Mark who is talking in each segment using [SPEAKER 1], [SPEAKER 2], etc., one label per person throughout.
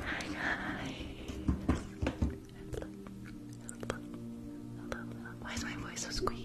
[SPEAKER 1] Hi guys. Why is my voice so squeaky?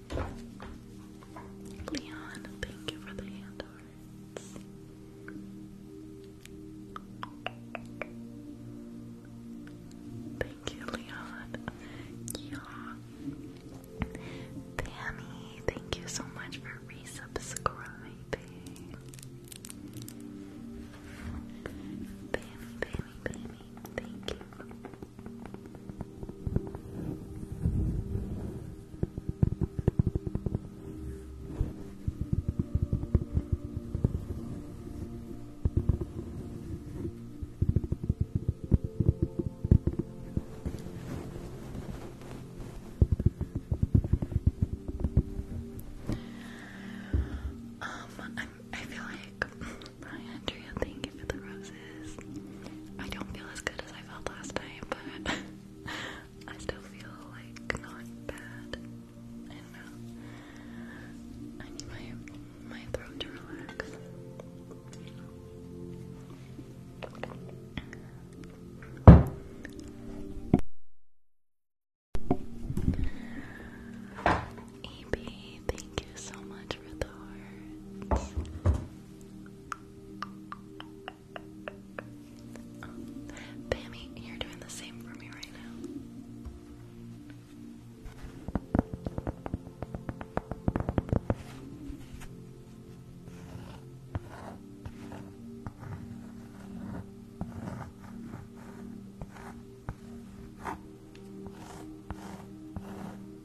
[SPEAKER 1] Leon, thank you for the hand Thank you, Leon. Yeah. Tammy, thank you so much for resubscribing. Tammy, Tammy, Tammy, thank you. Um, i feel like Brian Andrea, thank you for the roses. I don't feel as good as I felt last time, but I still feel like not bad. Uh, I need my my throat to relax. EB, thank you so much for the hearts. Oh, you're doing the same for me right now.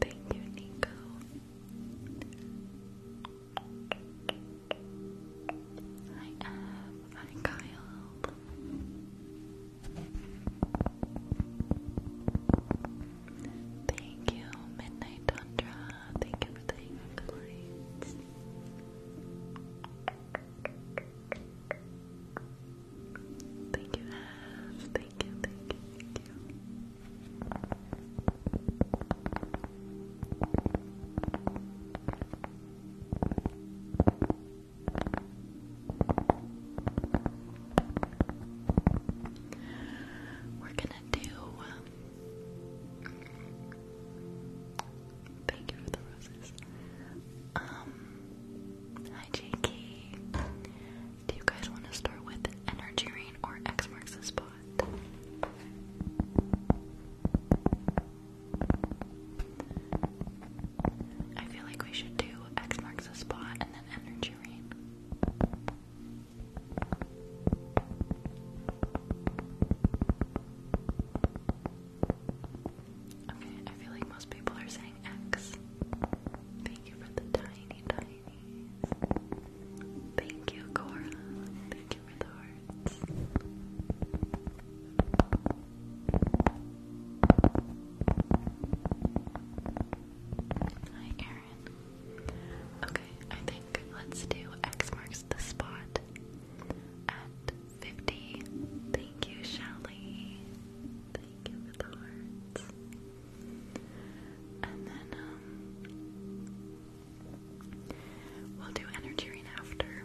[SPEAKER 1] Thank you, Nico. Hi, Ev. Hi, Kyle. Thank you, Midnight Tundra. Thank you for the lights. Thank you, Thank you, thank you, thank you. We're gonna do. Um, thank you for the roses. Um, hi JK. Do you guys want to start with energy rain or X marks the spot? I feel like we should do X marks the spot and then energy rain. Okay, I feel like most people are saying X. Thank you for the tiny tinies. Thank you, Cora. Thank you for the hearts. Hi, Aaron. Okay, I think let's do X marks the spot at 50. Thank you, Shelly. Thank you for the hearts. And then, um, we'll do energy after.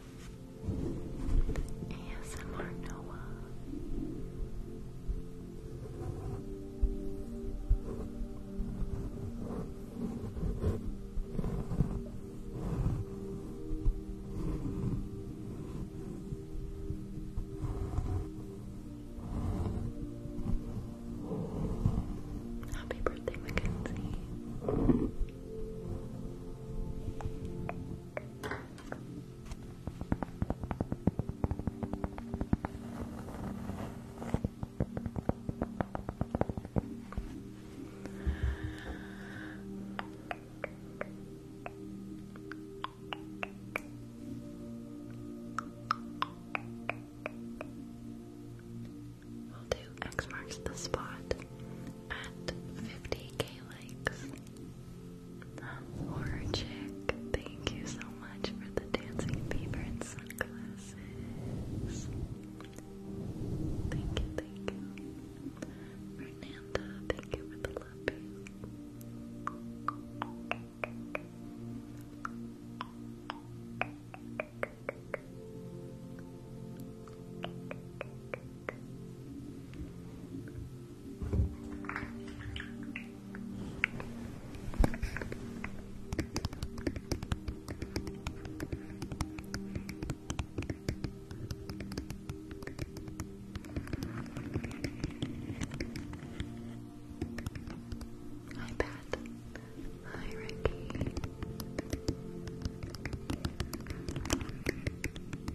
[SPEAKER 1] ASMR Noah. Happy birthday, Mackenzie. We'll do X marks the spot at 50k likes. Horror Chick, thank you so much for the dancing fever sunglasses.
[SPEAKER 2] Thank you, thank you. Fernanda, thank you for the love. Hi Pat. Hi Ricky. X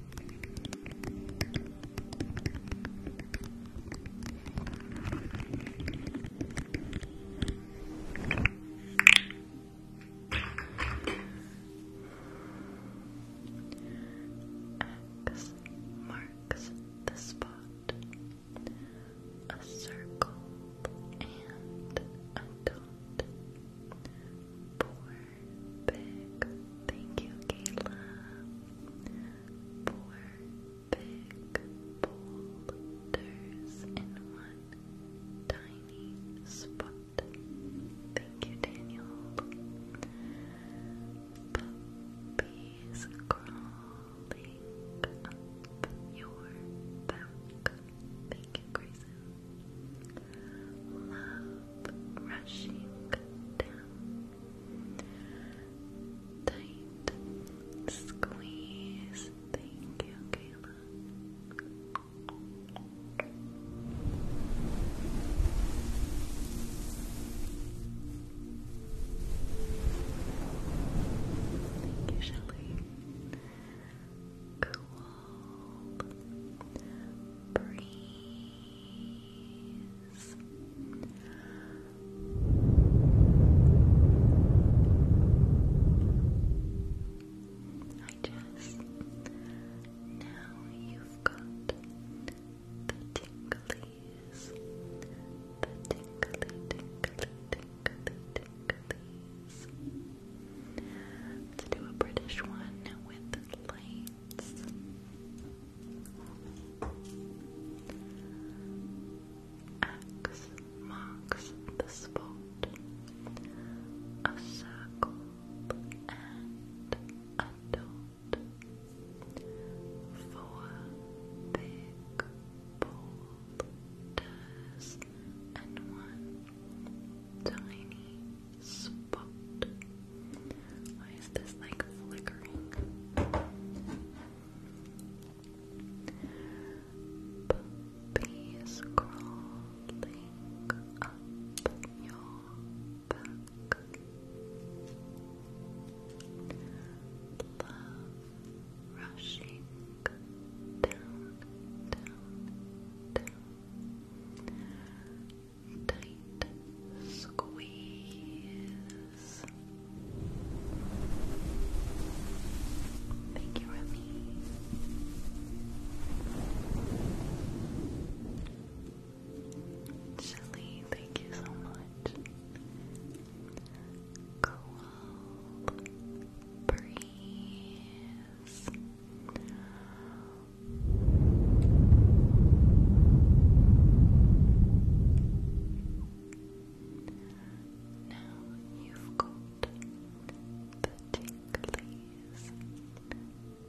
[SPEAKER 2] marks the spot. A circle and a dot big. Thank you, Kayla. Four big boulders in one tiny spot. Thank you, Daniel. Puppies crawling up your back. Thank you, Grayson love rushing down. Tight squeeze. Thank you, Kayla. Thank you, Shelly. Cool breeze. I just now you've got the tinglies, the tingly, tingly, tingly, tinglies. Let's do a British one with light X marks the spot. A circle and a dot. Four big boulders and one tiny spot. Why is this like flickering? Puppies crawling up your back. Love rushing down, down, down tight squeeze. Thank you, Remy. Shelly, thank you so much. Cool breeze. Now you've got the tinklies,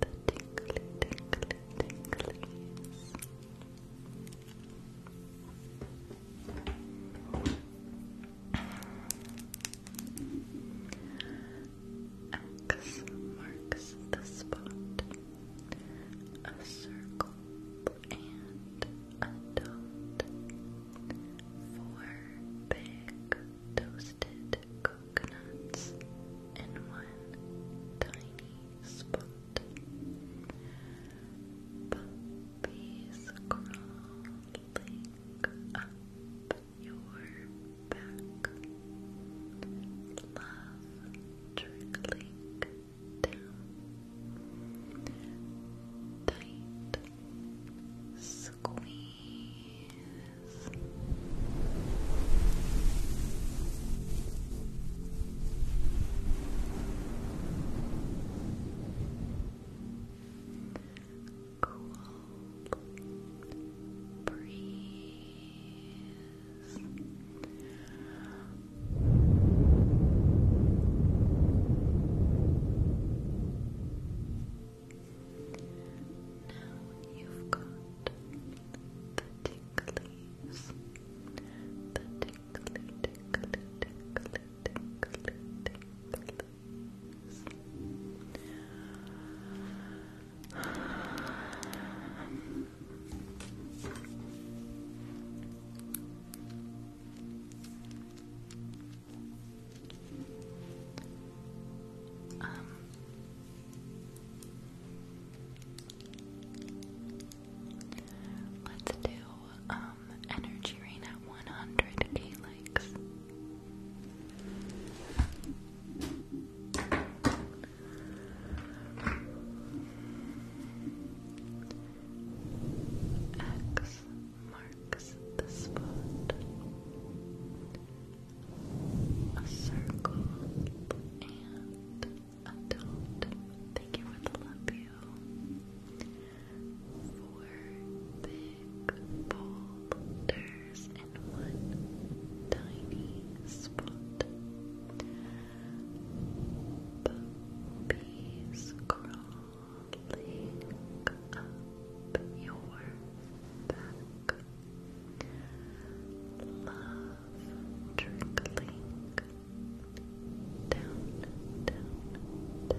[SPEAKER 2] the tinkly, tinkly, tinklies. X marks the spot. A circle and a dot. Four big toasted coconuts and one tiny spot. Puppies crawling up your back. Love trickling down. Tight squeeze. Cool. Breathe. Now you've got the ticklies, the tickly, tickly, tickly, tickly, ticklies. Um, let's do um, energy rain at one hundred K likes. X marks the spot. A circle and a dot. Thank you for the love you. Four big boulders colors in
[SPEAKER 1] one tiny spot. Puppies crawling up your back. Love trickling down, down, down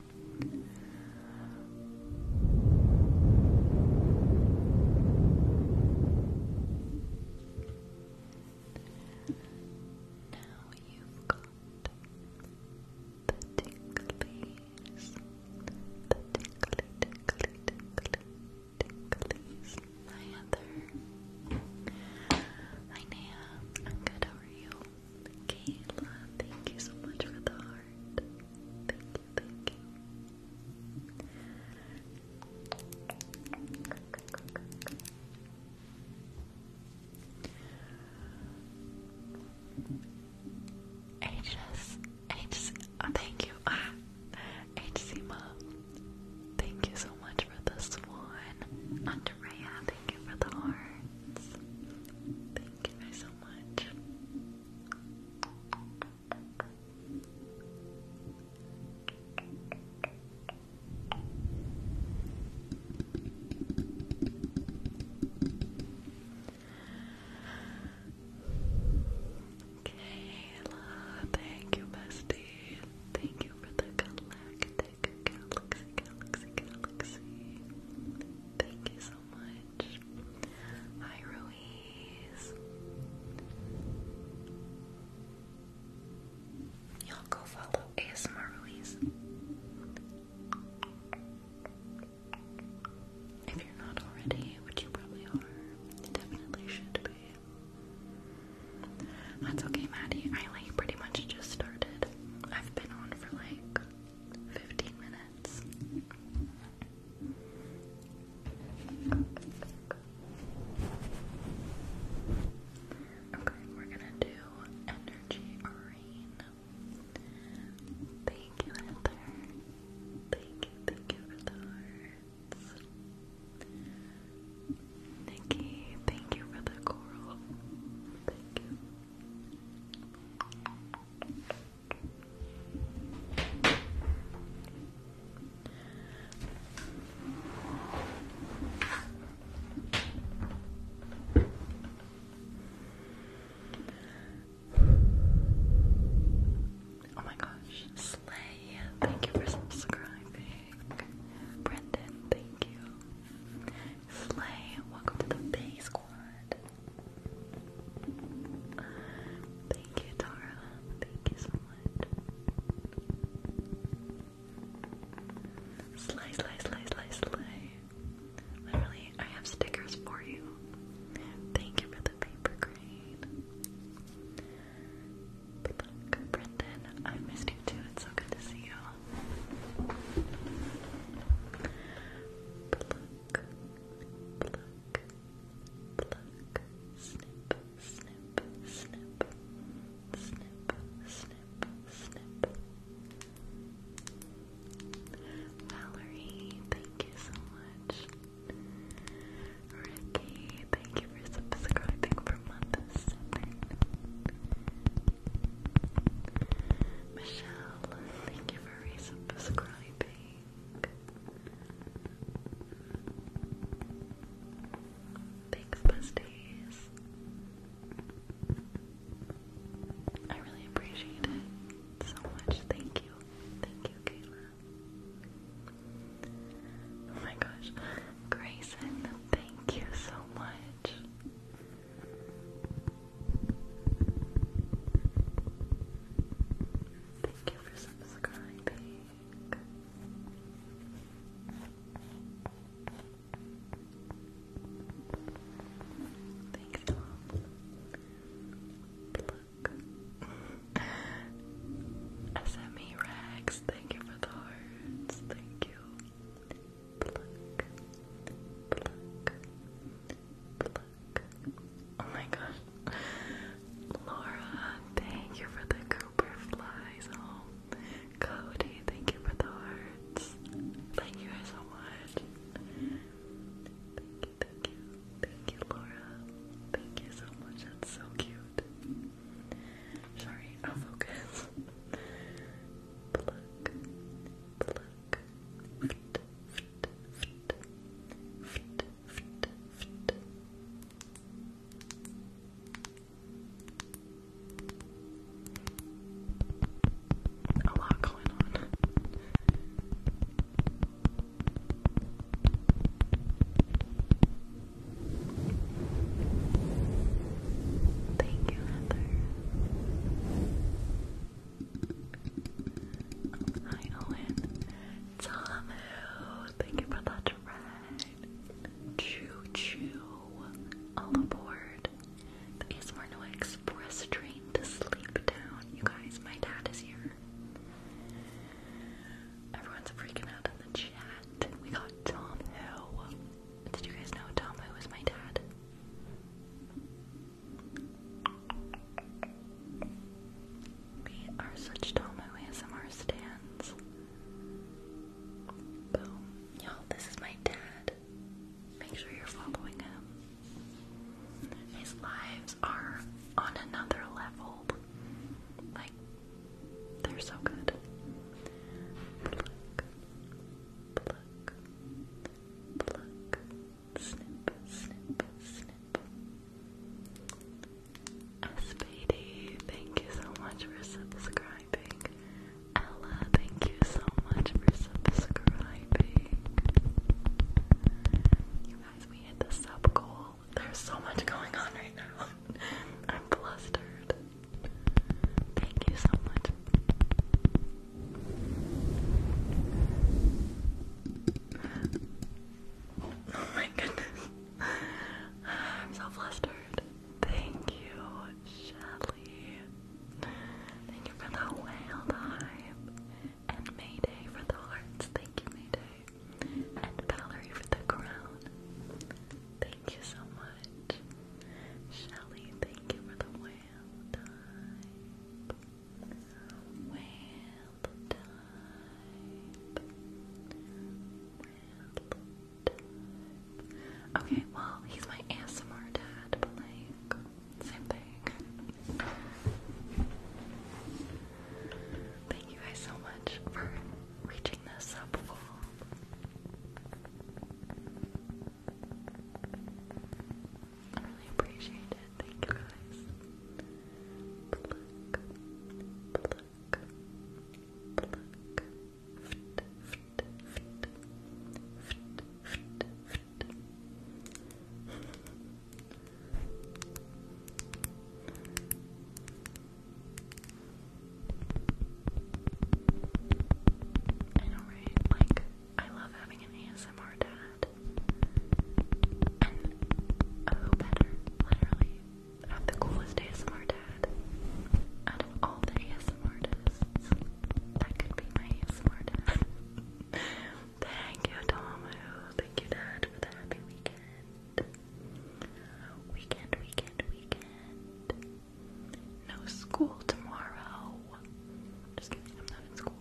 [SPEAKER 1] Now you've got the ticklies, the tickly, tickly, tickly, ticklies. Hi Heather. Hi Naya. i good. are you? Kayla, thank you so much for the heart. Oh, thank you, thank you. HS, thank you. so much for the swan. Andrea, thank you for the hearts. Thank you guys so much. Kayla,
[SPEAKER 2] thank you, bestie. Thank you for the galactic galaxy, galaxy, galaxy. Thank you so much. Hi, Ruiz. Y'all go follow ASMR Ruiz. If you're not already, which you probably are, definitely should be. That's okay, Maddie. I like pretty much just started. I've been on for like 15 minutes. Okay, we're gonna do energy rain. Thank you, Heather. Thank you, thank you for the hearts. Nikki, thank you for the coral.
[SPEAKER 1] Thank you. Oh my gosh, Slay, thank you for subscribing. Brendan, thank you. Slay, welcome to the Bay Squad. Thank you, Tara. Thank you so much. Slay, slay, slay, slay, slay. Literally, I have stickers for you. Thank you for the paper crane. look, Brendan, I missed you too. It's so good to see you. Pluck, pluck,
[SPEAKER 2] Valerie, thank you so much. Ricky, thank you for subscribing for month Michelle, thank you for resubscribing. Thanks, Busties.
[SPEAKER 1] I really appreciate it so much. Thank you. Thank you, Kayla. Oh my gosh. Grayson, thank you so much. Thank you for subscribing. Thanks, Tom. SME Rags, thank you for the hearts. Thank you. Oh my gosh. Laura, thank you for the Cooper oh, Cody, thank you for the hearts. Thank you guys so much. Thank you, thank you. Thank you, Laura. Thank you so much. That's so cute. Sorry, i focus. Pluck, pluck, fit, fit, fit, fit, a lot going on. Thank you, Heather. Hi Owen. Tomu, thank you for that ride. Choo choo. All aboard. The ASMR Noah Express train to sleep down. You guys, my dad is here. Everyone's freaking out in the chat. We got Tomu. Did you guys know Tomu is my dad? We are such on my ASMR stands. Boom. Y'all, this is my dad. Make sure you're following him. His lives are on another level. Like, they're so good. Pluck, pluck, pluck, snip, thank you so much for subscribing. Ella, thank you so much for subscribing. You guys, we hit the sub goal. There's so much going on right now. I'm flustered. Thank you so much. Oh my goodness. I'm so flustered. Thank you, Shelly. Thank you for the whale time. And Mayday for the hearts. Thank you, Mayday. And Valerie for the crown. Thank you so much. Shelly, thank you for the whale time. Okay, well, he's my ASMR dad, but same thing. Thank you guys so much for
[SPEAKER 2] reaching this sub goal. I really appreciate it. Thank you I know, right? Like, I love having an ASMR dad dad. And who better, literally, have the coolest ASMR dad out of all the ASMR artists. That could be my ASMR dad. Thank you, Tomamu. Thank you, Dad, for the happy weekend. Weekend, weekend, weekend. No school tomorrow.
[SPEAKER 1] Just kidding, I'm not in school.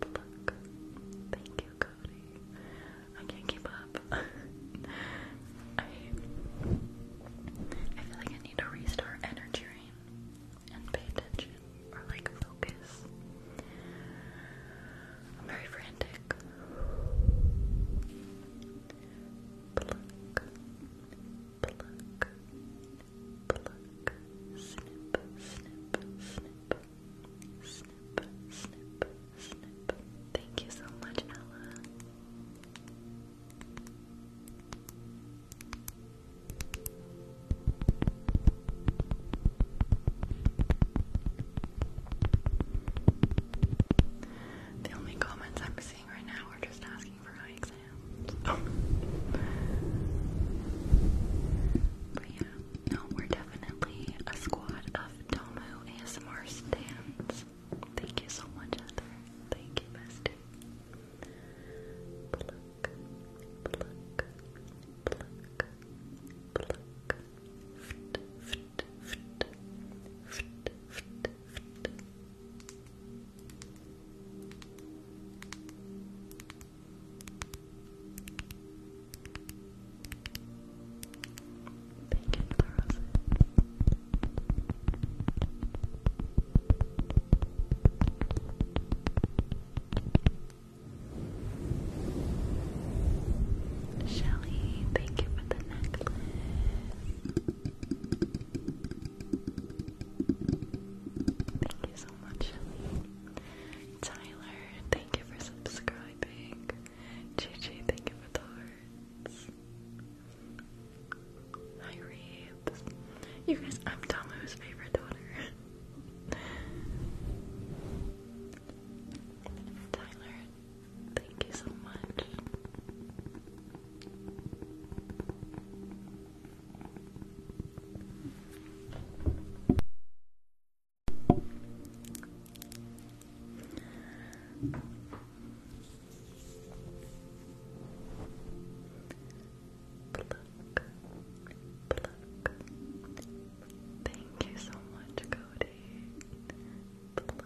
[SPEAKER 1] But look, thank you, I can't keep up. I, feel like I need to restart energy and pay attention or like focus. I'm very frantic. Thank you so much, Ella. The only comments I'm seeing right now are just asking for high exams. Oh. But yeah, no, we're definitely a squad of Domu ASMR stands. Thank you so much, Heather. Thank you, bestie. Thank you for the thank you for the necklace. Thank you so much, Shelly. Tyler, thank you for subscribing. I think. Gigi, thank you for the hearts. Hi, Reeves. You guys, I'm Tamu's favorite daughter. Tyler, thank you so much. Thank
[SPEAKER 2] you so much, Cody. Pluck.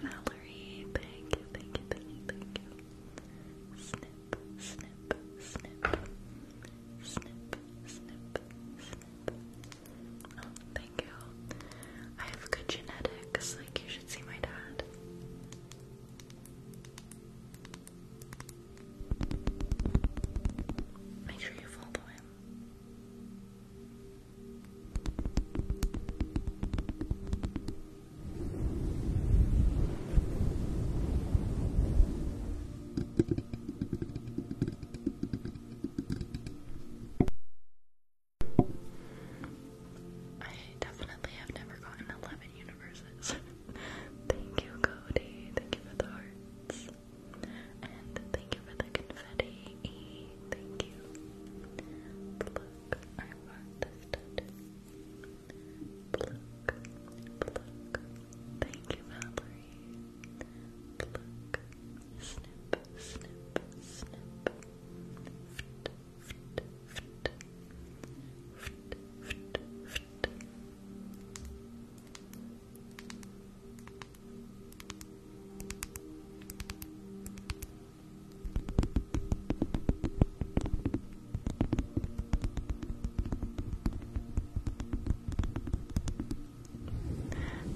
[SPEAKER 2] Valerie, thank you, thank you, thank you, thank you. Snip, snip, snip. Snip, snip, snip
[SPEAKER 1] thank you. I have good genetics. Like, you should see my dad. Make sure you follow him.
[SPEAKER 2] I definitely have never gotten 11 universes. thank you, Cody. Thank you for the hearts. And thank you for the confetti. thank you. Pluck. I want this tattoo. Pluck. Thank you, Valerie. Pluck. Snip, snip, snip. Fit, fit, fit. Fit, fit, fit. Pluck,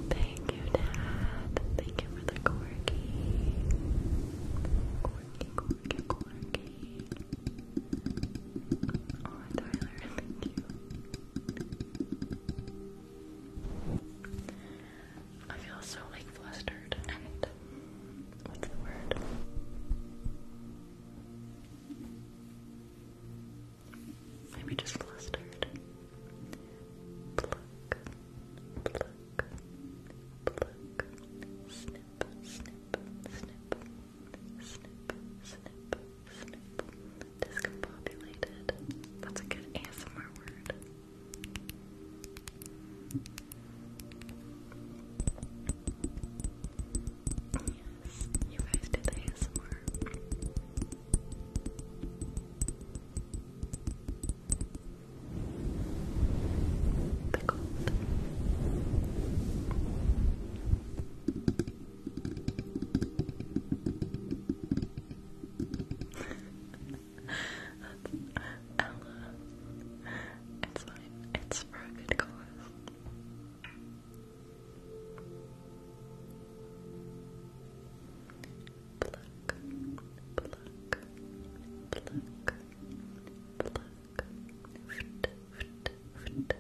[SPEAKER 2] Thank you, Dad. Thank you for the corgi. Corgi, corgi, corgi. Oh, Tyler, thank you. I feel so like flustered and what's the word? Maybe just flustered. Pluck, pluck, pluck. Snip, snip, snip, snip, snip, snip. Discombobulated. That's a good ASMR word. Yes, you guys did ASMR. Pickled. That's Ella. It's fine. It's for a good cause pluck, pluck, pluck, pluck, fit, fit, fit, fit, fit, fit. Pluck,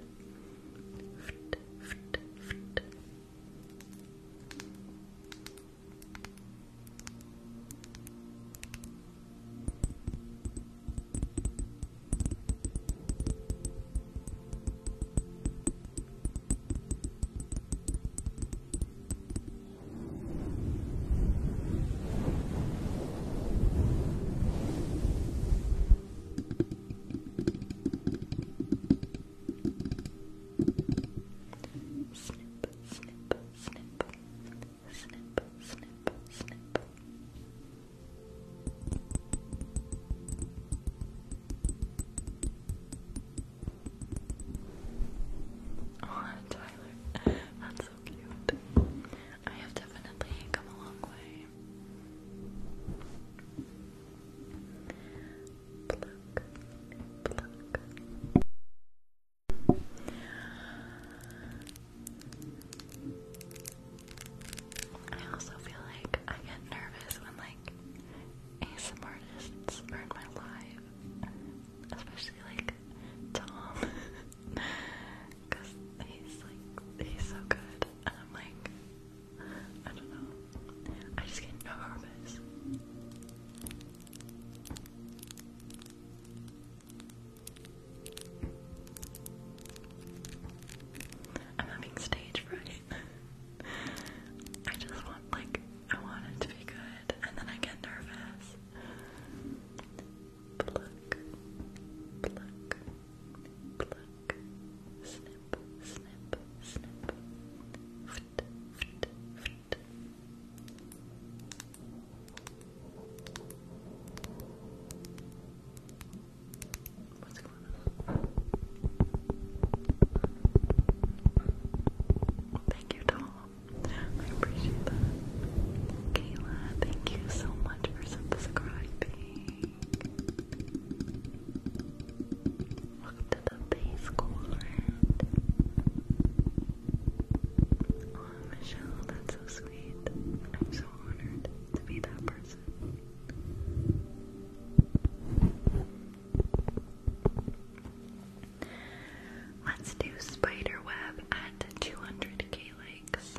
[SPEAKER 1] Snip, snip, snip, snip, snip, snip. Oh, Tyler, that's so cute. I have definitely come a long way. Pluck, pluck. I also feel like I get nervous when like like artists are in my life, especially like Tom, because he's like he's so good, and I'm like I don't know, I just get nervous. I'm having stage fright. I just want like I want it to be good and then I get nervous. Pluck, pluck, pluck, snip, snip, snip, fit, fit, fit. Thank you, Tom. I appreciate that. Kayla, thank you so much for subscribing. Welcome to the base court. Oh, Michelle, that's so sweet. I'm so honored to be that person. Let's do spiderweb at 200k likes.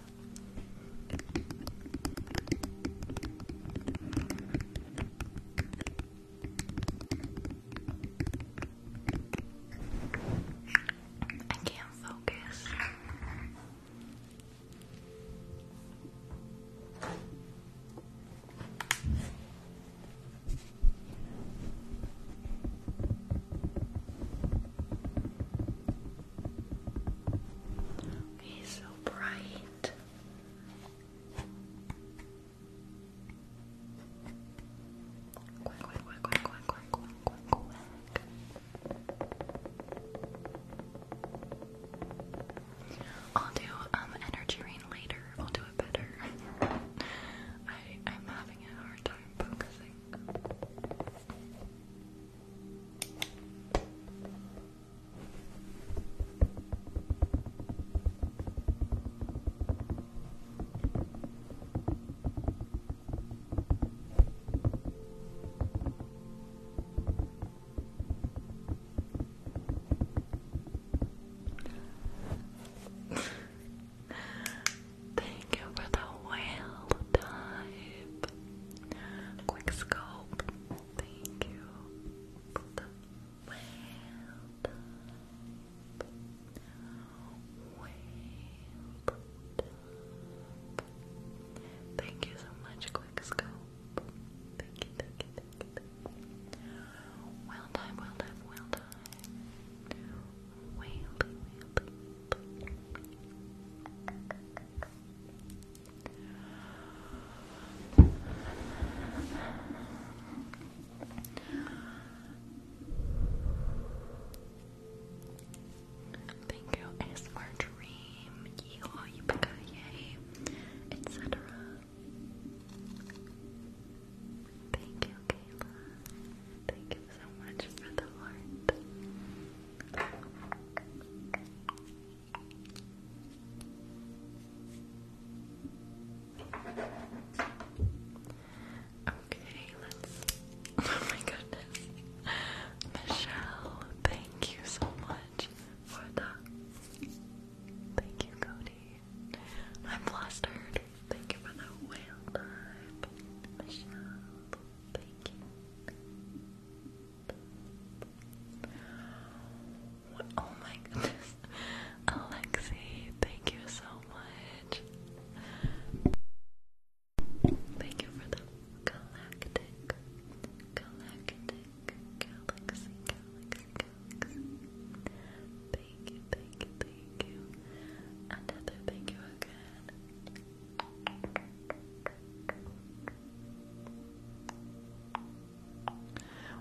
[SPEAKER 2] I can't focus.
[SPEAKER 1] He's so bright. Quack, quack, quack, quack, quack, quack, quack, quack, I'll do um energy rain later. I'll do it better. I'm having a hard time focusing. Thank you for the whale dive. Quick scope. Thank you for the Thank you so much, Quick Scope. Thank you, thank you, thank you, Thank you, ASMR Dream, Yeehaw, Yippee etc. Thank you, Kayla. Thank you so much for the heart. Okay, Oh my goodness. Michelle, thank you so much for the. Thank you, Cody. I'm flustered. Thank you for the whale time. Michelle, thank you. Oh my goodness. Alexi, thank you so much. Thank you for the galactic, galactic, galaxy, galaxy. Thank you, thank you, thank you. Another thank you again.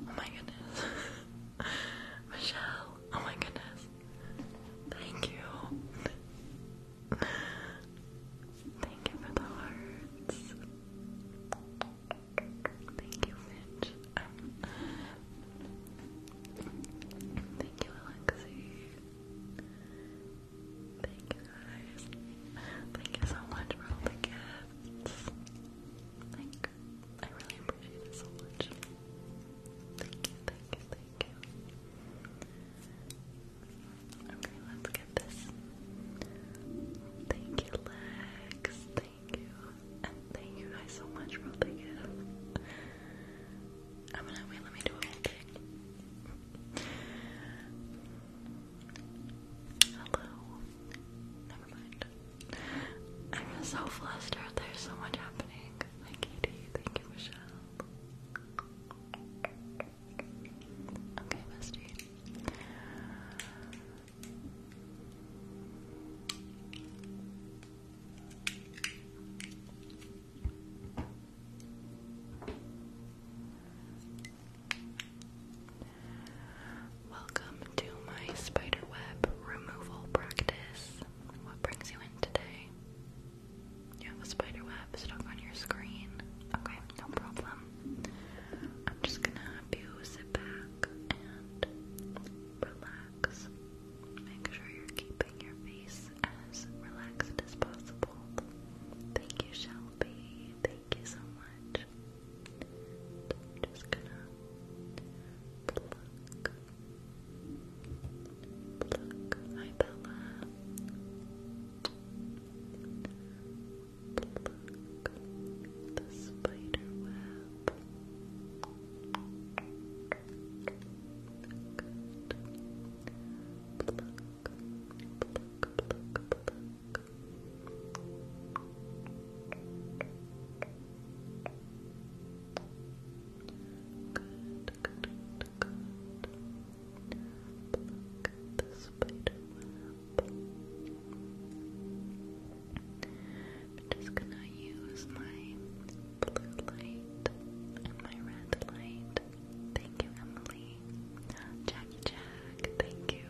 [SPEAKER 1] Oh my goodness. Michelle, oh my goodness. Thank you. Thank you for the hearts. Thank you, Finch. thank you, Alexi. Thank you, Thank you so much for all the gifts. Like, I really appreciate it so much. Thank you, thank you, thank you. Okay, let's get this. Thank you, Lex. Thank you. And thank you guys so much for all the gifts. I'm gonna wait, let me do a whole thing. Hello. Never mind. I'm so flustered. There's so much happening. Hi, Katie. Thank you, Michelle. Okay, bestie. Welcome to my spiderweb removal practice. What brings you in today? You have a spiderweb stuck on your screen. Okay, no problem. I'm just gonna have you sit back and relax. Make sure you're keeping your face as relaxed as possible. Thank you, Shelby. Thank you so much. just gonna pluck. Pluck. Hi, Bella. the spider web. Good. Pluck, pluck, pluck, pluck. I'm just gonna use my blue light and my red light. Thank you, Emily. Jackie Jack, thank you.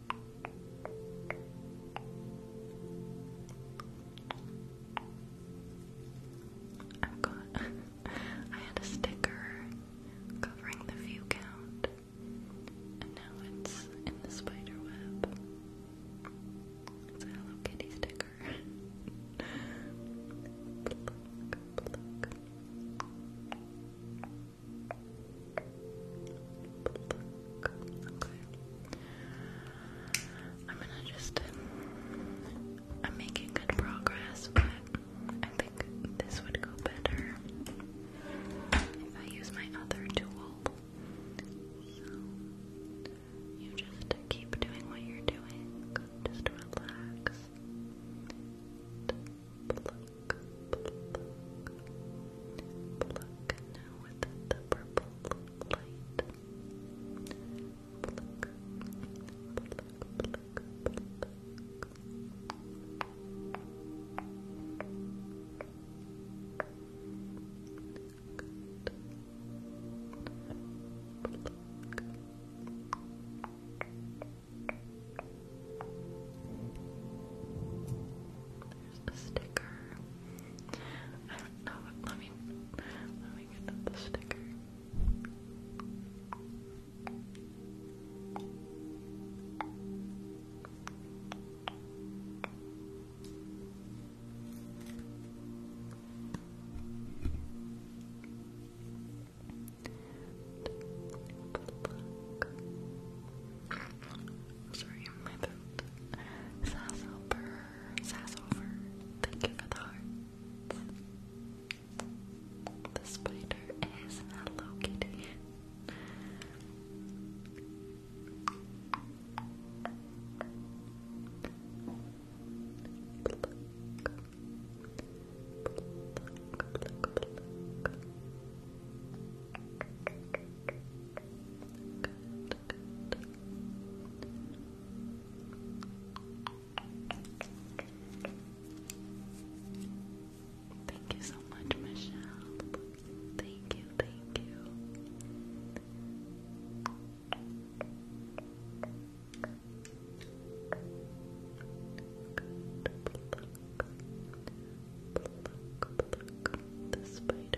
[SPEAKER 1] i had a sticker covering the view count and now it's in the spider web. It's a Hello Kitty sticker. I'm gonna just. I'm making good progress, but I think this would go better if I use my other tool. you just keep doing what you're doing. Just relax purple light. Pluck, pluck, pluck, pluck. Good. Pluck sticker. I don't know. Let me get the sticker sorry, my throat. Sassover, Sassover, thank you for the heart. The spider is Hello Kitty. Thank you so much, Michelle. Thank you, thank you. the spider.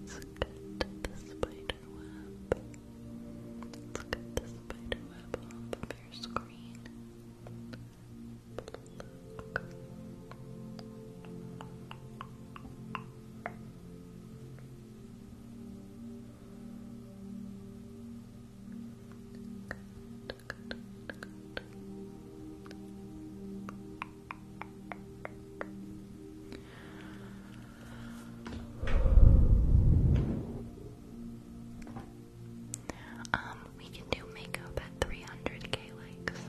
[SPEAKER 1] Let's get spider web. Look at the spider web
[SPEAKER 2] on your screen. Um, we can do makeup at 300k likes.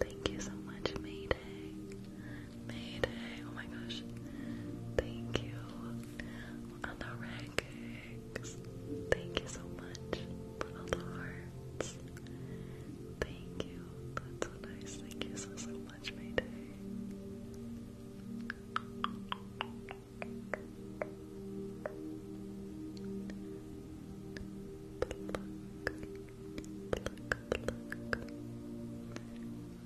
[SPEAKER 2] Thank you so much, Mayday. Mayday, oh my gosh. Thank you. On the rankings. Thank you so
[SPEAKER 1] much for all the hearts. Thank you. That's so nice. Thank you so so much, Mayday.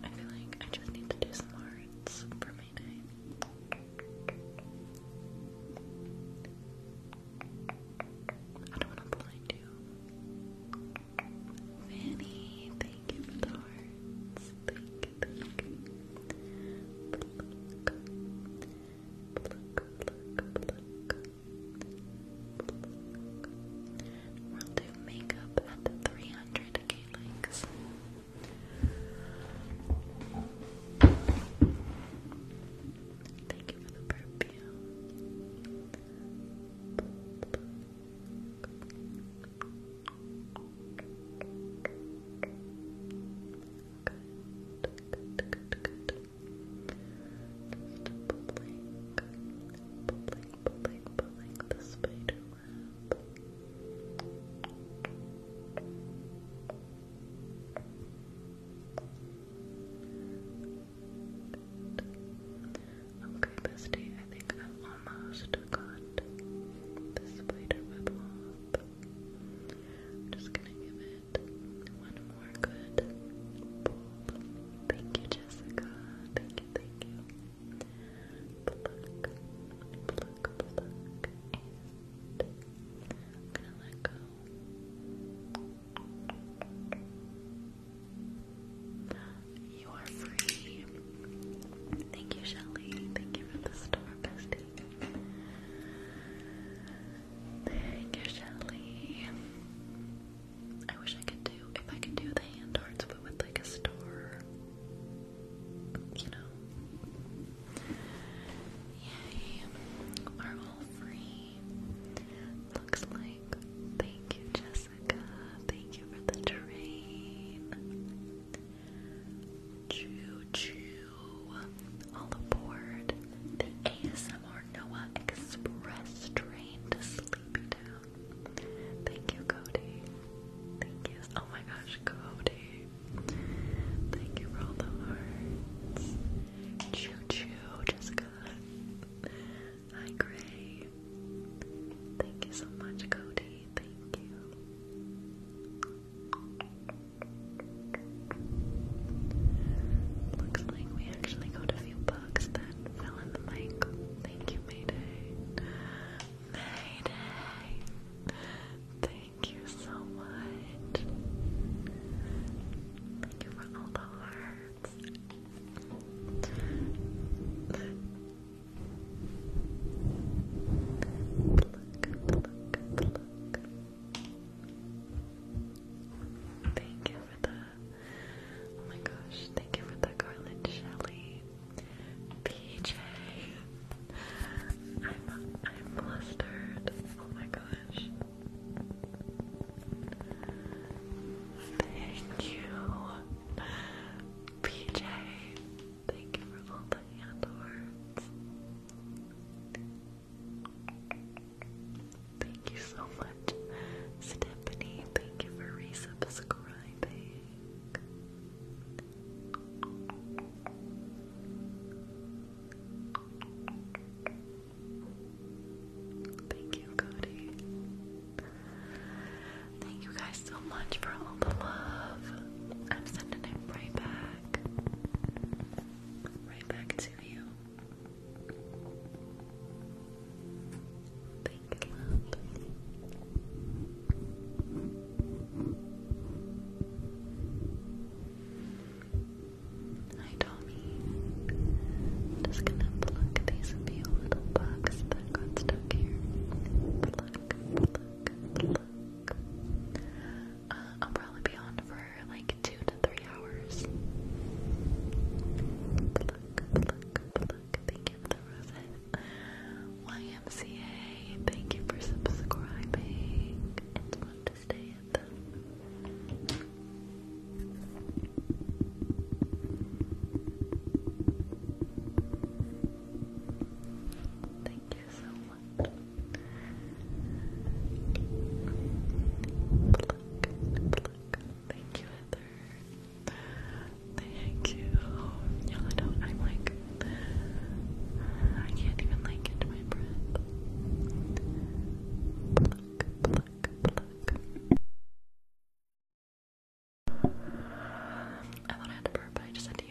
[SPEAKER 1] I feel like I just need to do some hearts for my night. I don't want to blind you. Fanny, thank you for the hearts. Thank you. We'll do makeup at 300k likes. Thank you for the perfume good, good, good. Just pulling, pulling, pulling, pulling the spider web. Okay, bestie, I think I've almost got the spider web off just gonna give it one more good pull. Thank you, Jessica. Thank you, thank you. Pluck, pluck, pluck, and gonna let go. You are free. Thank you, Shelly. Thank you for the star, bestie. Thank you, Shelly. I wish I could do if I could do the hand arts, but with like a star, you know. Yay, free. Looks like. Thank you, Jessica. Thank you for the train. Choo choo. On the board, the ASMR Noah Express train to Sleepy Town. Thank you, Cody. Thank you. Oh my gosh, Cody. Thank you for all the hearts. Choo choo, Jessica. Hi, Gray. Thank you so much, Cody. Thank you. Looks like we actually got a few bugs that fell in the mic. Thank you, Mayday. Mayday! Thank you so much. Thank you for all the hearts. Thank you for the oh my gosh, thank you for the garland Shelly. PJ I'm I'm flustered. Oh my gosh. Thank you. PJ Thank you for all the hand Thank you so much, Stephanie. Thank you for resubscribing. Thank you, Cody. Thank you guys so much for all the love. I'm sending it right back back. Right back to you. Big love. Hi Tommy. Just gonna pluck these few little bugs that got stuck here. Pluck, pluck, pluck. Uh, I'll probably be on for like two to three hours. Thank you for the YMCA, thank you for subscribing. It's fun to stay at the. Thank you so Thank you, Heather. Thank you. you I am like, I can't even like get my breath. Pluck, pluck, pluck. I thought I had to burp, but I just had to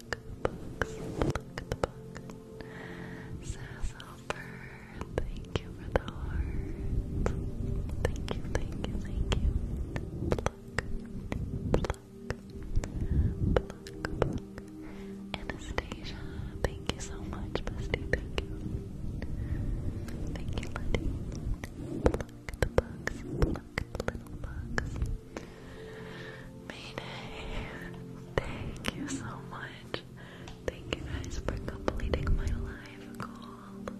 [SPEAKER 1] book, books, look at the book. Sassoper, thank you for the heart. Thank you, thank you, thank you. Pluck, pluck, pluck, pluck. Anastasia, thank you so much, bestie. Thank you. Thank you, Letty. Pluck the bugs, pluck the little bugs. Mayday, thank you so much. Thank you guys for completing my live goal.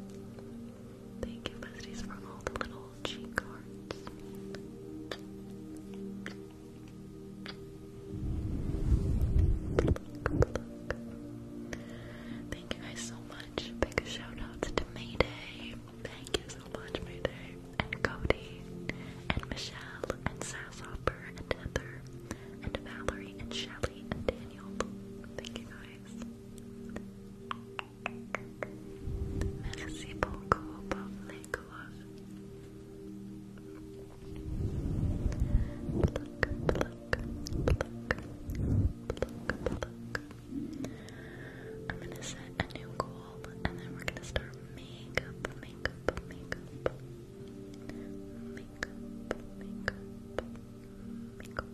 [SPEAKER 1] Thank you, besties, for all the little cheat cards. Thank you guys so much. Big shout outs to Mayday. Thank you and Cody, and Michelle, and Sasshopper, and Heather, and Valerie, and
[SPEAKER 2] Shelly, and Daniel. Thank you guys. Merci beaucoup pour I'm gonna set a new goal and then we're gonna start makeup, makeup, makeup, makeup, makeup, makeup.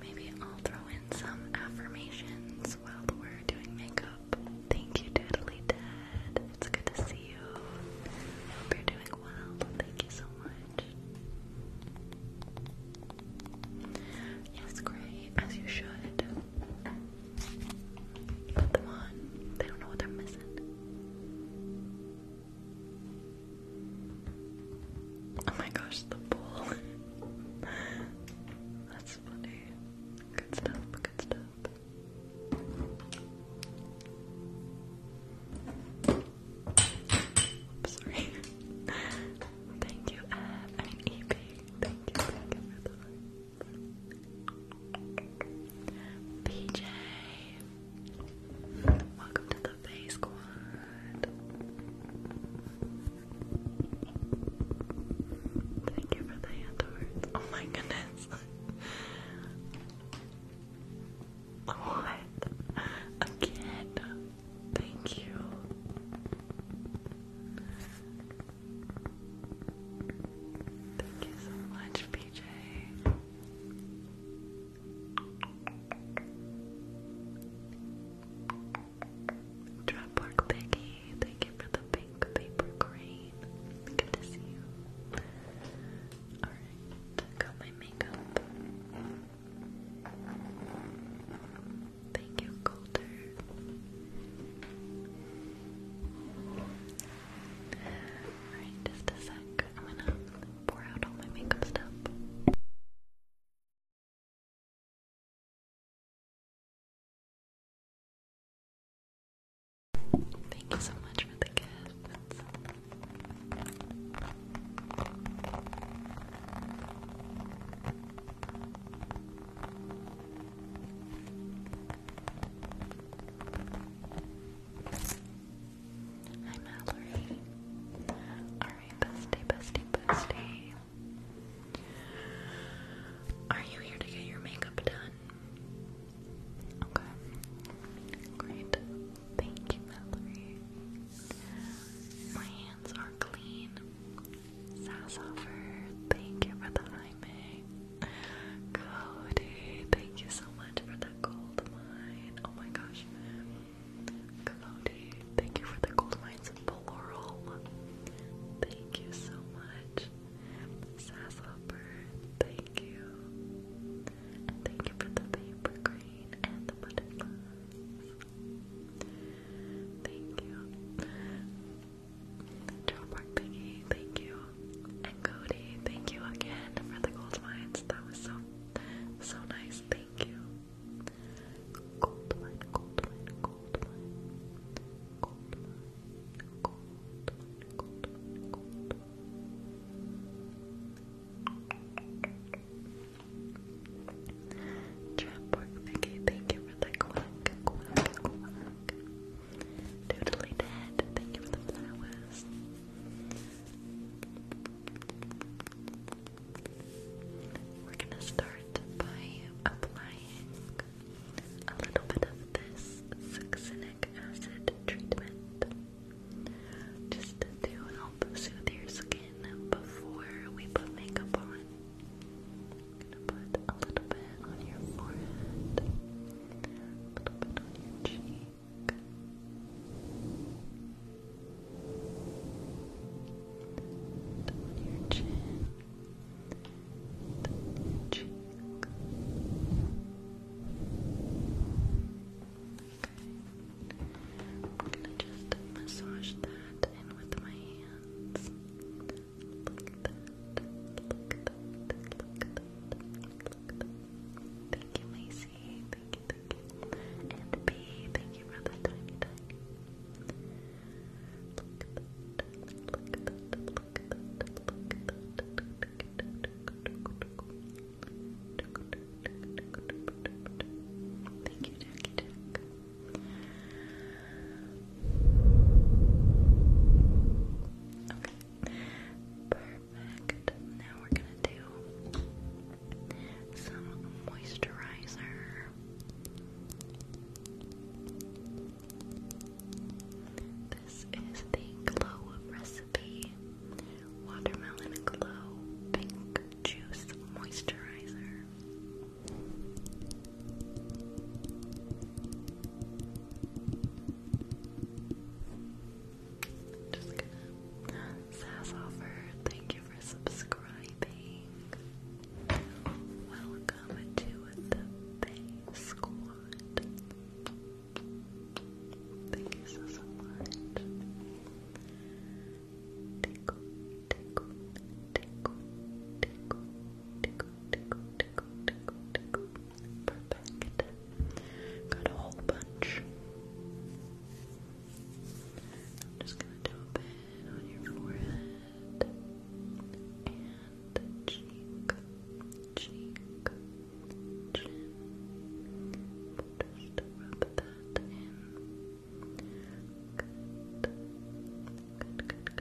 [SPEAKER 2] Maybe I'll throw in some affirmations while we're doing makeup. Thank you, Diddly Dad. It's good to see you. I hope you're doing well. Thank you so much. Yes, great, as you should. Put them on. They don't know what they're missing. Oh my gosh, the bowl. That's funny. Good stuff, good stuff. I'm sorry. thank you, uh, Ab. EP. Thank you, thank you for the heart. PJ. Welcome to the face squad. Thank you for the hand Oh my goodness. What? Again? Thank you. Thank you so much, PJ. Drop work, Thank you for the pink paper green. Good to see you. Alright, got my makeup. Thank you, Colter. Alright, just a sec. I'm gonna pour out all my makeup stuff.
[SPEAKER 1] Thank you so much for the gift. Hi Mallory. Alright, bestie, bestie, bestie. Are you here to get your makeup done? Okay. Great. Thank you, Mallory. My hands thank you for the Jaime. Cody,
[SPEAKER 2] thank you so much for the gold mine. Oh my gosh. Cody,
[SPEAKER 1] thank you for the gold mines plural. Thank you so much. Sassoffer, thank you. And thank you for the paper cream and the butterflies. Thank
[SPEAKER 2] you. Joe Park Piggy, thank you. And Cody, thank you again for the gold mines. That was so so nice. Thank you. Gold mine, gold mine, gold mine. Gold mine, gold gold gold Trapwork Mickey, thank you for the
[SPEAKER 1] quack, quack, quack. Doodly Dead, thank you for the flowers. We're gonna start by applying a little bit of this succinic acid treatment just to do an help soothe your skin before we put makeup on. going to put a little bit on your forehead, a little bit on your cheek. On your chin, on your cheek, I'm gonna just massage that in with my hands. Look at that. Look at that. Look at that. Look at that. Thank you, Macy. Thank you, thank you. And B, thank you for the tiny tiny. Look at that. Look at that. Look at that. Look at that. Look at that. Look at that. Thank you, Jackie Perfect. Now we're gonna do some moisturizer. This is the Glow recipe. Watermelon Glow Pink Juice Moisturizer. Just gonna Sassoffer, thank you for subscribing. Welcome to the Bay Squad. Thank you so tickle, tickle, tickle, tickle, tickle, tickle, tickle, tickle, tickle. Perfect. Got a whole bunch. I'm just gonna dump it on your forehead and cheek, cheek, chin. Just rub that in. Good, good,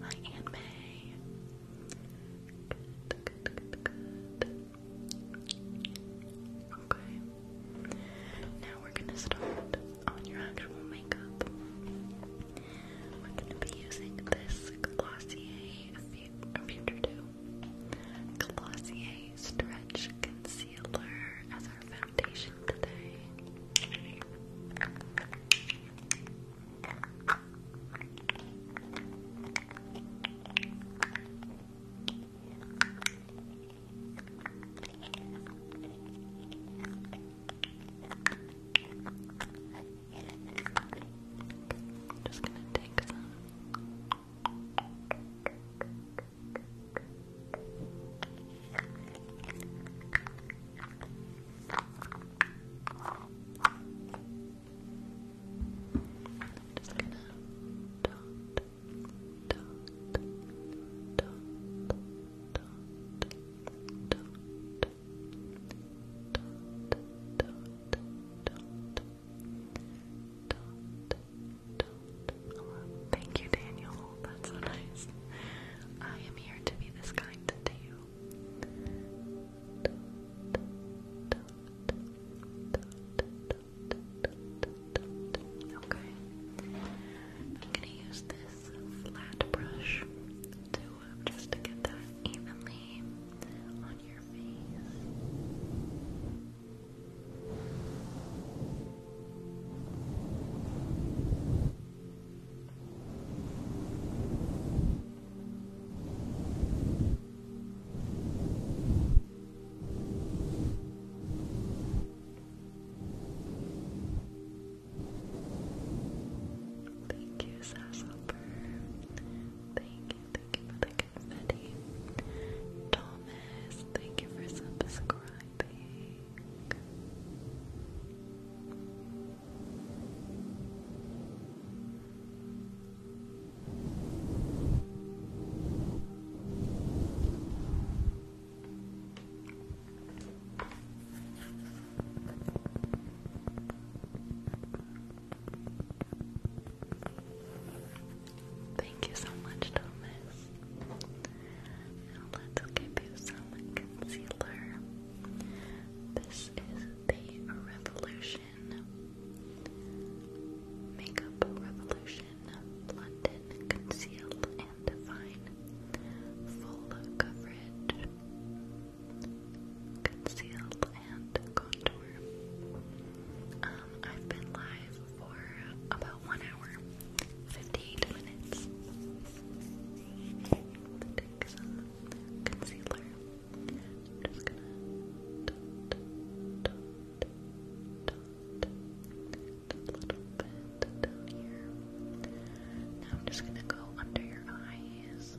[SPEAKER 1] Hi, Aunt May. Okay. Now we're gonna start on your actual makeup. We're gonna be using this Glossier a future Concealer as our foundation today. Just gonna take some. Just gonna
[SPEAKER 2] dot, dot, dot, dot, dot, dot, dot, dot, dot, thank you, Daniel. That's so nice.
[SPEAKER 1] I am here to be this kind to you.
[SPEAKER 2] Okay. I'm gonna use this flat brush to um, just to get that evenly Thank
[SPEAKER 1] you, Sasshopper. Thank you, thank you for the confetti. Thomas, thank you for subscribing.
[SPEAKER 2] Thank you so much, Thomas. let's give you some concealer. This is the Revolution Makeup Revolution London Conceal and Define Full Coverage Conceal and contour. I've been live for about one hour, 58 minutes. take some concealer. just gonna Now I'm just
[SPEAKER 1] gonna go under your eyes.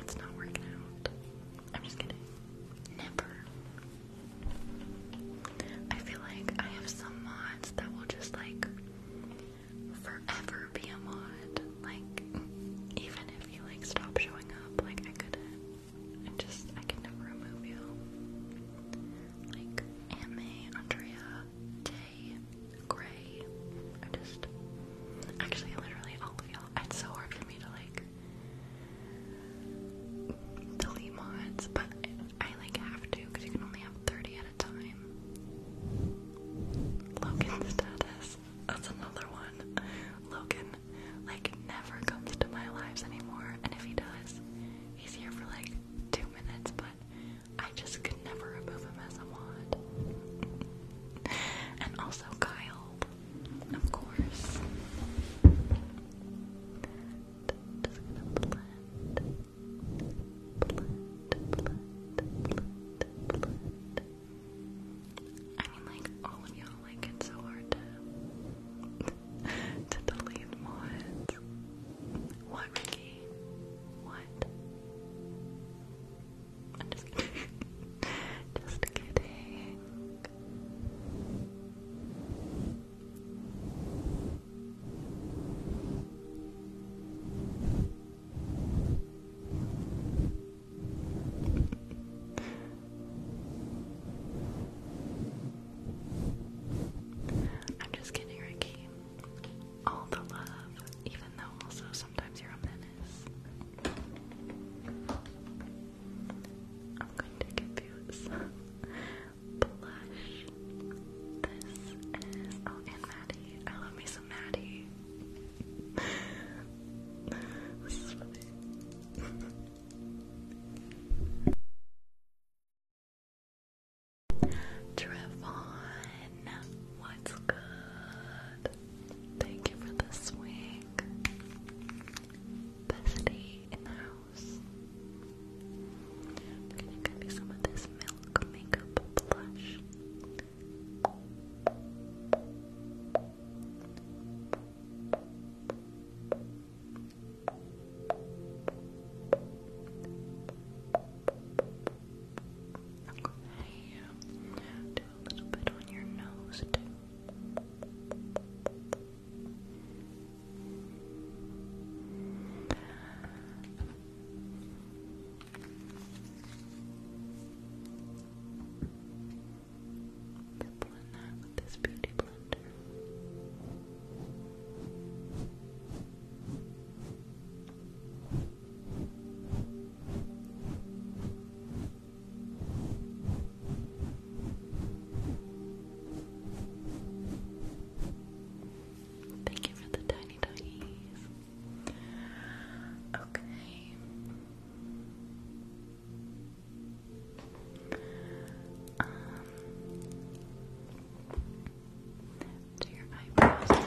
[SPEAKER 1] It's not working out. I'm just kidding. Never. I feel like I have some mods that will just like forever be a mod. Like even if you like stop showing up, like I could I just I can never remove you. Like Ame, Andrea, Tay, Gray. I just actually literally all of y'all it's so hard for me to like delete mods, but I, like have to because you can only have 30 at a time. Logan status. That's another one. Logan, like, never comes to my lives anymore, and if he does, he's here for like two minutes, but I just could never remove him as a mod. and also Kyle, of course. I mean, like, all of y'all like it so hard to, to delete mods. What, Ricky? What? I'm just kidding.
[SPEAKER 2] just kidding. I'm just kidding, Ricky. All the love, even though also sometimes you're a menace. I'm going to give you some blush. This is oh, and Maddie. I love me some Maddie.
[SPEAKER 3] Trevon, what's good? Thank you for the swag. Bestie in the house. We're gonna give you some of this milk makeup blush. Okay.
[SPEAKER 2] Um, do a little bit on your nose too blend that this beauty blender. Thank you for the tiny tiny. Okay. Um, do your eyebrows now.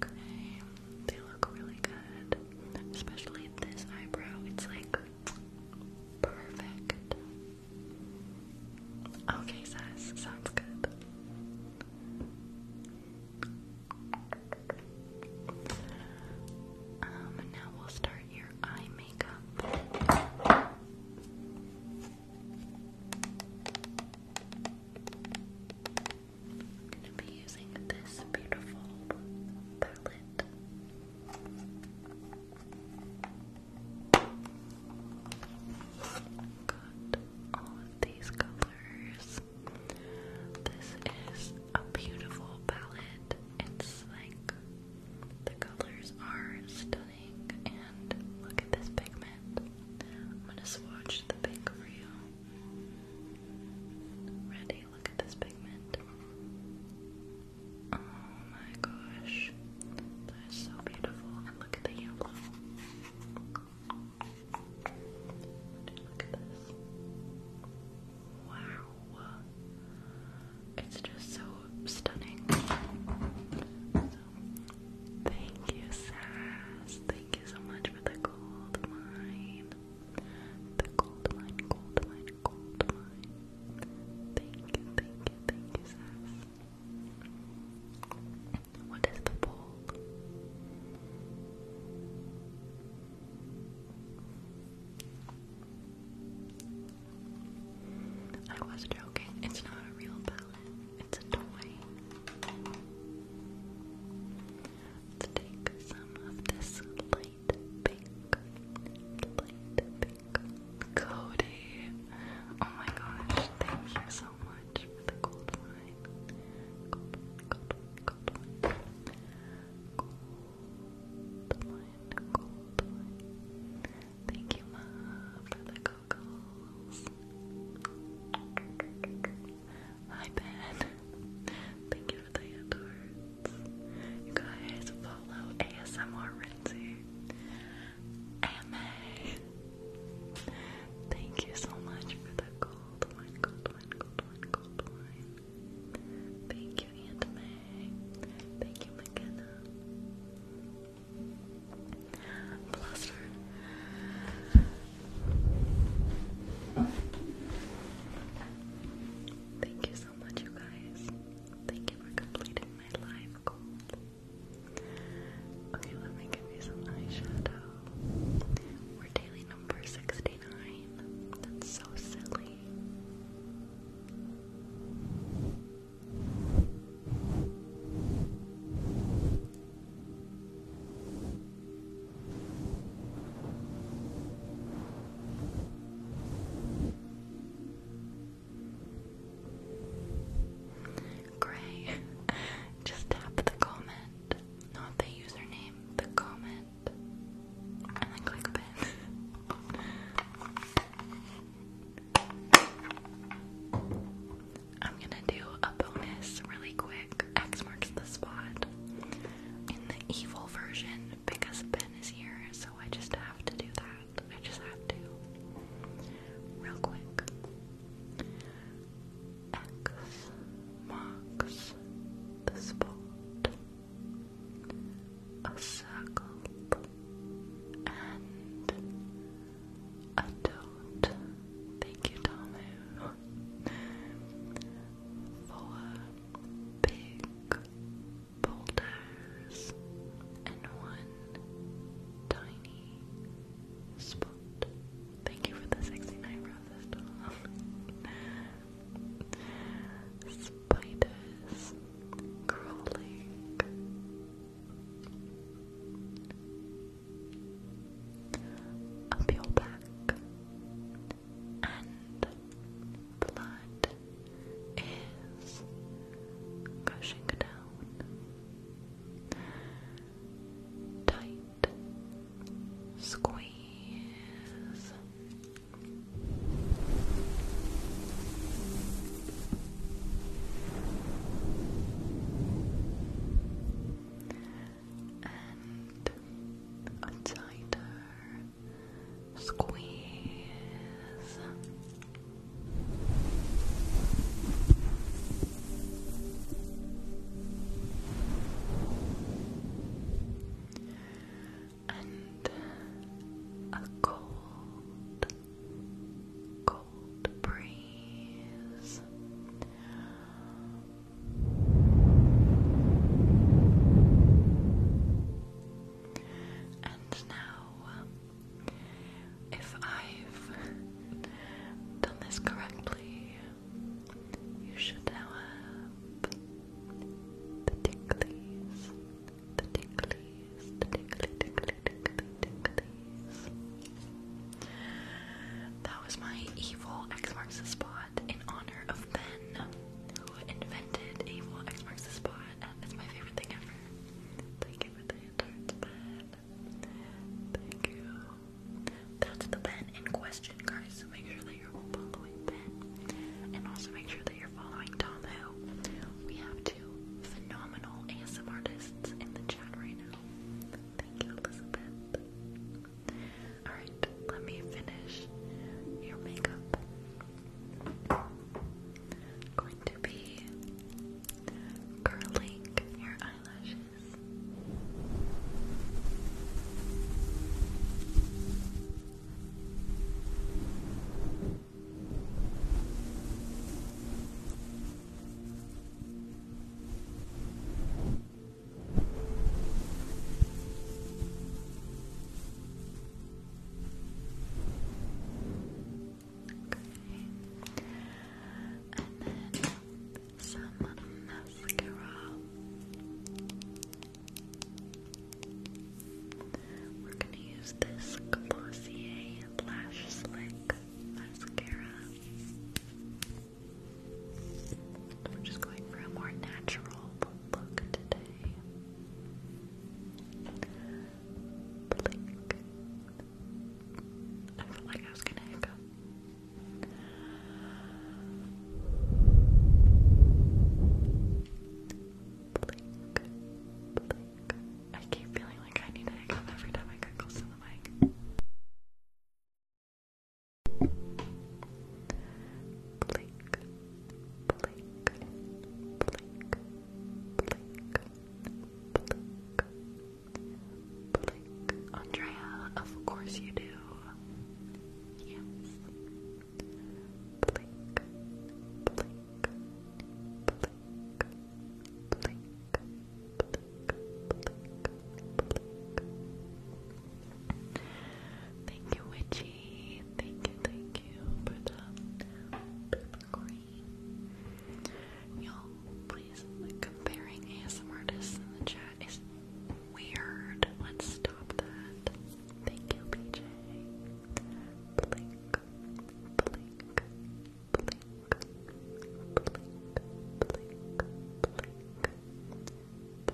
[SPEAKER 1] Okay, they look really good. Especially this eyebrow, it's like perfect. Okay, says sounds good. Um, now we'll start your eye makeup. I'm going to be using this beautiful palette. Got all of these colors. This is a beautiful palette. It's like the colors are stunning, and look at this pigment. I'm gonna swatch the pink for you. Ready? Look at this pigment. Oh my gosh. That is so beautiful. look at the yellow. Look at this. Wow. It's just so stunning. thank you, Sass. Thank you so much for the gold mine. The gold mine, gold Thank you, thank you, thank you, Sass. What is the poll? I was joking. It's not a real palette. It's a toy. Let's take some of this light pink, light pink. Cody, oh my gosh, thank you so much for the gold wine. Gold, gold, gold wine. Gold wine, gold wine. Thank you, Ma, for the goggles. Hi, Ben. Thank you you guys follow ASMR Renzi. AMA. Thank you so much for the gold Thank you, Aunt Thank you, McKenna. Bluster. Thank you so much, you guys. Thank you for completing my live goal. Okay, let me give you some eyeshadow. We're daily number 69. That's so silly. Gray, just tap the comment, not the username, the comment, and then click pin. I'm gonna do a bonus really quick. X marks the spot in the evil version because Ben is here, so I just have to do that. I just have to. Real quick. X marks the spot. A circle and a dot. Thank you, Tamu. Four big boulders and one tiny
[SPEAKER 2] spot. Thank you for the sexy night, doll. Spiders crawling. Up your back, and blood is gushing down. Tight squeeze. And tighter Squeeze. And a cold,
[SPEAKER 1] cold breeze and now, if I've done this correctly, you should have the ticklies, the ticklies, the tickly, tickly, tickly, ticklies. That was my evil X marks the spot in honor of Ben who invented Evil X marks the spot, and it's my favorite thing ever. Thank you for the entrance Thank you. That's the pen in question, guys. So make sure that you're following Ben, and also make sure that you're following Tom. Who we have two phenomenal ASM artists in the chat right now. Thank you, Elizabeth. Alright, let me finish your makeup. going to be curling your eyelashes. And then some mascara. We're going to use this Glossier Lash Slick mascara. We're just going for a more natural look today. I felt like I was gonna hiccup. Blink. Blink. I keep feeling like I need to hiccup every time I get close to the mic. Andrea, of course you do. Thank you, Witchy. Thank you, thank you for the green. Y'all, please, comparing ASM in the chat is weird. Let's stop that. Thank you, PJ. Blink, blink, blink, blink, blink,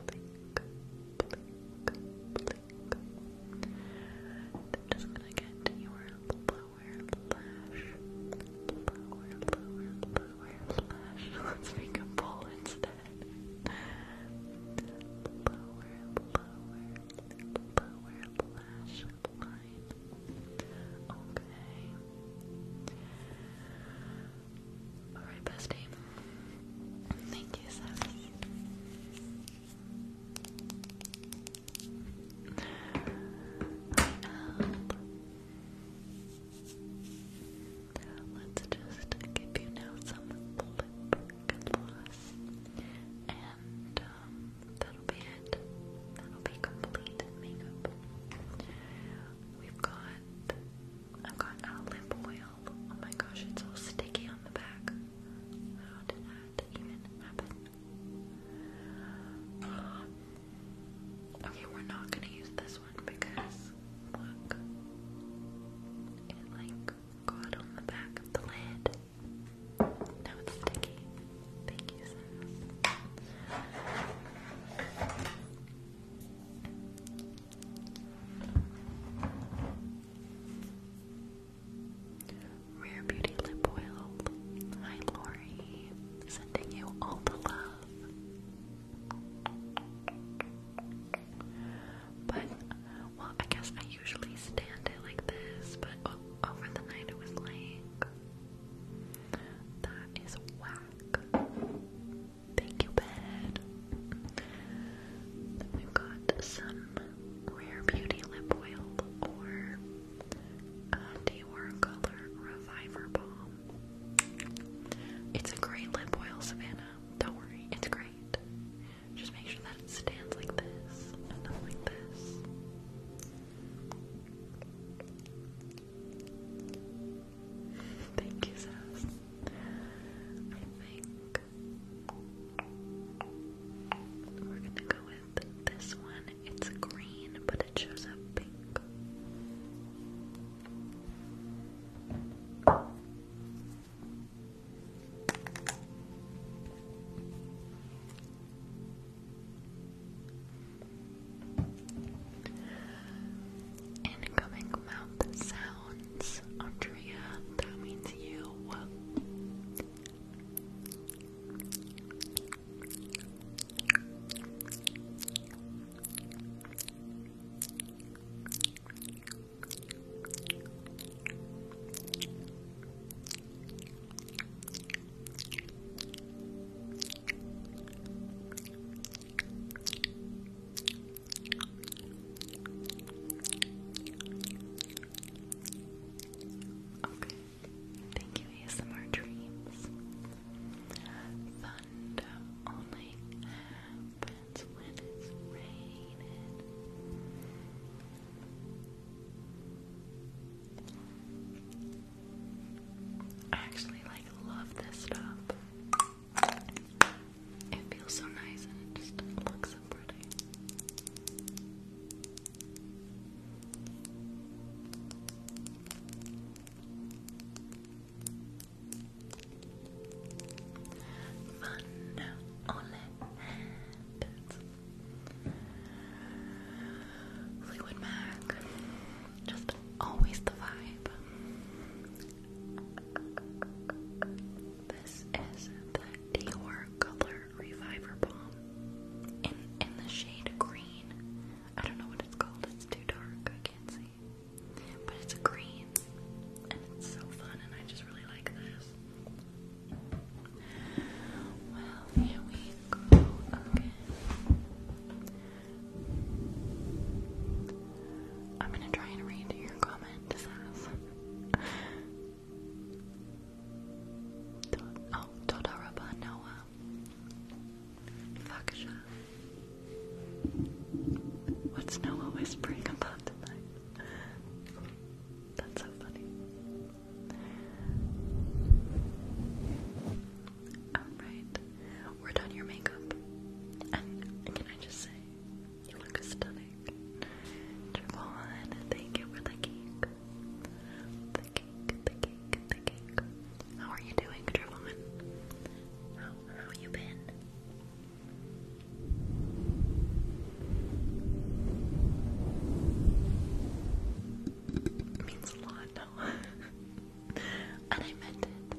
[SPEAKER 1] blink. Blink, blink, blink, pink. And I'm just gonna get your lower lash, lower, lower, lower lash. Let's make a bowl instead. Lower, lower, lower lash line. Okay. Alright, bestie. Thank you, Seth. Let's just give you now some lip gloss. And um, that'll be it. That'll be complete makeup. We've got I've got a oil. Oh my gosh, it's all sticky on the back. How oh, did that even happen? okay, we're not gonna use this one because look, it like got on the back of the lid. Now it's sticky. Thank you, Rare Beauty Lip Oil. Hi Lori. Sending you all the love. But well I guess I usually stand it like this, but over the night it was like that is whack. Thank you, bed we got some Rare Beauty Lip Oil or uh, um, Dewar Color Reviver Balm. It's a great lip oil, Savannah. Don't worry, it's great. Just make sure that it stands like this and not like this. Thank you, Sass. I think we're gonna go with this one. It's green, but it shows up pink. Incoming mouth sound. Andrea. That means you. Okay. Thank you, ASMR Dreams. Thunder only happens when it's raining. I actually like love this stuff. It feels so nice and it just looks so pretty. Fun only happens. Mac. Just always the vibe. This is the Dior Color Reviver Balm in in the shade green. I don't know what it's called. It's too dark. I can't see. But it's green, and it's so fun, and I just really like this. Well, here we go again. I'm gonna try and read your comment, Oh, Todaraba Noah. Fakasha. What's Noah whispering about tonight? That's so funny. Alright, we're done your makeup. can I just say, you look stunning. Javon, thank you for
[SPEAKER 3] the cake. The cake, the cake, the cake. How are you doing, Javon? How, how you been? means a lot,
[SPEAKER 1] no? and I meant it.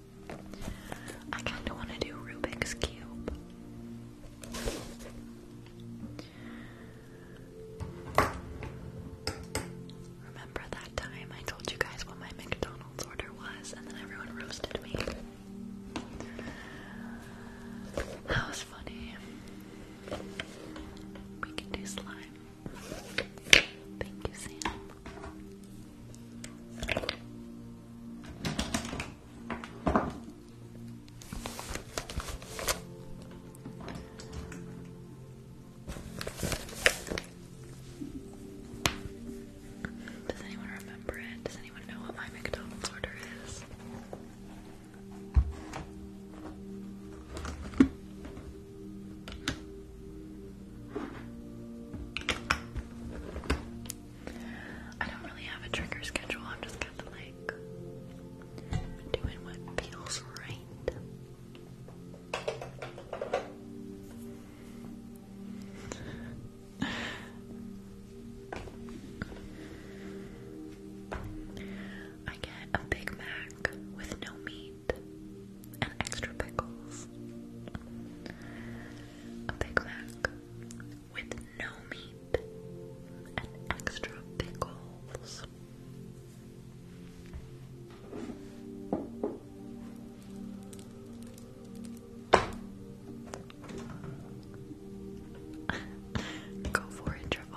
[SPEAKER 1] I kind of want to do Rubik's Cube. Remember that time I told you guys what my McDonald's order was and then everyone roasted me? That was funny. We can do slime. Thank you, Sam. Does anyone remember it? Does anyone know what my McDonald's order is?
[SPEAKER 2] I don't really have a trigger schedule, I'm just kind of like doing what feels right. I get a Big Mac with no meat and extra pickles. A Big Mac with no meat and extra pickles. Go for it, Travon.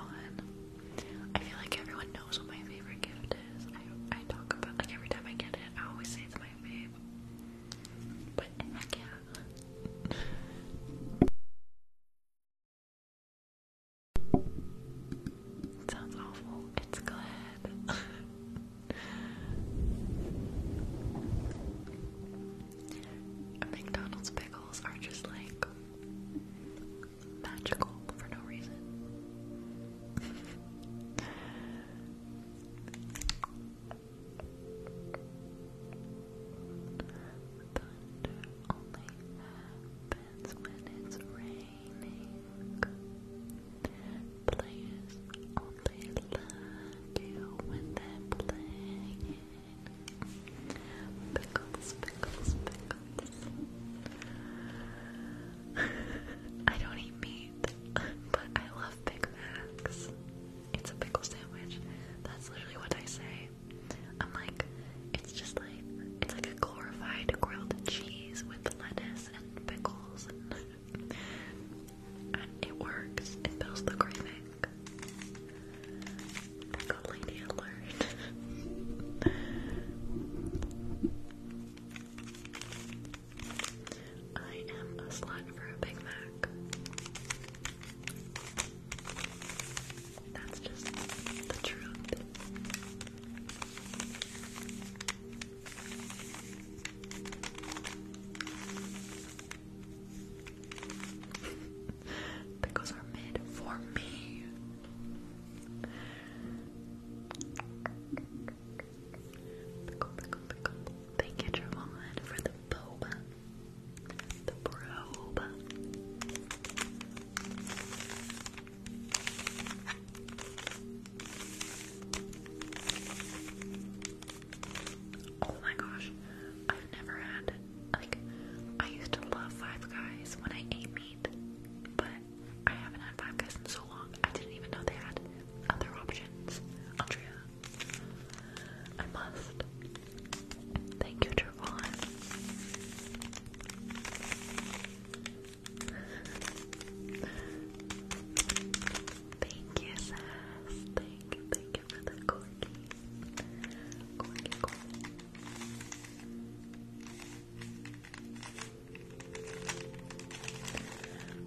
[SPEAKER 2] I feel like everyone knows what my favorite gift is. I talk about like every time I get it, I always say
[SPEAKER 1] it's my fave. But heck yeah, sounds awful. It's good. McDonald's pickles are just like magical for no reason. Thunder only happens when it's raining. Players only love you when they're playing. Pickles, pickles, pickles. I don't eat meat, but I love Big Macs it's a pickle sandwich. That's literally what I say. I'm like, it's just like, it's like a glorified grilled cheese with lettuce and pickles. And, it works. It fills the craving. Pickle lady alert. I am a slut for a Big Mac. That's just the truth. Pickles are made for me. Pickle, pickle, pickle. Thank you, Javon, for the boba. The probe. Oh my gosh, I've never had like I used to love Five Guys when I ate meat, but I haven't had Five Guys in so long. I didn't even know they had other options. Andrea, I must. Thank you, Trevon. thank you, Sass. Thank thank you for the corky. Corky, corky.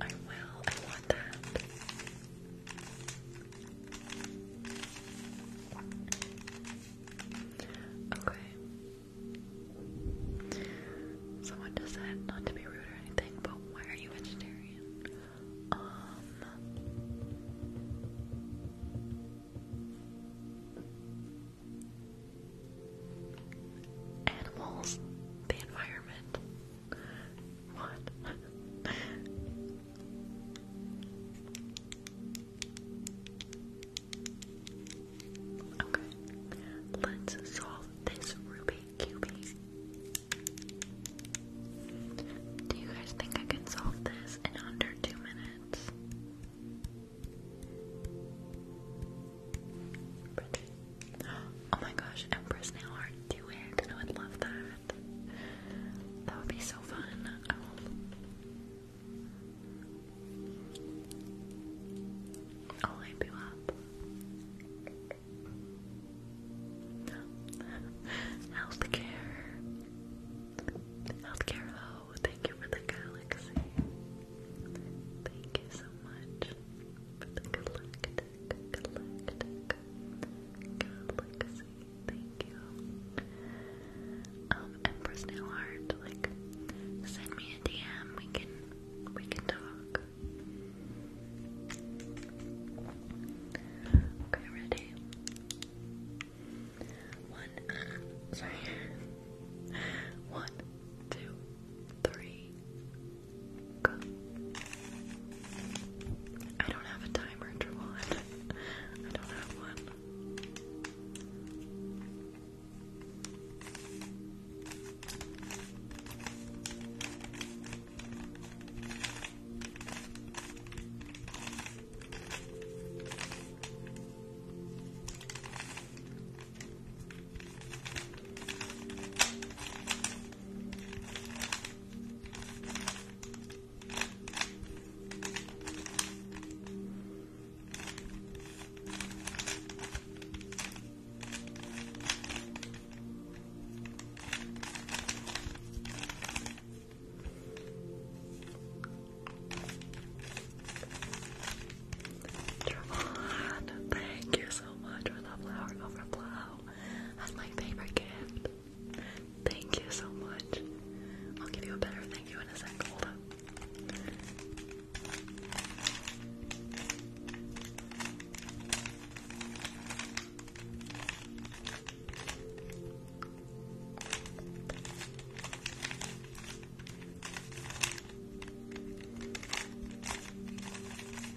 [SPEAKER 1] I will, I want that. Okay. Someone just said not to be rude or anything, but why are you
[SPEAKER 2] vegetarian? Um, animals, the environment,
[SPEAKER 1] okay, let's solve this Rubik Cube. Do you guys think I can solve this in under two minutes? Oh my gosh, Empress nail art, do it. I would love that. That would be so fun. I will... hype you up. Healthcare. Healthcare, though. Thank you for the galaxy. Thank you so much for the good Galactic Galaxy. Thank you. like, send me a DM. We can, we can talk. Okay, ready. One, uh, One, two, three. I don't have a timer interval. I
[SPEAKER 2] don't have one. Travon, thank you so
[SPEAKER 1] much for that flower overflow. That's my favorite gift. Thank you so much. I'll give you a better thank you in a sec. Hold up.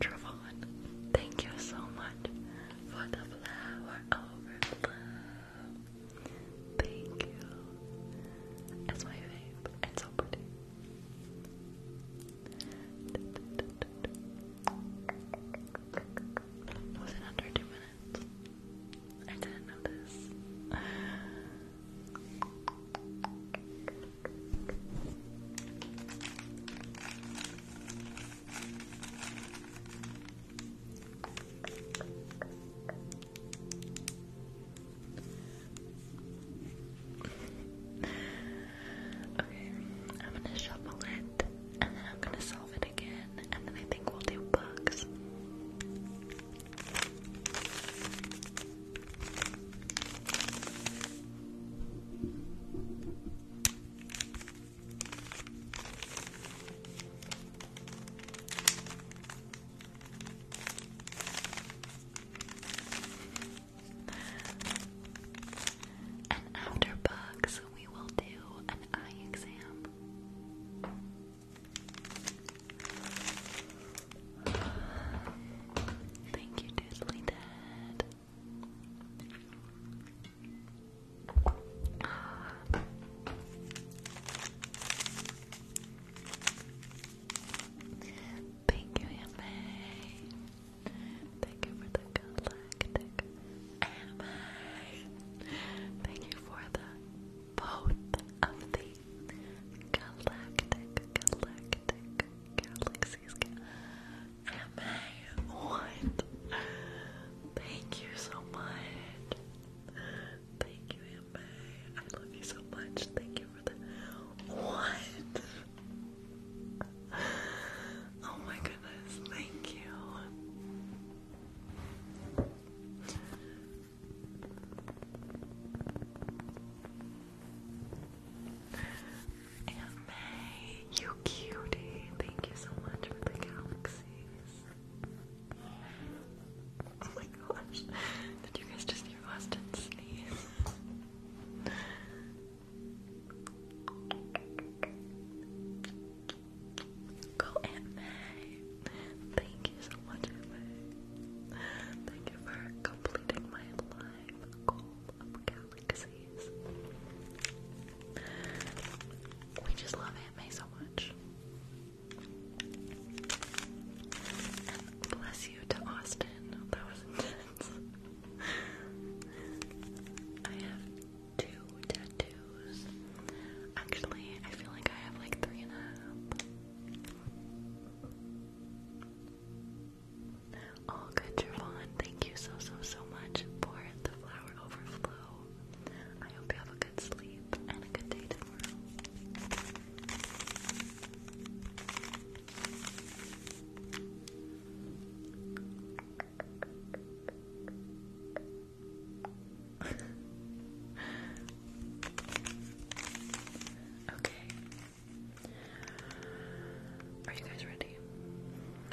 [SPEAKER 1] Travon, thank you so much for the flower Thank you. That's my vape. It's so pretty. Was it under two minutes? I didn't notice. okay, I'm gonna shuffle it and then I'm gonna solve it again, and then I think we'll do bugs. And after bugs, we will do an eye exam. Thank you, Diddly Dad. Thank you, Emma. Thank you for the galactic anime. Thank you for the both of the Galactic, galactic, galaxies. MA, what? Thank you so much. Thank
[SPEAKER 2] you, MA. love you so much. Thank you for the. What?
[SPEAKER 1] Oh my goodness, thank you. Aunt you cutie. Thank you so much for the galaxies. Oh my gosh. Did you guys just hear
[SPEAKER 2] Austin sneeze? Go Aunt Thank you
[SPEAKER 1] so much, Emma. Thank you for completing my live goal of galaxies. We just love Aunt so much. bless you to Austin. That was intense. I have two tattoos. Actually, I feel like I have like three and a half. Oh, good, Javon. Thank you so, so, so much for the flower overflow. I hope you have a good sleep and a good day tomorrow okay. Are you guys ready?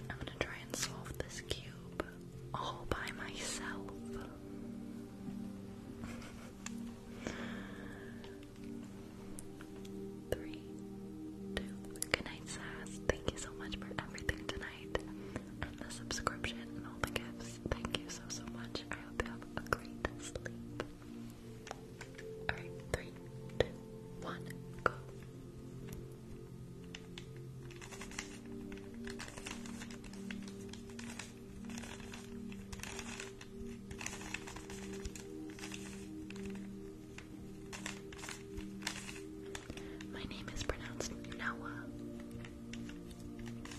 [SPEAKER 1] I'm gonna try and solve this cube all by myself. Three, two, good night, Sass. Thank you so much for everything tonight and the subscription and all the gifts. Thank you so, so much. Alright, three, two, one, go. My name is pronounced Noah.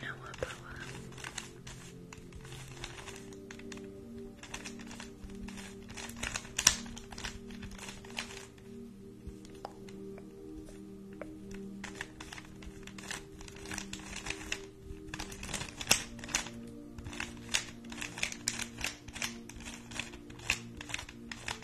[SPEAKER 1] Noah Boa.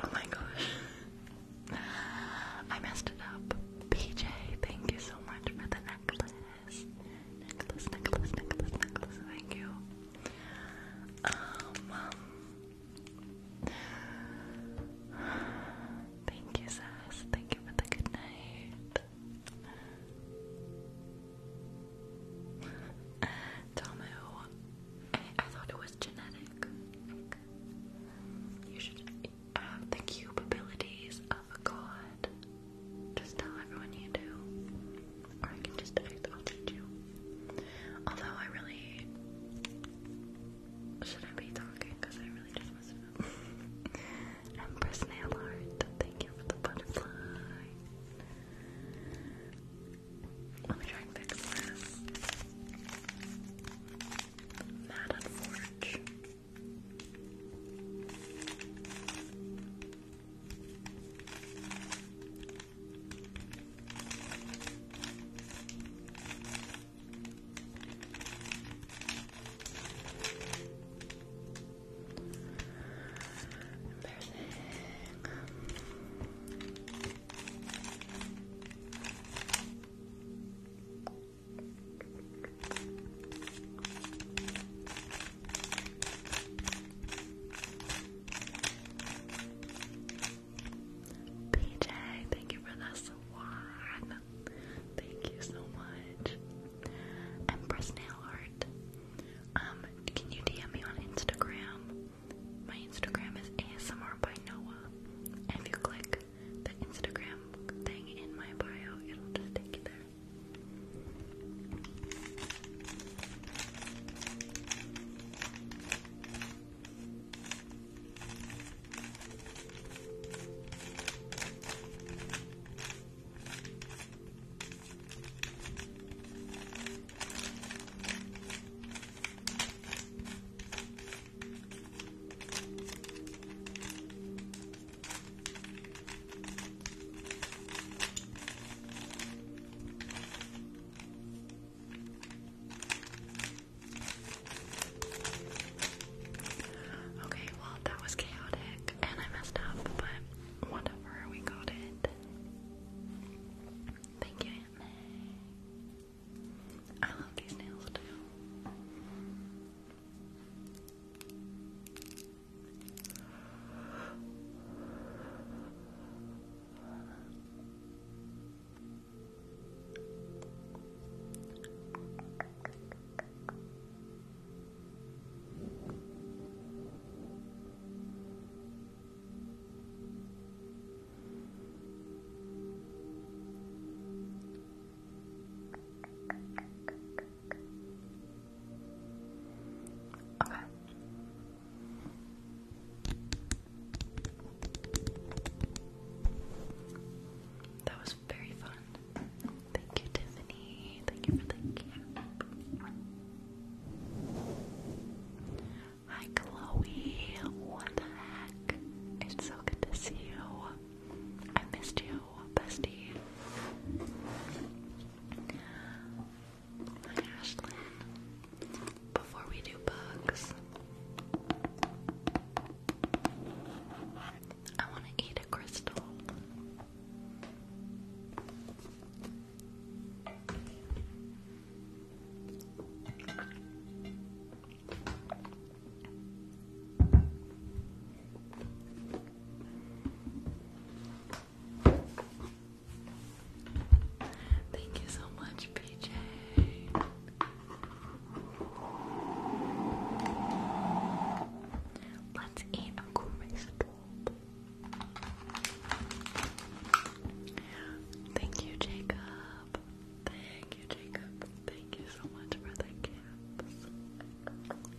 [SPEAKER 1] Oh my gosh. I messed it up. PJ, thank you so much for the necklace. Necklace, necklace, necklace, necklace, thank you.
[SPEAKER 3] Um, Thank you, Sass. Thank you for the good night. Tomu, I, thought it was genetic.
[SPEAKER 1] you should have um, the cube abilities of a god. Just tell everyone you do. Or I can just, I'll teach you. Although I really shouldn't be talking because I really just messed up. Empress Nail thank you for the butterfly. Let me try and fix that. Mad Forge. PJ, thank you for the swan. Thank you so much. Empress Nail Art, um, can you DM me on Instagram? My Instagram is ASMR by Noah. And if you click the Instagram thing in my bio, it'll just take you there. Okay, well that was chaotic and I messed up, but whatever, we got it. Thank you, Aunt I love these nails too. Okay. That was very fun. Thank you, Tiffany. Thank you for the Hi Chloe, what the heck? It's so good to see you. I missed you, bestie.
[SPEAKER 2] Ashlyn. Before we do bugs,
[SPEAKER 1] I want to eat a crystal. Thank you so much, PJ. Let's eat a crisp. Thank you, Jacob. Thank you, Jacob. Thank you so much for the caps.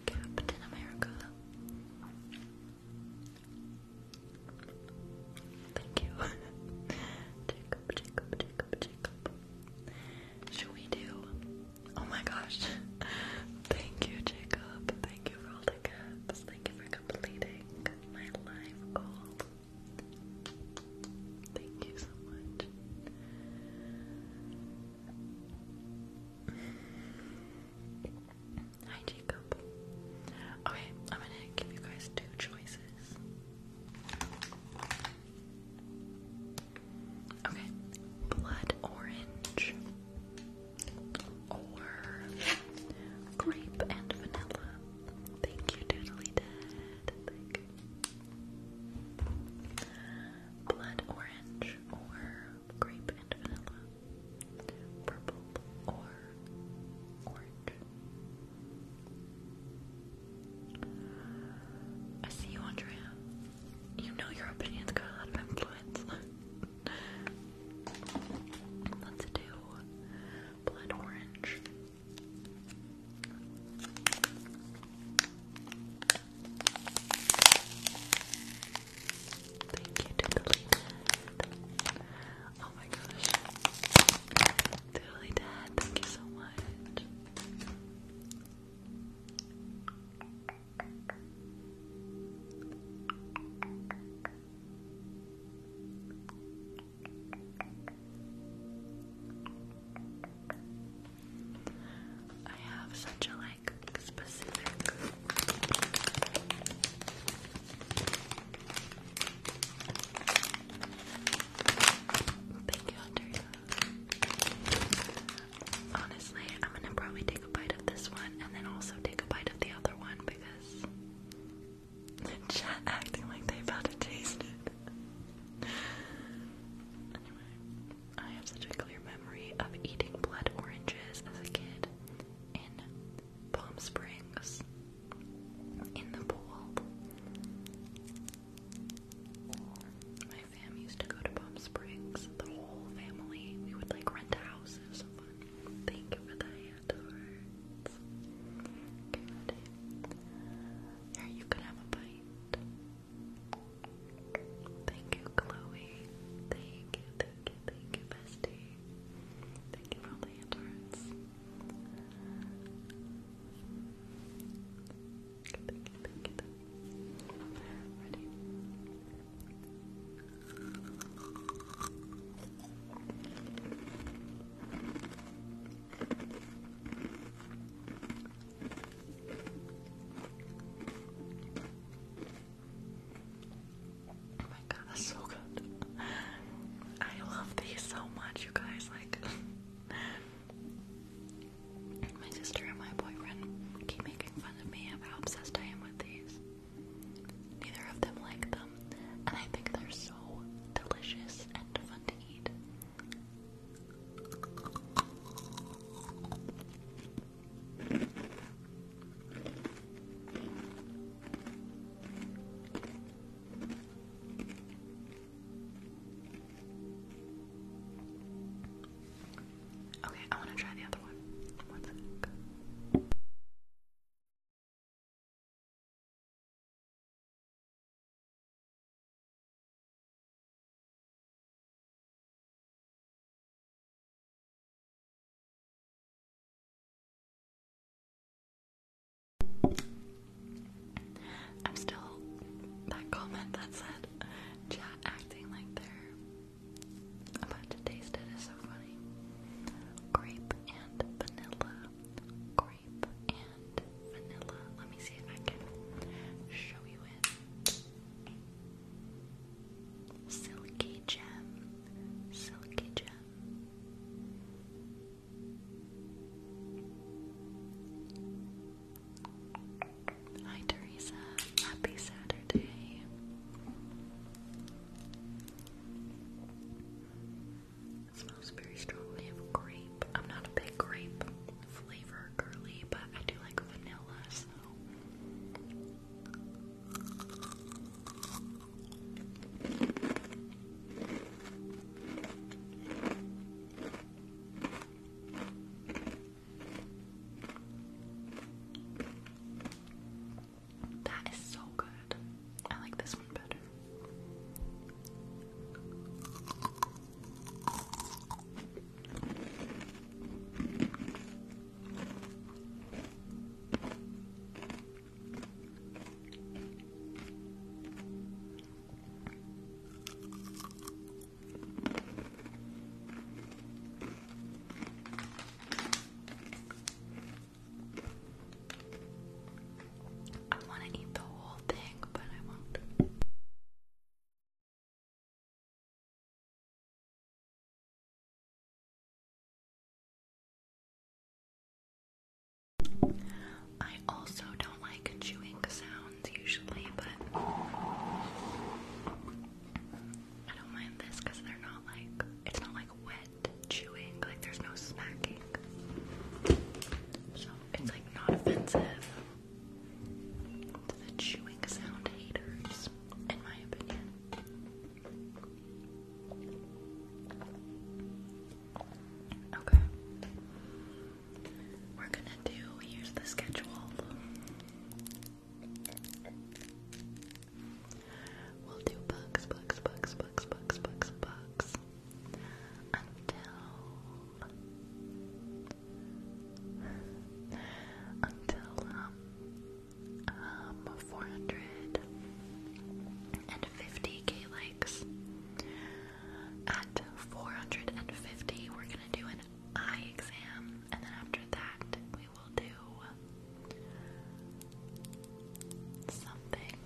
[SPEAKER 1] Captain America. Thank you. Jacob, Jacob, Jacob, Jacob. Should we do? Oh my gosh. Thank you, Jacob. Thank you for all Thank you for completing my live goal. Thank you so much. Hi, Jacob. Okay, I'm gonna give you guys two choices. Okay, blood orange or grape and vanilla. Thank you, Doodly Dad. Blood orange or grape and vanilla. Purple or orange. I see you, Andrea. You know your opinions a lot of influence. Let's do blood orange. Thank you, Doodly Oh my gosh. Doodly Dad, thank you so much. I have such a like specific Thank you, Andrea. Honestly, I'm gonna probably take a bite of this one and then also take a bite of the other one because Chat acting like they've had it tasted. Anyway, I have such a clear memory of eating blood oranges as a kid in Palm Springs in the pool. My fam used to go to Palm Springs, the whole family. We would like rent a It Thank you for that afterwards. you can have a bite. Thank you, Chloe. Thank you, thank you, thank you, bestie. Thank you for the interns. Ready? Oh my god, that's so good. I love these so much, you guys. Like, my sister and my boyfriend keep making fun of me of how obsessed I am with these. Neither of them like them, and I think they're so delicious and fun to eat.
[SPEAKER 3] Okay, I want to try the other one.
[SPEAKER 1] I'm still that comment that said chat acting like they're about to taste it is so funny. Grape and vanilla grape and vanilla. Let me see if I can show you it. Silky gem, silky gem. Hi Teresa, happy Saturday. It smells
[SPEAKER 2] very strongly of grape. I'm not a big grape flavor girly, but I do like vanilla, so.
[SPEAKER 1] That is so good. I like this one better.
[SPEAKER 3] I want to eat the whole thing, but I won't. I also don't like chewing sounds usually, but I
[SPEAKER 1] don't mind this because they're not like, it's not like wet chewing, like there's no
[SPEAKER 2] smacking. So it's like not offensive to the chewing sound haters, in my opinion. Okay.
[SPEAKER 1] We're gonna do here's the schedule. We'll do bugs, bugs, bugs, bugs, bugs, bugs, bugs until until um um four hundred and fifty K likes. At four hundred and fifty, we're gonna do an eye exam, and then after that, we will do something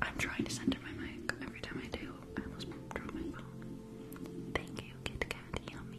[SPEAKER 1] I'm trying to center my mic every time I do. I almost drop my phone. Thank you, Kit Kat. Yummy.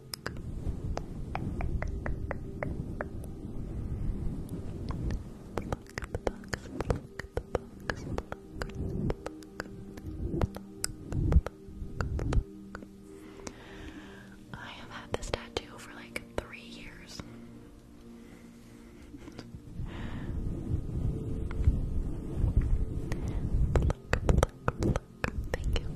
[SPEAKER 1] I have had this tattoo for like three years. Thank you,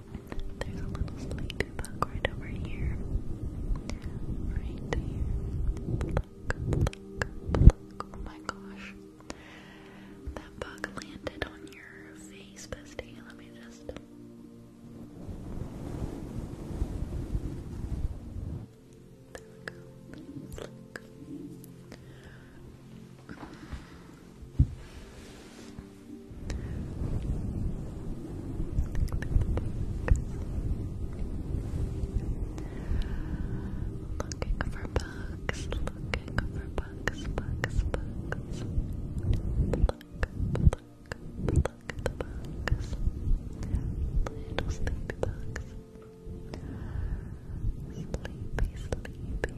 [SPEAKER 1] There's a little sleepy bug right over here. Right here. Oh my gosh. That bug landed on your face, bestie. Let me just. There we go. Looking for bugs, looking for bugs, bugs, bugs. Pluck, pluck, pluck the Little sleepy bugs. Sleepy, sleepy, sleepy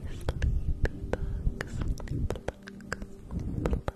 [SPEAKER 1] bugs. Pluck, pluck,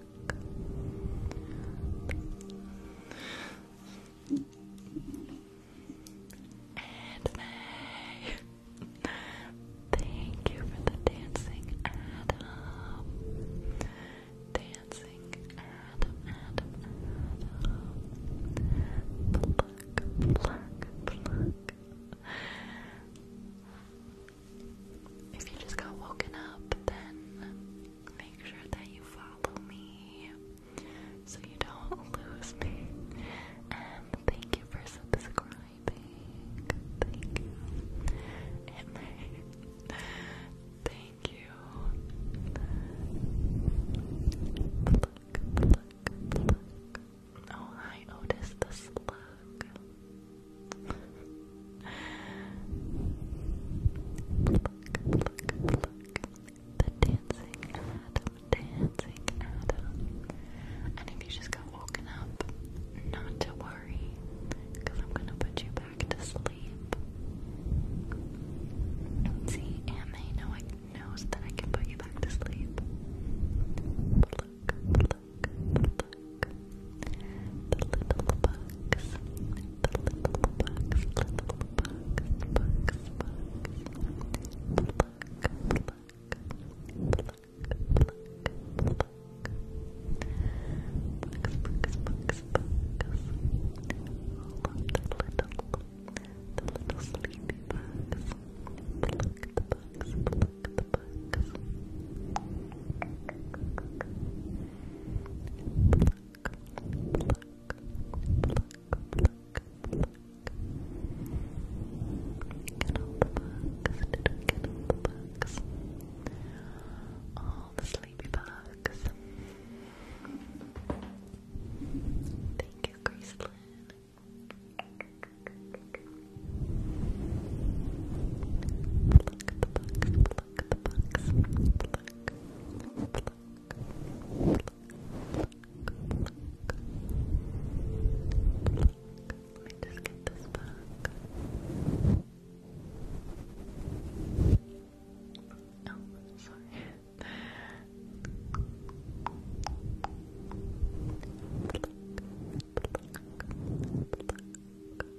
[SPEAKER 1] And May, thank you for the dancing, Adam. Dancing, Adam, Adam, Adam. Pluck, if you just got woken up, then make sure that you follow me so you don't lose me. And thank you for subscribing. Thank you. thank you. Oh, hi, Otis the Slug look, the dancing dancing And if you just got woken up, not to worry, I'm gonna put you back to sleep. See, and they know I knows that I can put you back to sleep. Pluck, pluck, pluck, book. The little bugs. The little bugs. Little bugs. Bugs. Bugs. Pluck. Pluck. Pluck. Pluck. Pluck. Bugs, bugs, bugs, bugs. All of the little, the little sleepy bugs. Pluck the bugs, pluck the bugs pluck, pluck, pluck, pluck. Get all the bugs, get all the bugs. All the sleepy bugs. Thank you, Gracelyn. Pluck the bugs, pluck pluck the Let me just get this back. Oh, sorry.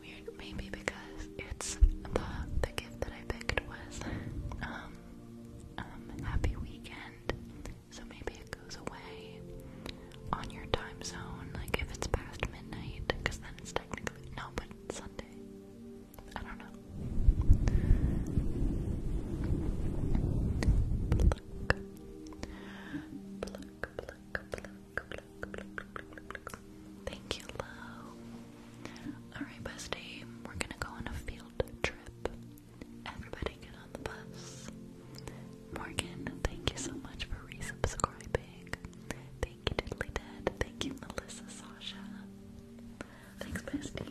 [SPEAKER 1] Weird, maybe because it's the the gift that I picked was um, happy weekend. So maybe it goes away on your time zone, like if it's past midnight, because then it's technically no, but it's Sunday. I don't know. Thank you, Lo. Alright, bestie, we're gonna go on a field trip. Everybody get on the bus. Morgan, thank you so much for resubscribing. Thank you, Diddly Dad. Thank you, Melissa Sasha. Thanks, besties.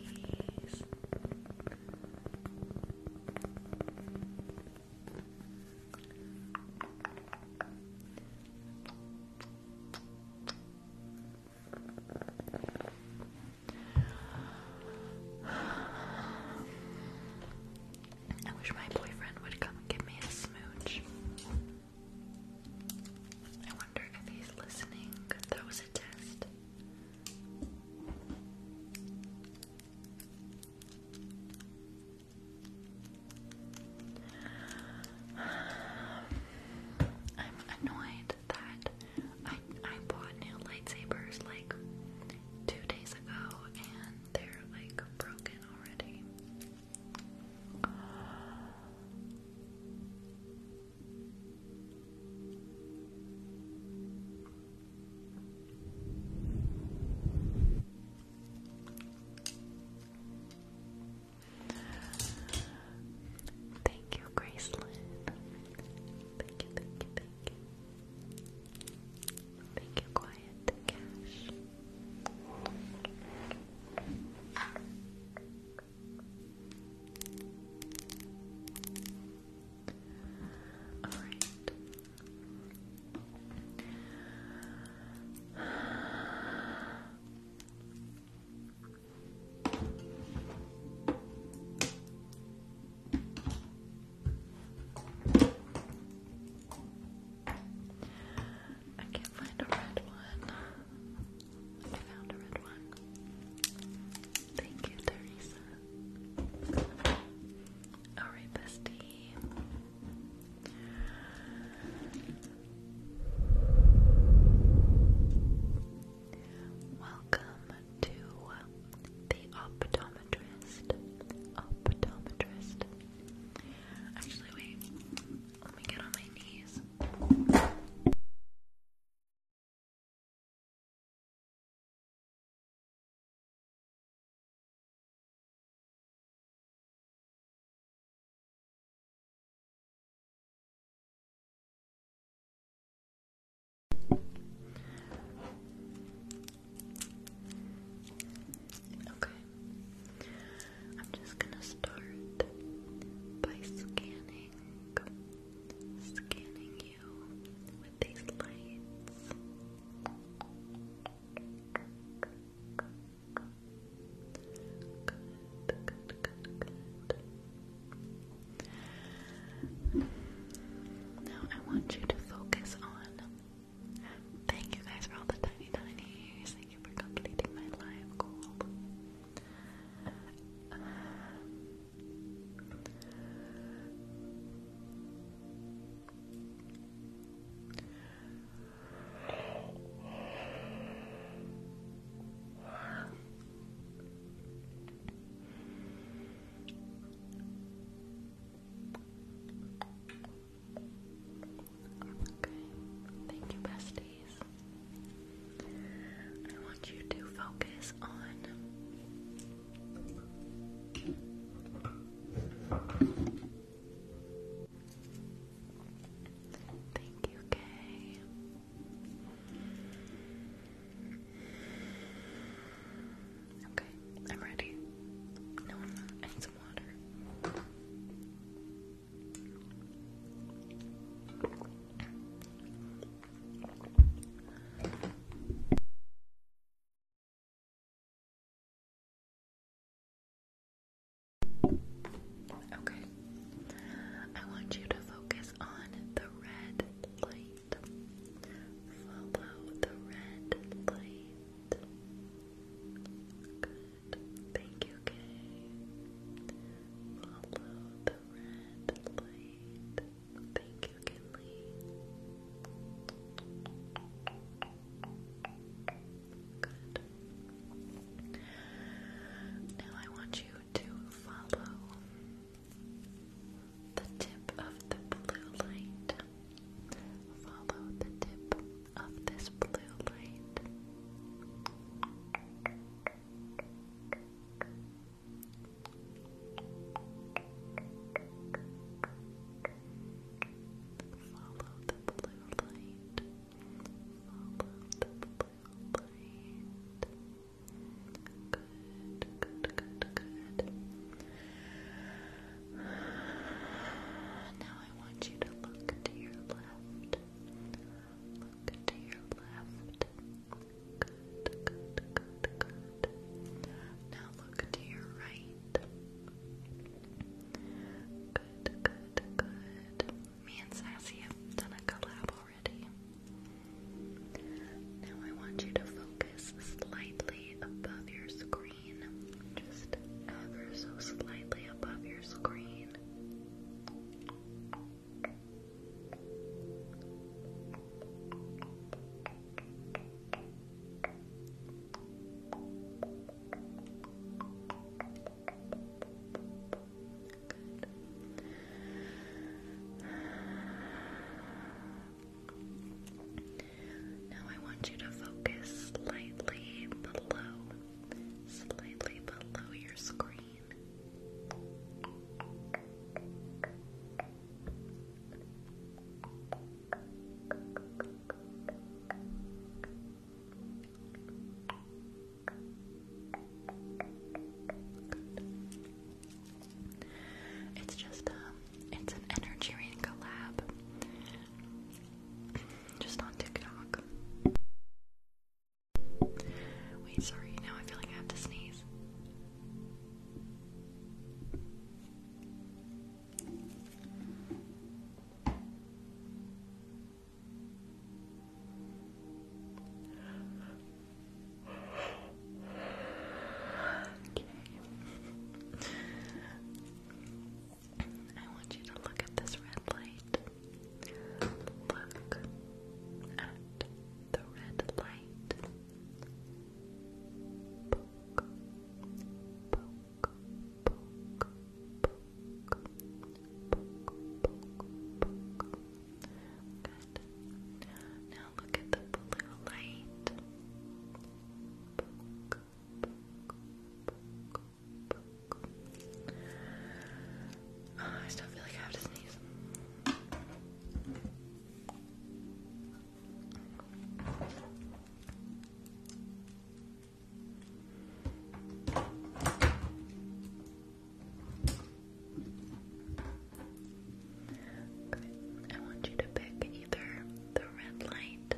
[SPEAKER 2] I wish my boyfriend would come give me a smooch.
[SPEAKER 1] I wonder if he's listening. That was a test.
[SPEAKER 2] I'm annoyed that I I bought new
[SPEAKER 1] lightsabers like two days ago and they're like broken already. Thank you, Gracelyn. Thank you, thank you, thank you. Thank you, Quiet Cash. Alright. I can't find a red one. I found a red one. Thank you, Teresa. Alright, bestie. Welcome to
[SPEAKER 2] the optometrist. Optometrist. Actually, wait. Let me get on my knees. Okay, I'm just gonna start by scanning, scanning you with these lights. Now I want you to focus on. Thank you guys for all the tiny, tiny Thank you for completing my live goal
[SPEAKER 1] thank you, besties. I want you to focus on Thank you, Kay. Okay, I'm ready. No, i need some water. Okay. I want you to focus on the red light. Follow the red light. Good. Thank you, Kay. Follow the red light. Thank you, Kinley. Good.
[SPEAKER 3] Now I want you to follow the tip of the blue light. Follow the tip of this blue light. Follow the blue light. Follow the blue light. Good, Now I want you to look to your left. Look to your left. Now look to your right. Me and Sassy have done a collab now I want you to
[SPEAKER 1] focus slightly above your screen. Just ever so slightly above your screen.
[SPEAKER 3] Good. Now I want you to focus
[SPEAKER 1] slightly below, slightly below your screen. It's just um, it's an energy reading collab, just on TikTok. Wait, sorry. Now I feel like I have to sneeze. Okay. I want you to look at this red light. Look at the red light. Good. Now look at the blue light. Oh, I still feel like I have to sneeze. Good. I want you to pick either the red light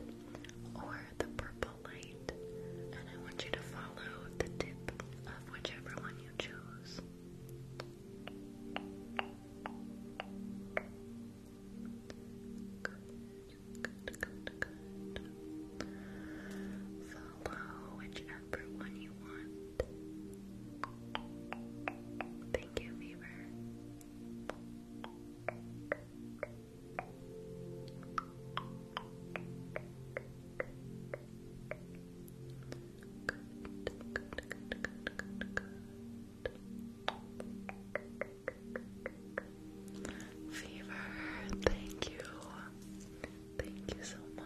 [SPEAKER 1] or the purple light, and I want you to follow the tip of whichever one you choose. Good, good, good, good. Follow whichever one you want. Thank you, Fever. Fever, thank you. Thank you so much.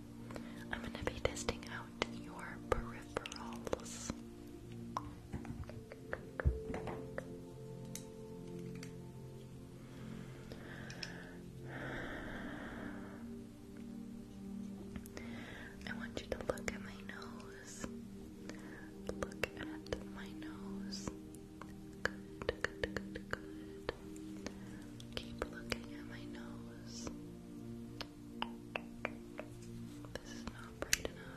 [SPEAKER 2] I'm going to be testing out your peripherals. I want you to look at my nose. Look at my nose. Good, good, good, good. Keep looking at my nose. This is not bright enough.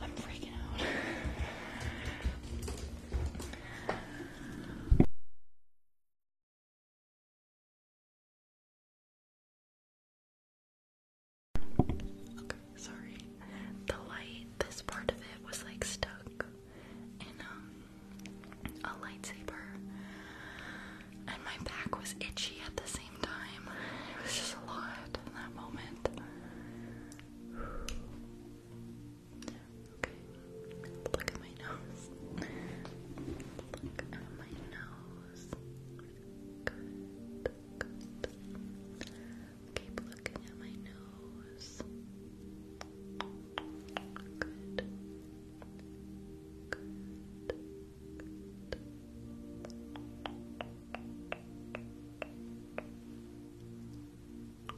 [SPEAKER 3] I'm freaking out. Okay, sorry. The light, this part of it was like
[SPEAKER 1] stuck in um, a lightsaber. And my back was itchy at the same time. It was just a lot in that moment. Okay. Look at my nose. Look at my nose. Good. Good. Keep looking at my nose. Good. Good. Good. Okay.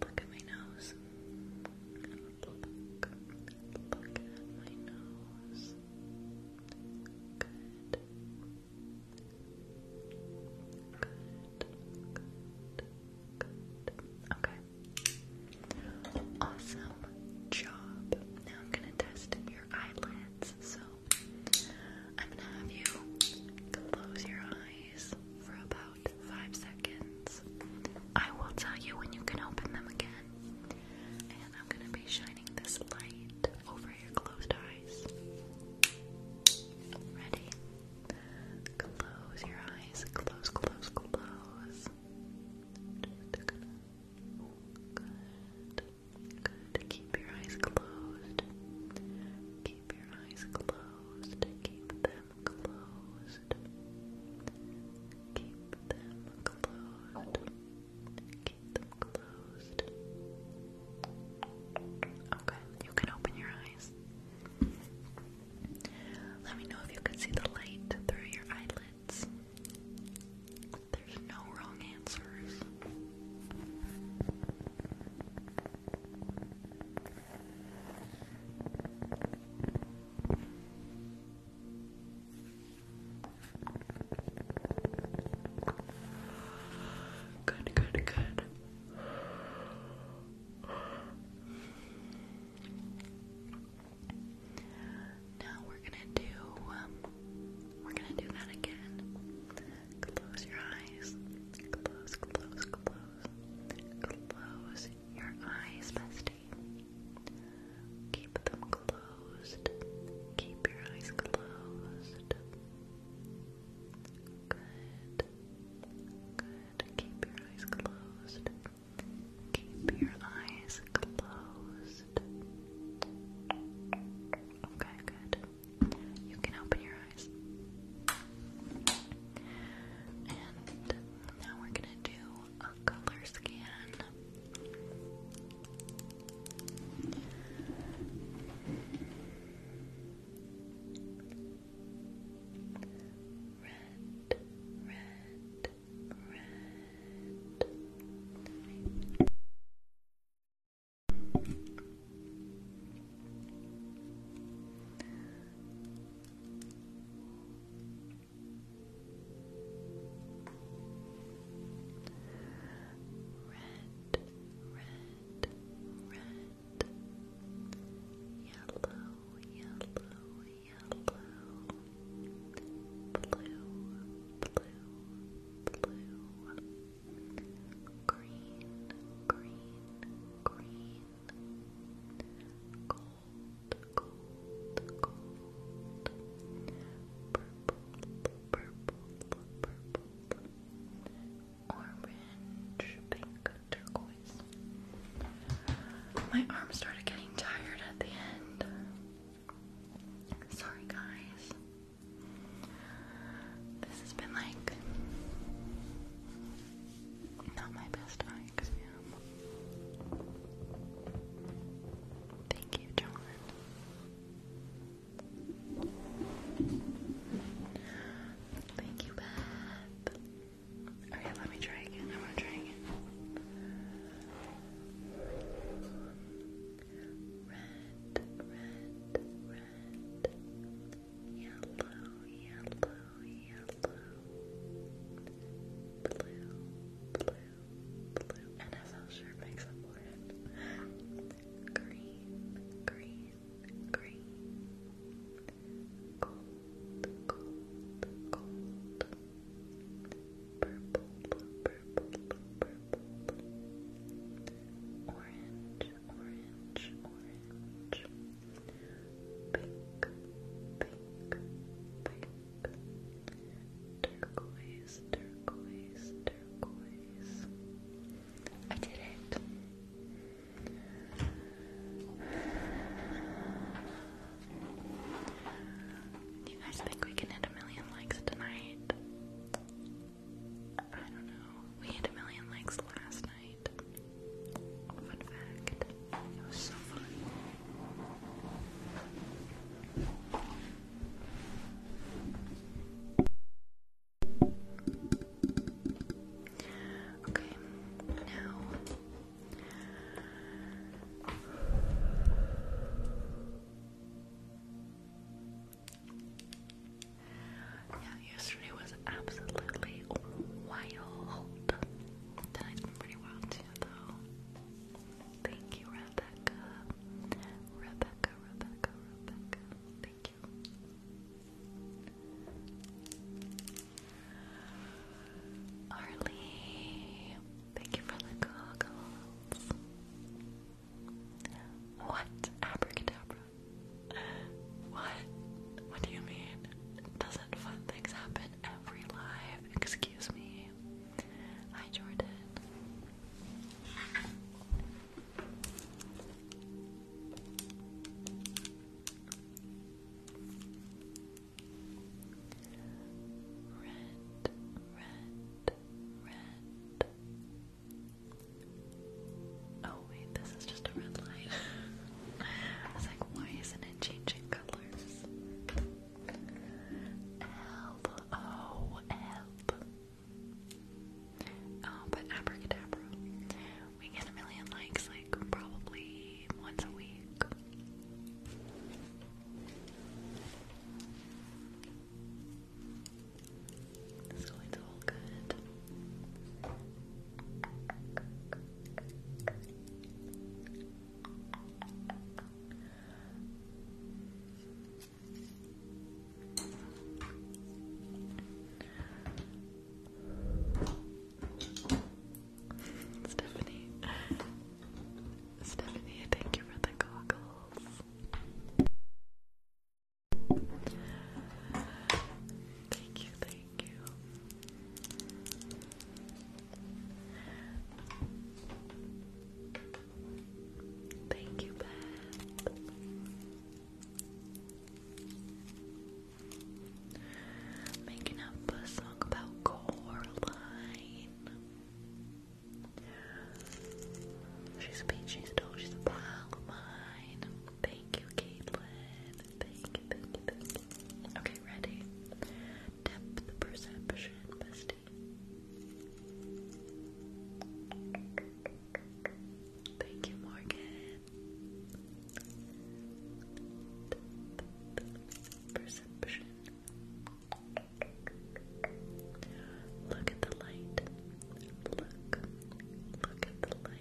[SPEAKER 1] Look at my nose. look at my nose. Good. Good, good, okay. Awesome job. Now I'm gonna test your eyelids. So I'm gonna have you close your eyes for about five seconds. I will tell you when you can open them again. And I'm gonna be shining this light over your closed eyes. Ready? Close your eyes. Close, close, close. Just Good. Good. Keep your eyes closed. Keep your eyes closed. Keep them closed. Keep them closed. Keep them closed. Okay, you can open your eyes. Let me know if you can see the light through your eyelids. There's no wrong answers. Good, good, good. Now we're gonna do um, we're gonna do that again. Close your eyes. Close, close, close. Close your eyes, bestie. Keep them closed. Keep your eyes closed. Good. Good. Keep your eyes closed. Keep your eyes closed. Okay, good. You can open your eyes. And now we're gonna do a color scan red, red, red. Red, red, red yellow, yellow, yellow, blue, blue, blue, green, green, green, gold, gold, gold, purple, purple, purple, orange, pink, turquoise. My arms started getting tired at the end. Sorry, guys. This has been like not my best Thank you, John. Thank you, Beth. Okay, let me try again. I want to try again. Red, red, red. Yellow, yellow, yellow. Blue, blue, blue. NFL sure makes up for it. Green, green, green gold, gold, gold, purple, purple, purple, orange, orange, orange, pink, pink, pink, turquoise, turquoise, turquoise. I did it. Do you guys think we can hit a million likes tonight? I don't know. We hit a million likes last night. Fun fact. Okay, now yeah, yesterday was absolutely wild. Tonight's been pretty wild too, though. Thank you, Rebecca. Rebecca, Rebecca, Rebecca. Thank you. thank you for the goggles. What? Abracadabra. What? What do you mean? Doesn't fun things happen every live? Excuse me. Hi, Jordan. Red, red, red. Oh, wait, this is just a red light. I was like, why isn't it changing colors? Help, oh, help. Oh, but abracadabra we get a million likes like probably once a week. So it's all good. Stephanie. Stephanie, thank you for the goggles. Thank you, thank you. Thank you, Beth. Making up a song about Coraline. She's a peachy doll, she's a pile of mine. Thank you, Caitlin. Okay, ready? Depth perception, bestie.
[SPEAKER 2] Thank you, Morgan. Perception. Look at the light. Look. Look at the light.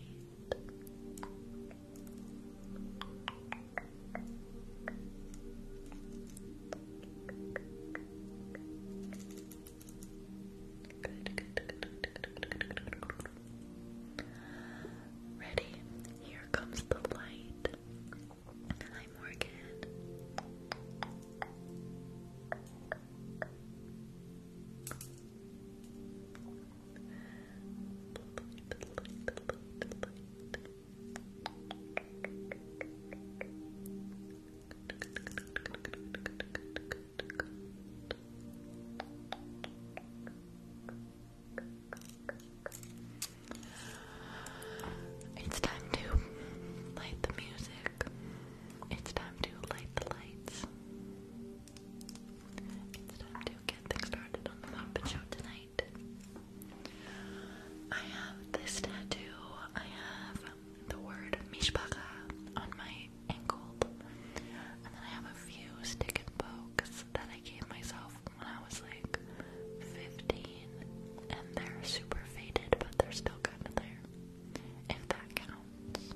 [SPEAKER 2] Ready? Here comes the light. Hi, Morgan.
[SPEAKER 1] It's time to light the music. It's time to light the lights. It's time to get things started on the Muppet Show tonight. I have this tattoo. I have the word Mishpacha on my ankle. And then I have a few stick and pokes that I gave myself when I was like 15, and they're super faded, but they're still kind of there. If that counts.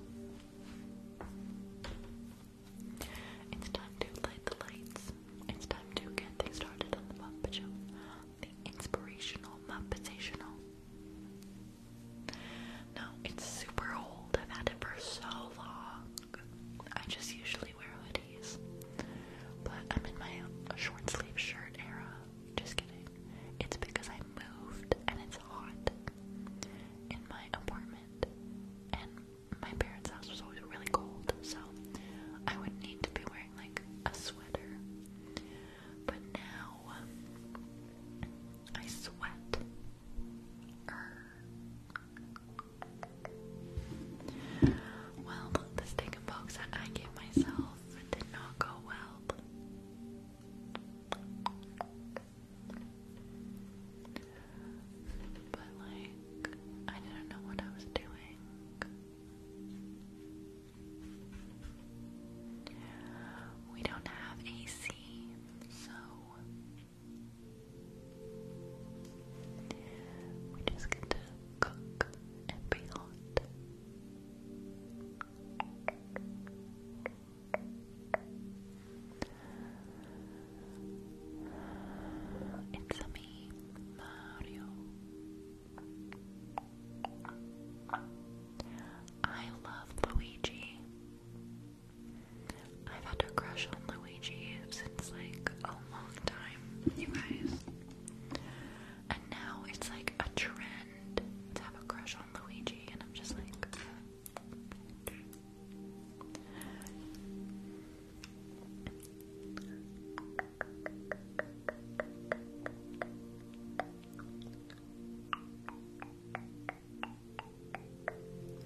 [SPEAKER 1] It's
[SPEAKER 2] time to light the lights. It's time to get things started on the Muppet Show. The inspirational Muppetational.
[SPEAKER 1] No, it's super old. I've had it for so long. I just usually wear hoodies, but I'm in my short sleeve shirt era. Just kidding. It's because I moved and it's hot in my apartment, and my parents' house was always really cold, so I would not need to be wearing like a sweater. But now I sweat. Er well, the stick box that I gave myself did not go well. But, like, I didn't know what I was doing. We don't have AC, so we just get to cook and be hot. It's me, Mario. I love Luigi. I've had a crush on Luigi since like a long time, you guys. And now it's like a trend to have a crush on Luigi, and I'm just like.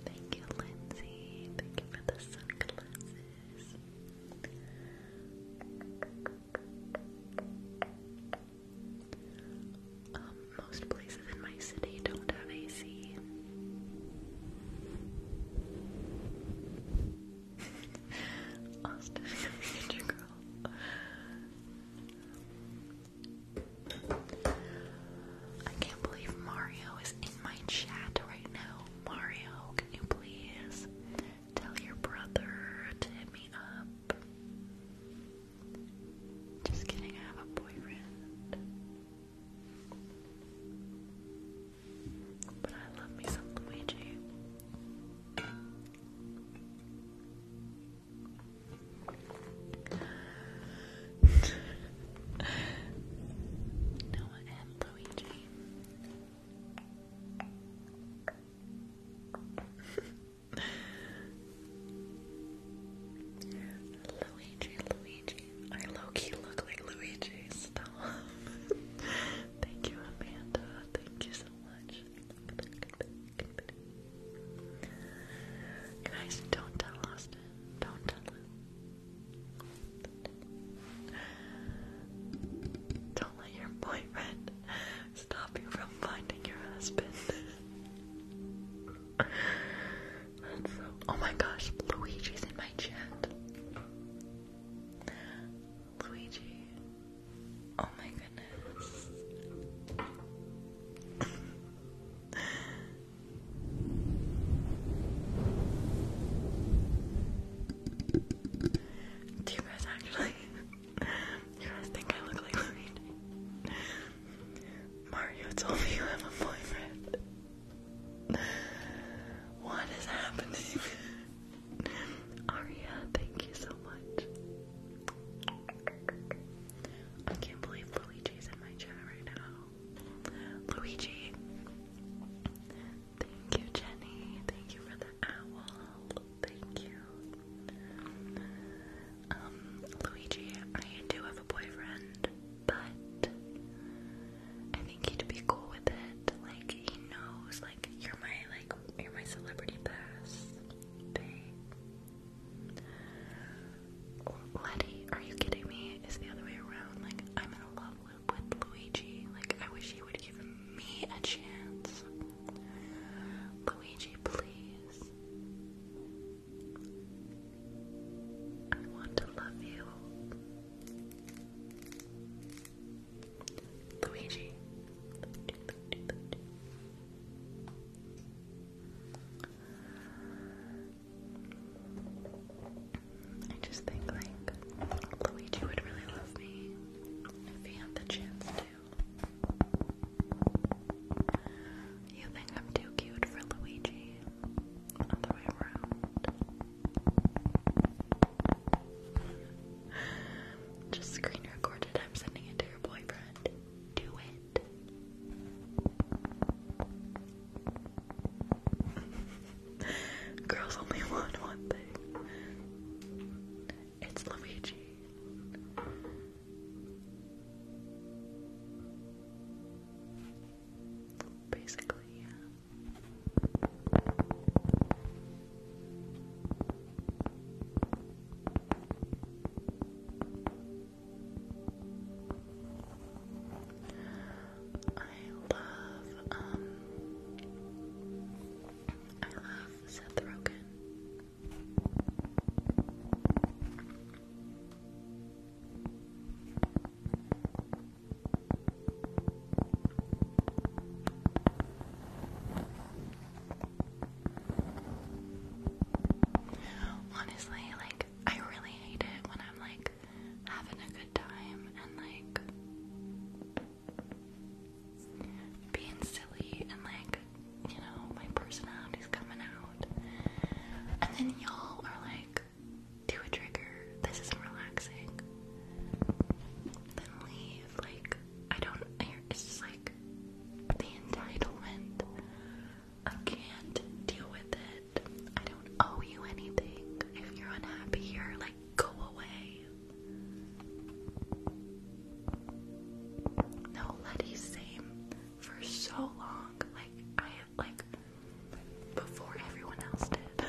[SPEAKER 1] Thank you, Lindsay. Thank you for the sunglasses. Um, most places in my city don't have AC. Austin, future girl. I can't believe Mario is in my chat right now. Mario, can you please tell your brother to hit me up? Just kidding, I have a boyfriend. But I love me some Luigi. Noah and Luigi. Luigi, Luigi. I low key look like Luigi, stop. Thank you, Amanda. Thank you so much. Guys, don't tell Austin. Don't tell him. Don't let your boyfriend stop you from finding your husband. Oh my gosh, Luigi's in my chat. Luigi. Oh my goodness.
[SPEAKER 2] Do you guys actually? think I look like Luigi? Mario told me you have a
[SPEAKER 1] boyfriend. What is happening? Aria, thank you so much. I can't believe Luigi's in my chat right now. Luigi. Thank you, Jenny. Thank you for the owl. Thank you. Um, Luigi, I do have a boyfriend, but I think he'd be cool with it. Like he knows, like you're my like you're my celebrity pass. Babe. Letty, are you kidding me? Is the other way around? Like I'm going love with Luigi. Like, I wish he would give me a chance. Luigi, please. I want to love you. Luigi. I just think like Luigi would really love me if he had the chance to. You think I'm too cute for Luigi? Other way around. Just screen recorded. I'm sending it to your boyfriend. Do it. Girls only want one thing.
[SPEAKER 2] It's Luigi. Basically, yeah. I love, um,
[SPEAKER 1] I love Seth Rogen. Honestly, like I really hate it when I'm like having a good time and like being silly and like you know my personality's coming out and then y'all are like do a trigger this isn't relaxing then leave like I don't it's just like the entitlement I can't deal with it I don't owe you anything. If you're unhappy here, like, go away. No, Letty's same for so long. Like, I, like, before everyone else did.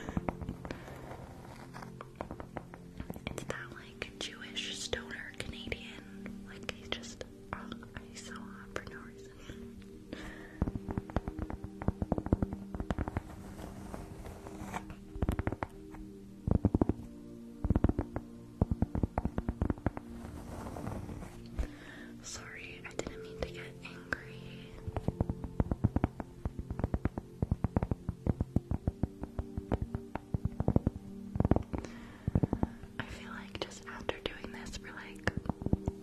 [SPEAKER 1] it's that, like, Jewish stoner Canadian. Like, he's just, he's oh, so hot for no reason. Sorry, I didn't mean to get angry. I feel like just after doing this, we're like,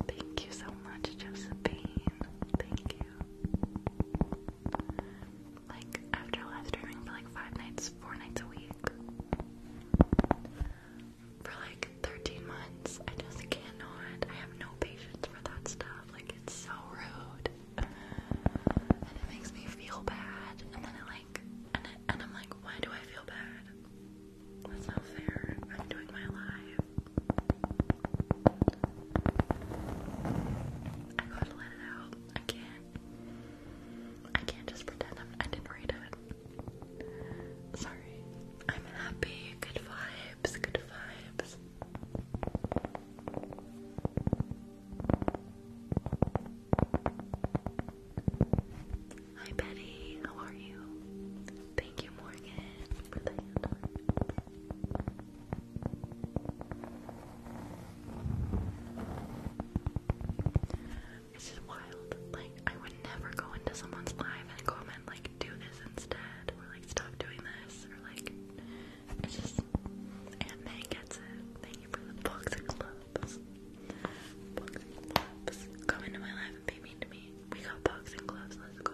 [SPEAKER 1] thank you so much, Josephine. Thank you. Like, after live streaming for like five nights, four nights a week, for like 13 months, I just cannot. I have no patience for that stuff. Like, it's so rude. And it makes me feel bad. And then it, like, and, and I'm like, why do I feel bad? That's not fair. I'm doing my live. I gotta let it out. I can't. I can't just pretend I'm, I did not read it. Sorry. I'm happy. Good vibes. Good vibes. Hi Betty, how are you? Thank you Morgan for the hand. It's just wild. Like, I would never go into someone's live and comment, like, do this instead, or like, stop doing this, or like, it's just. And May gets it. Thank you for the box of Boxing gloves. Come into my life and be mean to me. We got boxing gloves, let's go.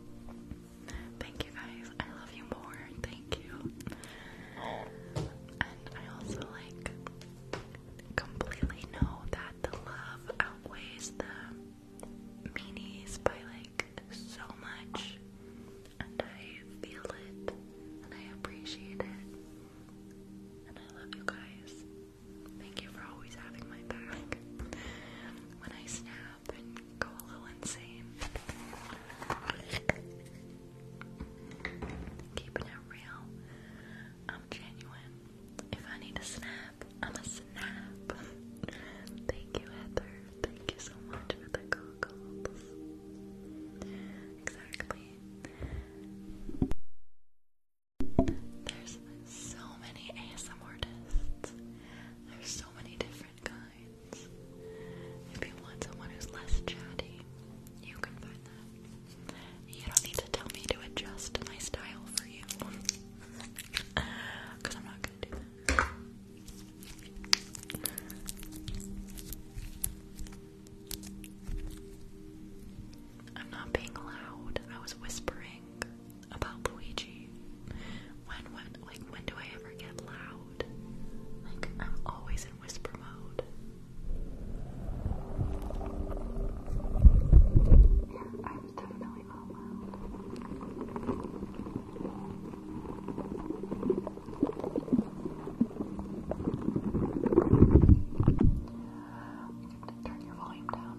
[SPEAKER 1] Thank you guys. I love you more. Thank you. And I also like completely know that the love outweighs the meanies by like so much. And I feel it and I appreciate it. And I love you guys. Thank you for always having my back when I snap and go a little insane. Keeping it real, I'm genuine. If I need a snap, I'm a snap. Thank you, Heather. Thank you so much for the goggles. Exactly. There's so many ASMRtists. There's so many different kinds. If you want someone who's less chatty, you can find that. You don't need to tell me to adjust my style for you. I'm not going I'm not being loud. I was whispering about Luigi. When when like when do I ever get loud? Like I'm always in whisper mode. Yeah, I was definitely not loud. Turn your volume down.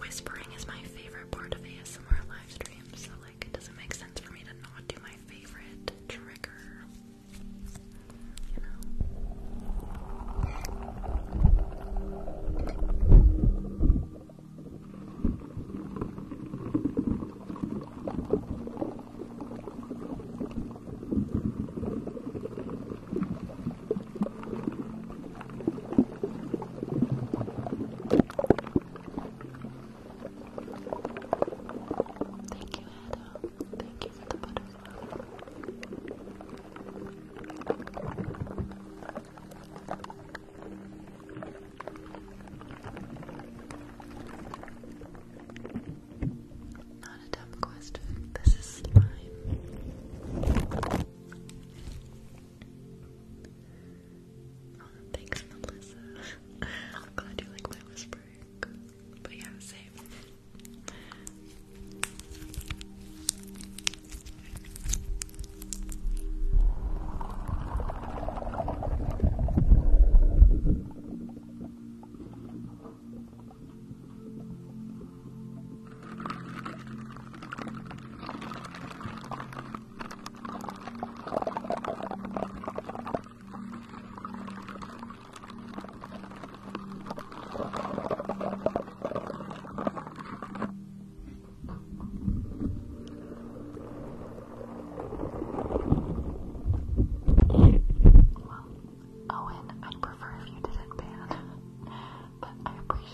[SPEAKER 1] whispering is my favorite part of ASMR live streams, so like, it doesn't make sense for me to not do my favorite trigger. Thank you, Adam. Thank you for the butterfly. Not a tough question. This is slime. Oh, thanks, Melissa. I'm glad you like my whispering. But yeah, same. Well, Owen, I'd prefer if you didn't ban, but I appreciate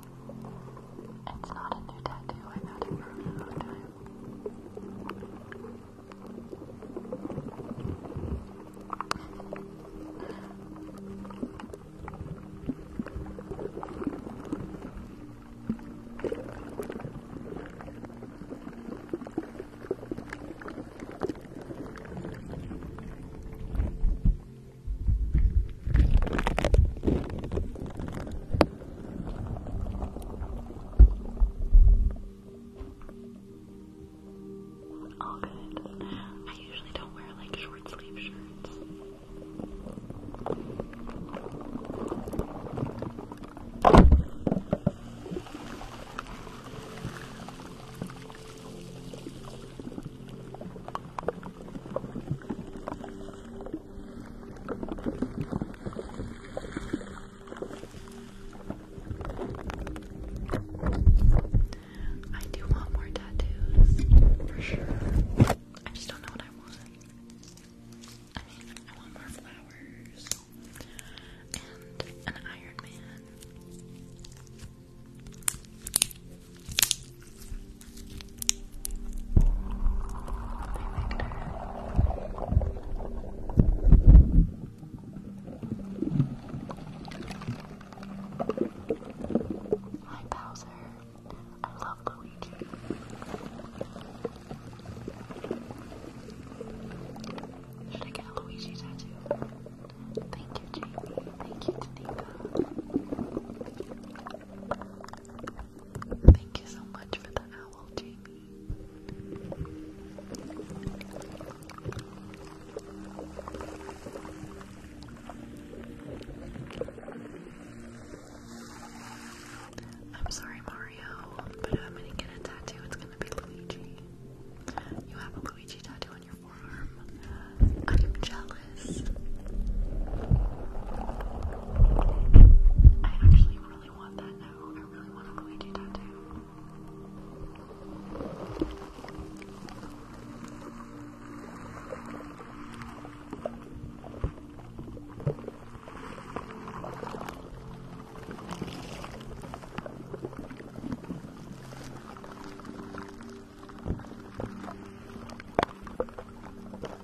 [SPEAKER 1] It's not a new tattoo, I've had all good. I usually don't wear like short sleeve shirts. I do want more tattoos, for sure. I just don't know what I want. I mean, I want more flowers and an Iron Man. Hi Bowser. I love Luigi. Should I get a Luigi tattoo? Thank you, Jamie. Thank you, Tanika. Thank you so much for the owl, Jamie. I'm sorry, Mario, but if I'm gonna get a tattoo, it's gonna be Luigi. You have a Luigi tattoo on your forearm. I'm jealous promise. I actually really want that now. I really want a Luigi tattoo. I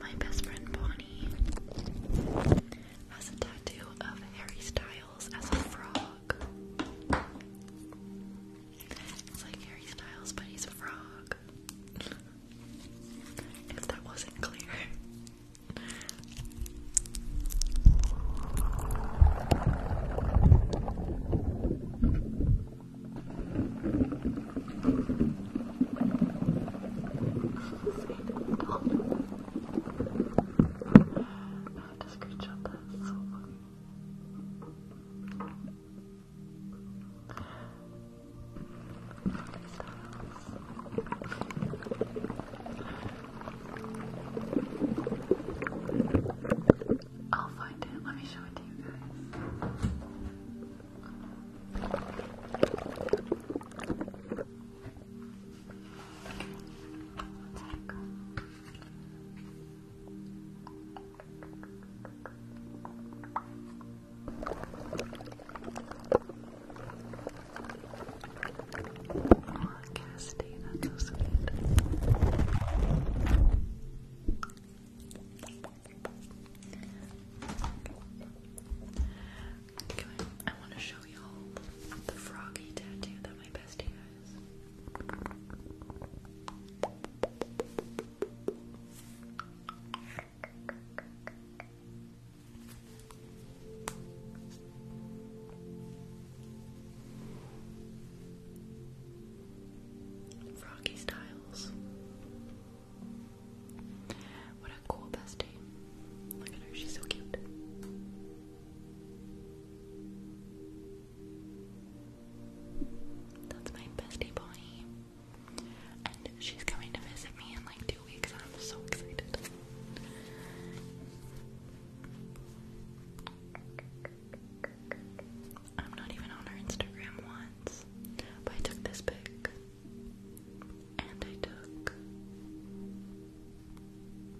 [SPEAKER 1] My best friend Bonnie has a tattoo of Harry Styles as a frog. It's like Harry Styles, but he's a frog. if that wasn't clear. I have to screenshot that, it's I'll find it. Let me show it to you guys. Okay. Let's Oh, Cassidy, that's so sweet. Okay, I want to show y'all the froggy tattoo that my bestie Froggy Styles. What a cool bestie. Look at her, she's so cute. That's my bestie Bonnie. And she's coming to visit me in like two weeks. I'm so excited. I'm not even on her Instagram once. But I took this pic. And I took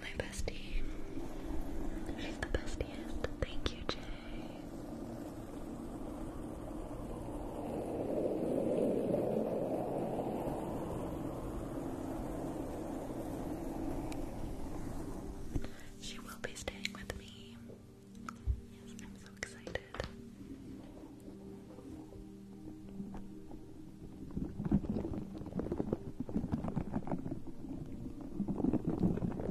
[SPEAKER 1] my bestie. She's the bestiest. Thank you, Jay. She will be staying with me. Yes, I'm so excited.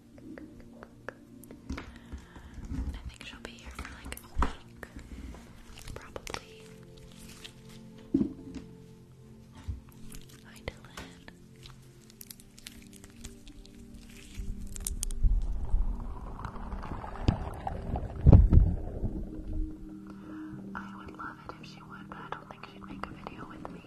[SPEAKER 1] I think she'll be here for like a week, probably. Hi, Dylan. I would love it if she would, but I don't think she'd make a video with me.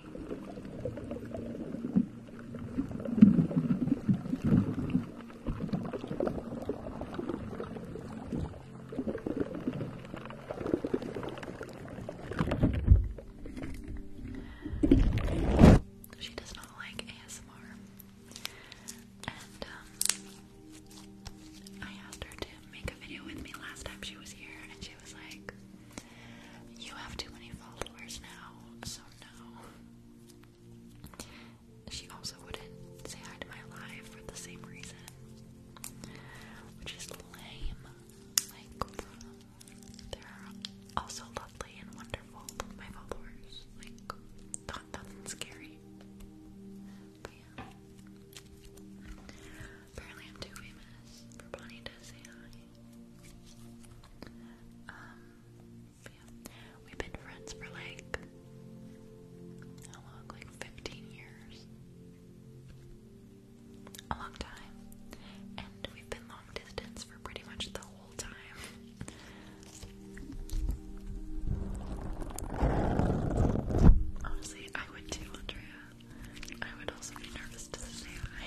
[SPEAKER 1] She does not like ASMR, and um, I asked her to make a video with me last time she was here, and she was like, "You have too many followers now, so no." She also wouldn't say hi to my live for the same reason, which is lame. Like, they're also lovely and wonderful, my followers. Like, not nothing scary. But yeah. Apparently, I'm too famous for Bonnie to say hi. Um, We've been friends for like how long? Like 15 years. A long time. And we've been long distance for pretty much the whole time. Honestly, I would too, Andrea. I would also be nervous to say hi.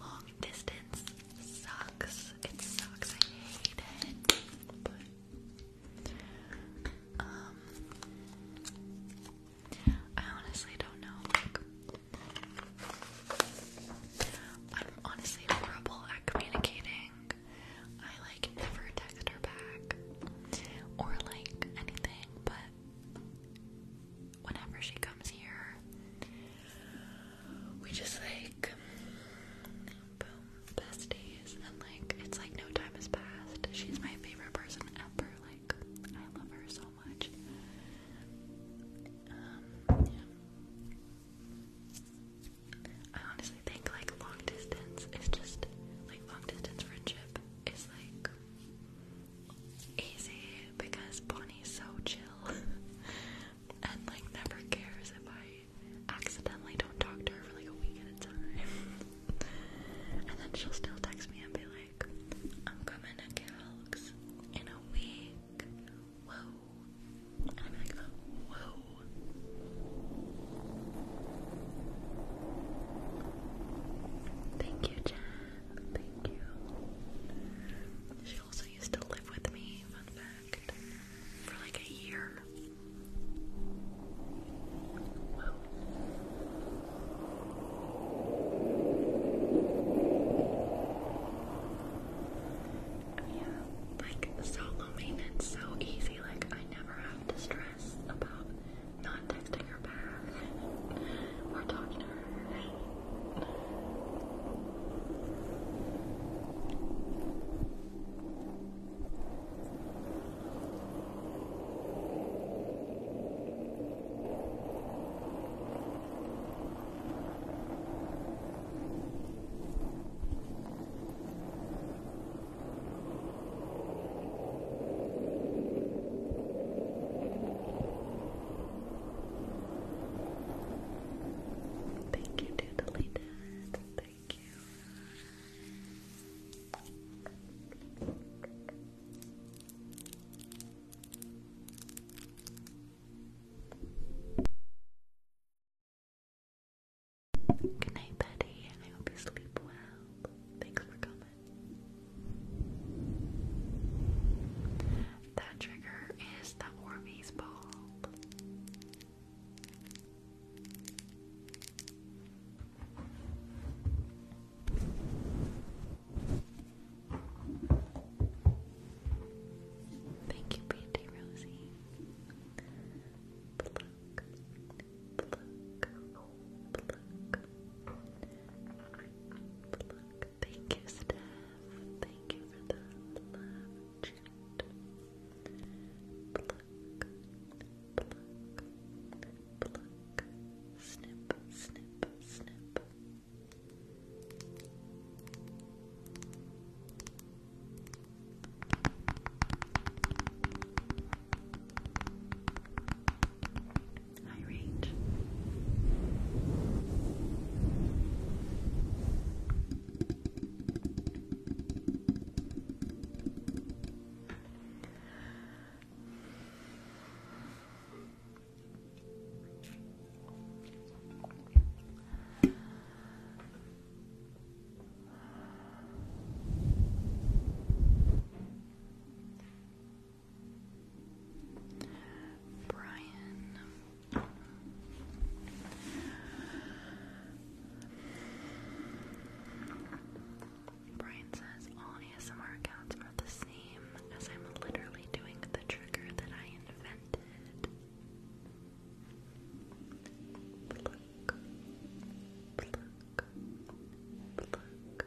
[SPEAKER 1] Long distance sucks. It sucks. I hate it. um I honestly don't know. I'm honestly horrible at communicating. I like never text her back or like anything, but whenever she comes here, we just like boom besties, and like it's like no time has passed. She's my favorite person ever. Like I love her so much. Um, I honestly think like long distance is just like long distance friendship is like easy because Bonnie's so chill and like never cares if I accidentally don't talk to her for like a week at a time. and then she'll still text me and be like, I'm coming to Calx in a week.
[SPEAKER 2] Whoa. I'm like, whoa. Thank you, Jen. Thank you. She also used to live with me, fun fact, for like a
[SPEAKER 1] year. Wow. Yeah, like solo maintenance so easy. Like I never have to stress about not texting her back or talking to her. Thank you, to Thank you.
[SPEAKER 2] Good night, Betty. I hope you sleep well. Thanks for coming. That trigger is the Orbeez ball. Thank you, Beauty Rosie. Thank you, Steph. Thank you for the love chat. Snip, snip, snip. High range.
[SPEAKER 1] Brian. Brian says all ASMR accounts are the same as I'm literally doing the trigger that I invented. Pluck, pluck, pluck,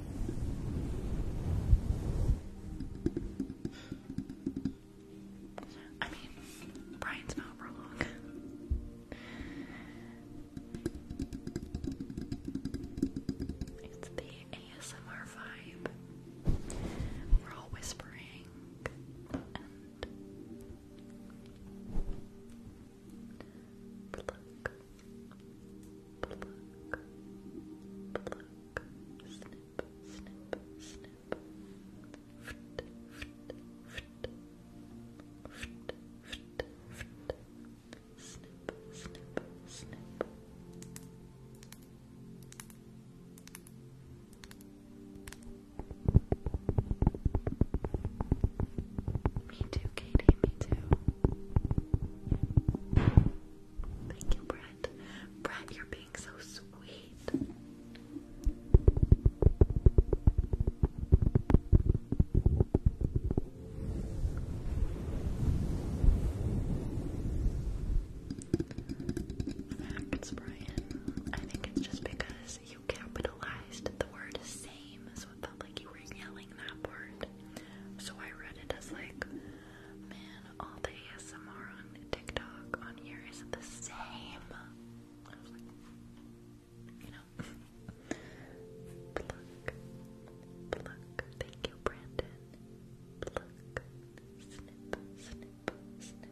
[SPEAKER 1] I mean, Brian's not for It's the ASMR vibe. We're all whispering and Pluck,
[SPEAKER 2] pluck, Me too, Katie, me too. Thank you, Brett.
[SPEAKER 1] Brett, you're being so sweet. Thanks, Brian. I think it's just because you capitalized the word same, so it felt like you were yelling that word. So I read it as like Man, all the ASMR on TikTok on here is the same. you know. pluck, pluck. Thank you, Brandon. Pluck, snip, snip, snip.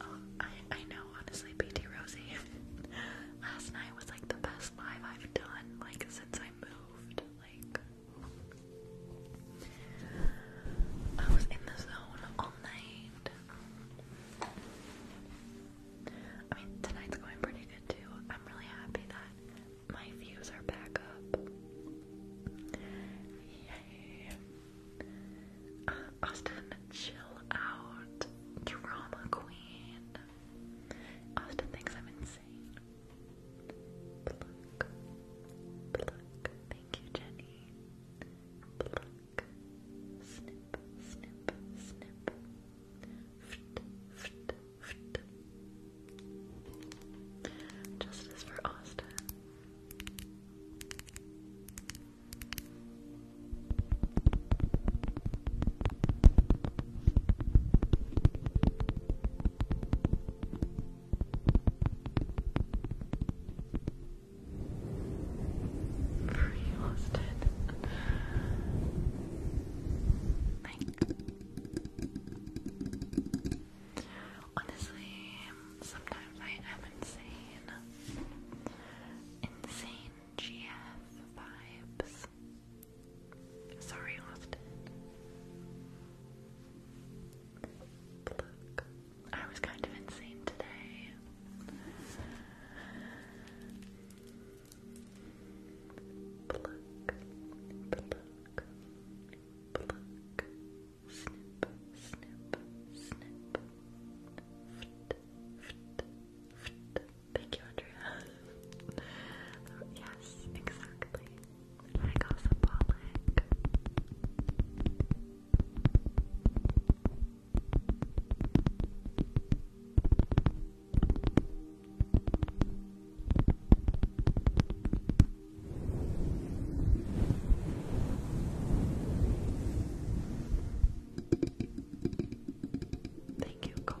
[SPEAKER 1] Oh, I, know, honestly, BT Rosie. Last night was like the best live I've done, like since I moved. Like I was in the zone all night. I mean, tonight's going pretty good too. I'm really happy that my views are back up. Uh, Austin, chill out. Drama queen.
[SPEAKER 2] Austin thinks I'm insane. Thank you, Jenny. Snip, snip, snip. Ft, for Austin.
[SPEAKER 1] Pretty lost honestly, sometimes I am insane. Insane GF vibes. Sorry, Austin. Look, I was kind of insane today. Pluck, pluck, pluck, snip, snip, snip, Thank you, Andrea. yes, exactly. I got symbolic.
[SPEAKER 2] Thank you, Gold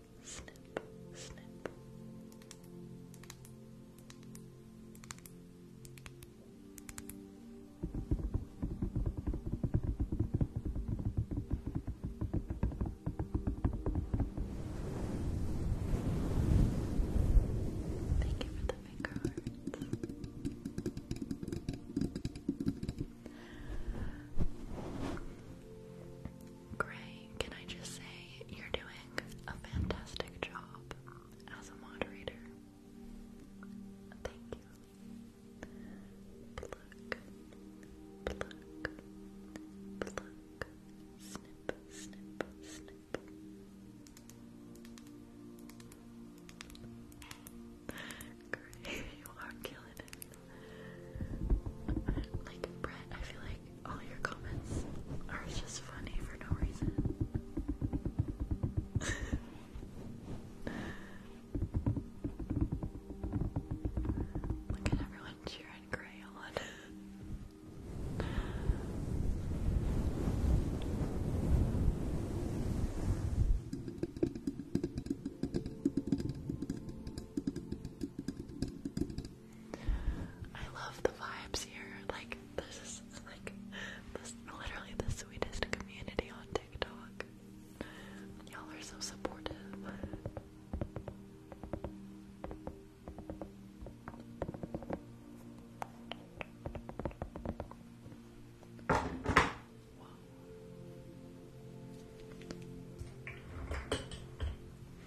[SPEAKER 2] Thank you for the finger hearts.
[SPEAKER 1] Gray, can I just say you're doing a fantastic job as a moderator? Thank you. Pluck, pluck, pluck, snip, snip, snip. Great, you are killing like Brett, I feel like all your comments are just funny for no reason. Look at everyone cheering Gray on. I love the vibes here. Like this is like this literally the sweetest community on TikTok. Y'all are so supportive.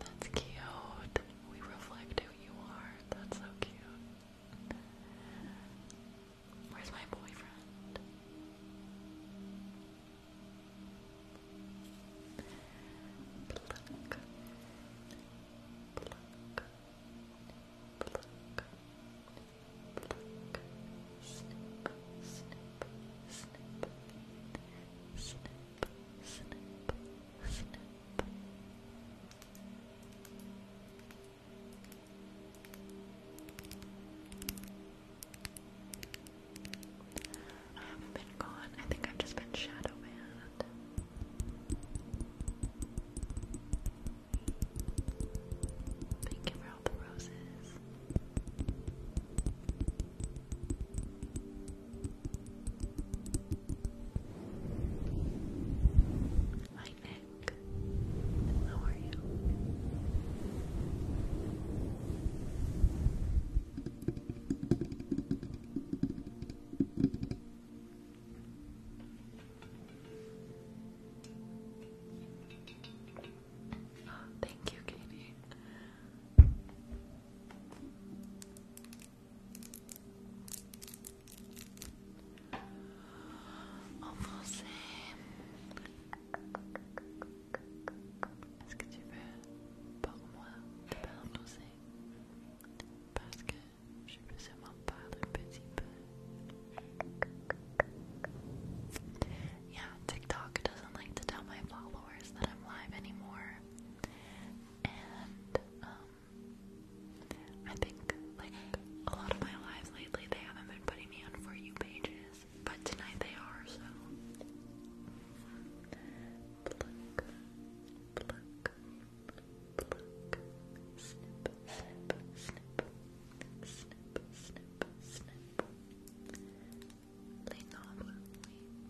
[SPEAKER 1] That's cute. We reflect who you are. That's so cute. Where's my boyfriend? I haven't been gone. I think I've just been shadow banned.
[SPEAKER 2] Thank you the roses. Hi Nick, how are you? thank you, Katie. En français, est-ce que tu veux pour moi te balancer Parce que je peux seulement parler un petit Yeah, TikTok doesn't like to tell my followers that I'm live anymore and um, I think like a lot of my lives lately they haven't been putting me on for you pages, but tonight they are. So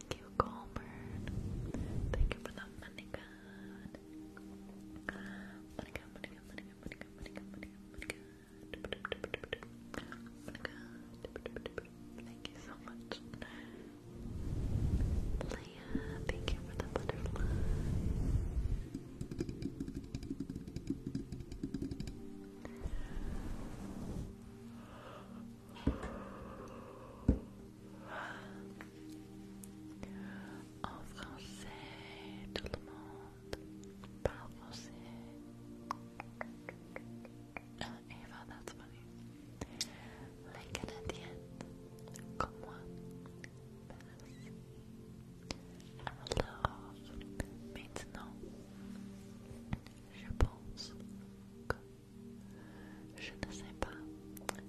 [SPEAKER 2] Thank you, Colbert. Thank you for the money god. Money god, money god, money god, money god, money god, money god, Thank you so much. Leah, thank you for the butterfly.
[SPEAKER 1] En français, tout le monde parle français. Eva, that's funny. Les Canadiennes, comme moi, passent. Alors, maintenant, je pense que je ne sais pas.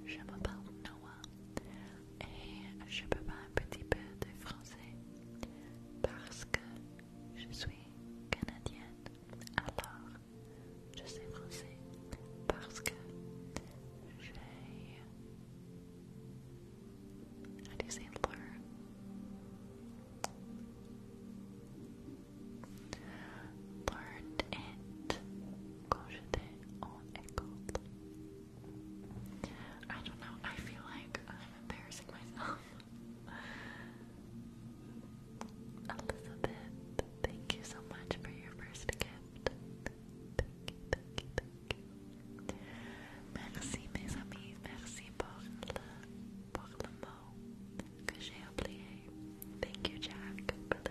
[SPEAKER 1] Je me parle Noah et je peux pas un petit peu de français parce que je suis canadienne. Alors, je sais français parce que j'ai. How do you it I don't know, I feel like I'm embarrassing myself. Elizabeth, thank you so much for your first gift. Merci mes amis, merci pour le, pour le mot que j'ai oublié. Thank you Jack for the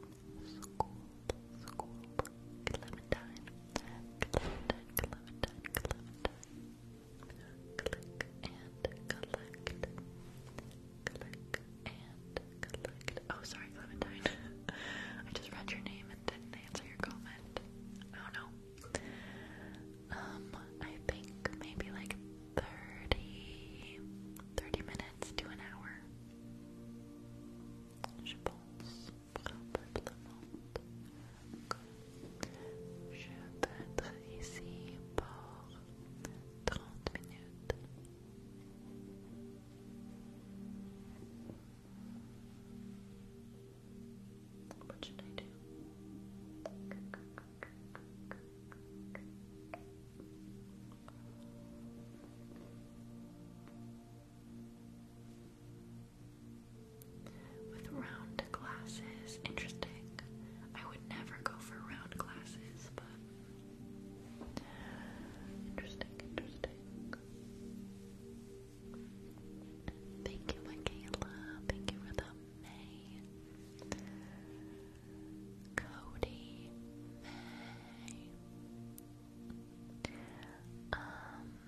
[SPEAKER 1] School, school, Clementine, Clementine, Clementine, Clementine. Click and collect. Click and collect. Oh, sorry, Clementine. I just read your name and didn't answer your comment. I don't know. Um, I think maybe like 30, minutes to an hour. Je peux ici pour 30 minutes. What should I do? With round glasses, interesting. I would never go for round glasses, but interesting, interesting. Thank you, Michaela. Thank you for the May. Cody May. Um,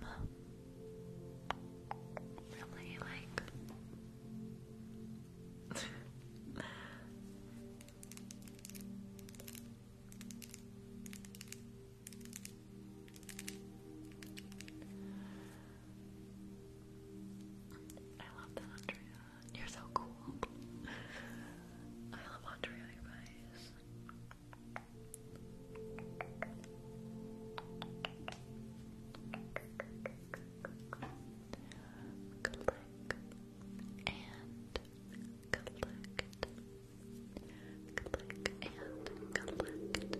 [SPEAKER 1] really like. I love that, Andrea. You're so cool. I love Andre on your face. Collect and Click and collect. Click, click, click.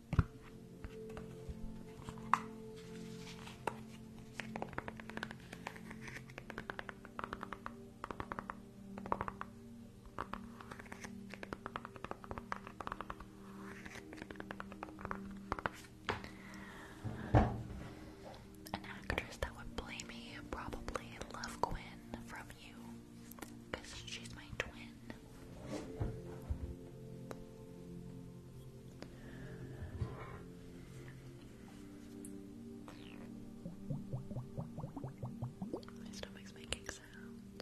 [SPEAKER 1] An actress that would play me probably Love Quinn from you, because she's my twin. My stomach's making sounds.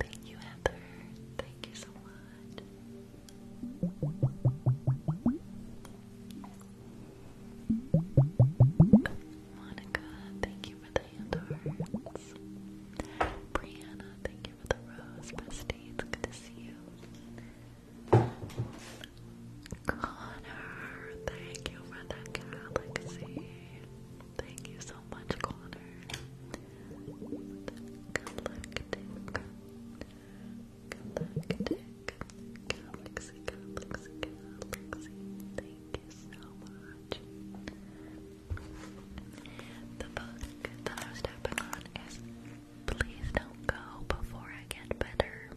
[SPEAKER 1] Thank you, Amber. Thank you so much. Monica, thank you for the hand Brianna, thank you for the rose. it's good to see you. Connor, thank you for the galaxy. Thank you so much, Connor. Thank you The book that I was tapping on is Please Don't Go Before I Get Better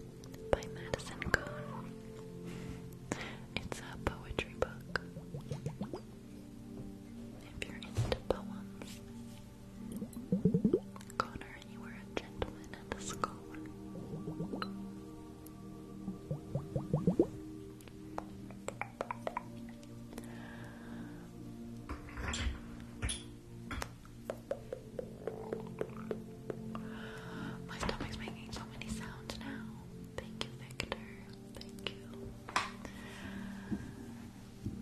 [SPEAKER 1] by Madison Cohn. It's a poetry book. If you're into poems, Connor, you were a gentleman and a scholar. My stomach's making so many sounds now. Thank you, Victor. Thank you.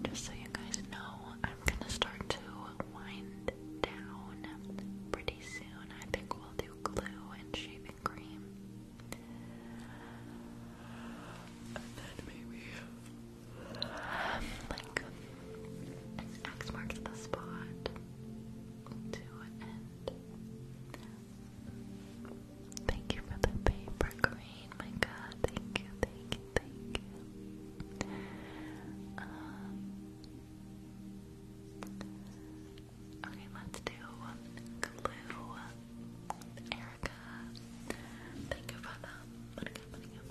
[SPEAKER 1] Just so you guys know, I'm gonna start to wind down pretty soon. I think we'll do glue and shaving cream. And then maybe um, like X marks the spot to end. Thank you for the paper green. My god, thank you, thank you, thank you. Um, okay, let's do glue. Erica, thank you for that. Thank you,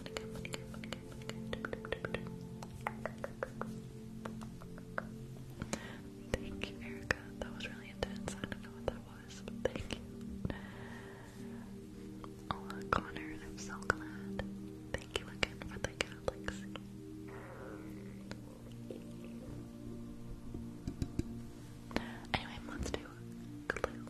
[SPEAKER 1] Erica. That was really intense. I don't know what that thank you. Oh, Connor, and I'm so glad. Thank you again for the galaxy. Anyway, let's do glue.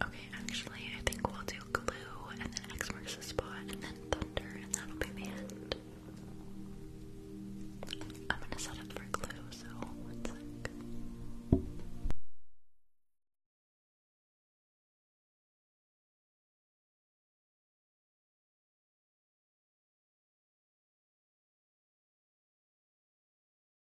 [SPEAKER 1] Okay, actually, I think we'll do glue and then X marks the spot and then thunder, and that'll be the end. I'm gonna set up for glue, so one sec.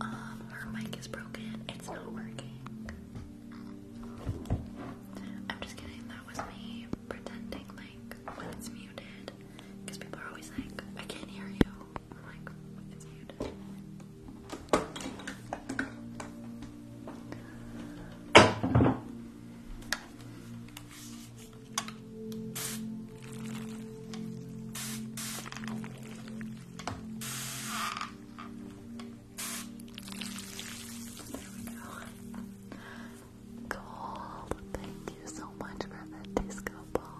[SPEAKER 1] Um, her mic is broken. It's not working. I'm just kidding. That was me pretending like when it's muted, because people are always like, I can't hear you. I'm like, it's muted. There Gold, thank you so much for that disco ball.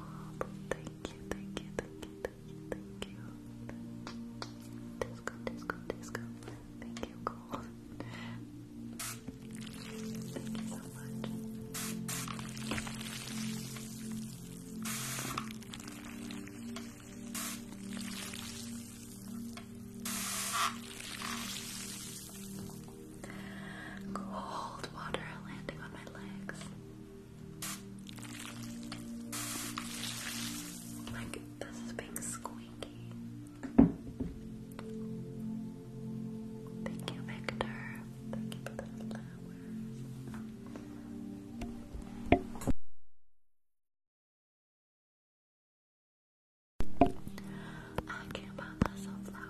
[SPEAKER 1] Thank you, thank you, thank you, thank you, thank you. Disco, disco, disco. Thank you, Gold. Thank you so much.
[SPEAKER 2] Cold water landing on my legs. Like this is being squeaky. Thank you, Victor. Thank you for the flowers. I can't buy myself flowers.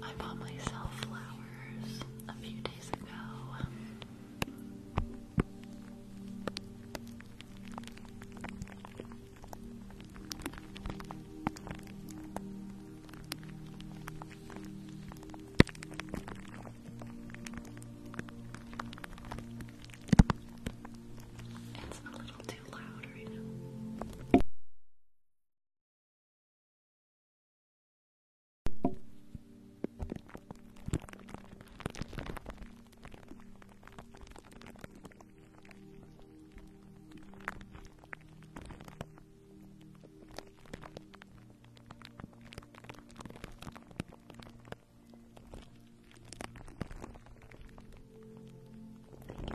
[SPEAKER 2] I bought myself flowers a few days ago. It's a little too loud right now. Thank you,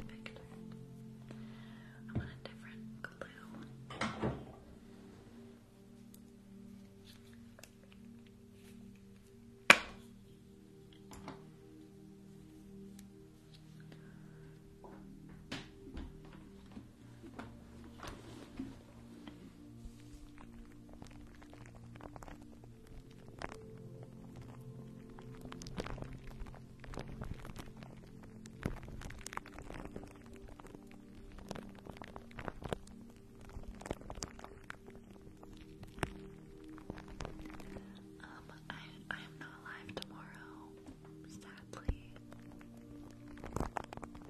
[SPEAKER 2] Victor. I want a different glue.
[SPEAKER 1] Um, I I am not live tomorrow, sadly.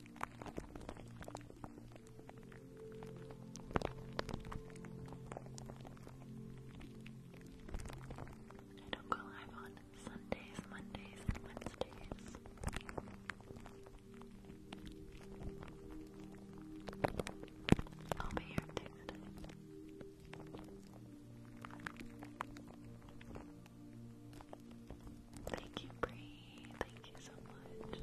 [SPEAKER 1] I don't go live on Sundays, Mondays, and Wednesdays. I'll be here next Thank you, Bree. Thank you so much.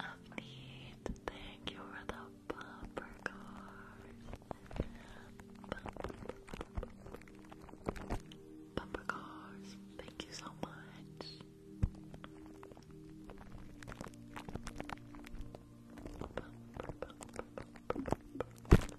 [SPEAKER 1] Uh, Upneat, thank you for the bumper cars. Bumper, cars, thank you so much bumper to bumper. Thank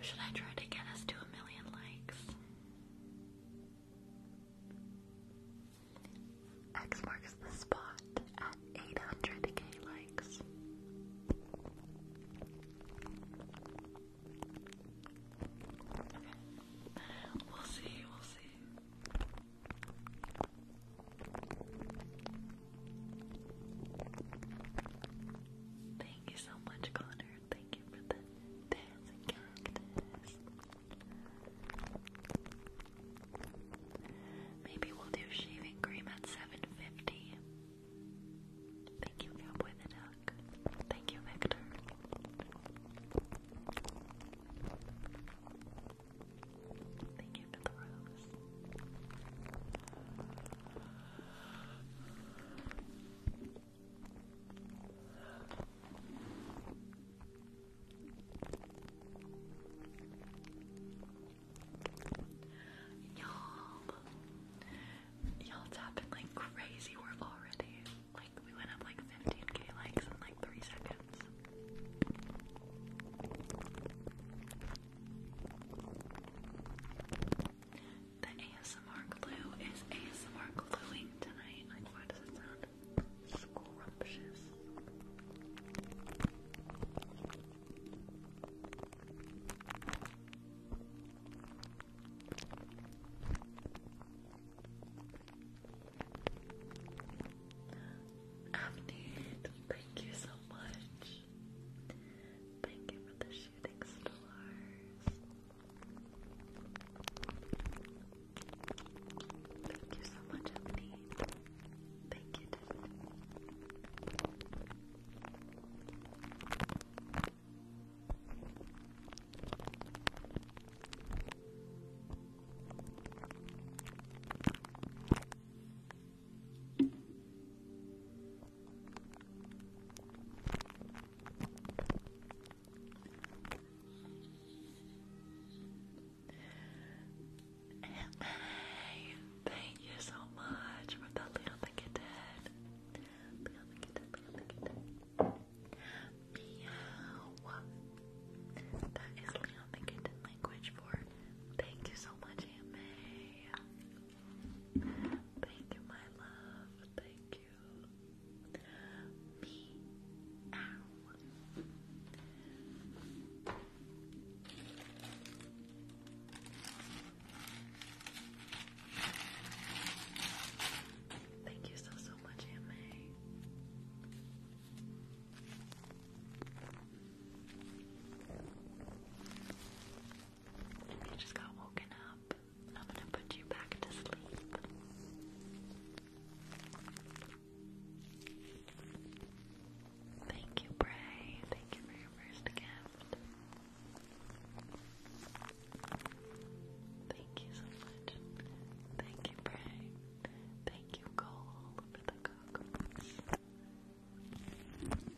[SPEAKER 1] should I try to get us to a million likes? X marks the spot at 800k likes. We'll see, we'll see. Thank you so much, Connor. Thank you for the dancing cactus. Maybe we'll do shaving cream at 750. Thank you, Cowboy the Duck. Thank you, Victor. Thank you for the rose. Y'all, y'all tapping like crazy. We're already like we went up like 15k likes in like three seconds. The ASMR glue is ASMR gluing tonight. Like, why does it sound scrumptious? Afternoon, thank you so much. Thank you for the shooting stars. Thank you so much, Ebony. Thank you, Hey, thank you so much for the little thing Little thing little thing Meow. That is Leon the language for thank you so much, Aunt Thank you, my love. Thank you. Me. Ow. Thank you so, so much, Aunt you just got woken up. I'm gonna put you back to sleep. Thank you, Bray. Thank you for your first gift. Thank you so much. Thank you, Bray. Thank you, Cole, for the coconuts.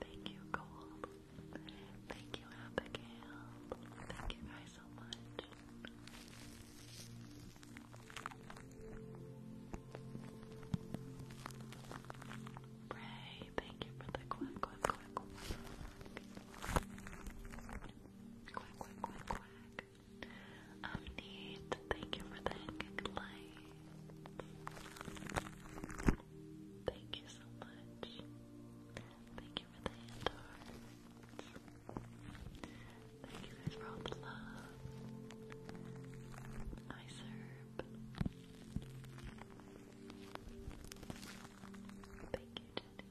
[SPEAKER 1] Thank you, Gold. Thank you, Abigail. Thank you guys so much. Ray, thank you for the quack, quack, quack. Quack, quack, quack, quack. Um, Thank you for the hanging lights. Thank you so much. Thank you for the hand hearts. Thank you guys for all the love. I serve. Thank you, Jenny.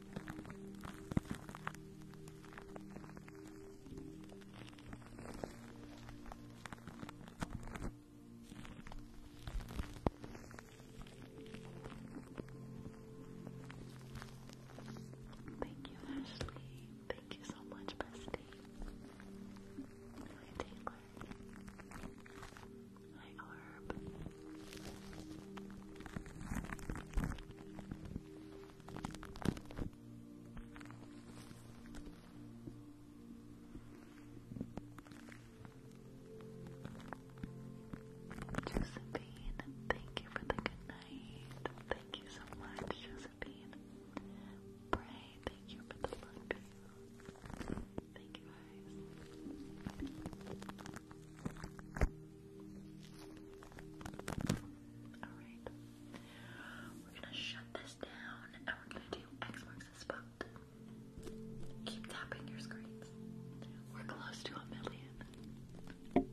[SPEAKER 1] Thank you, Ashley. Thank you so much, bestie. Hi, Taylor. Hi, Arb. Josephine, thank you for the good night. Thank you so much, Josephine. Bray, thank you for the luck. Thank you guys. Alright. We're gonna shut this down and we're gonna do X marks the spot. Keep tapping your
[SPEAKER 3] screens. We're close to a million.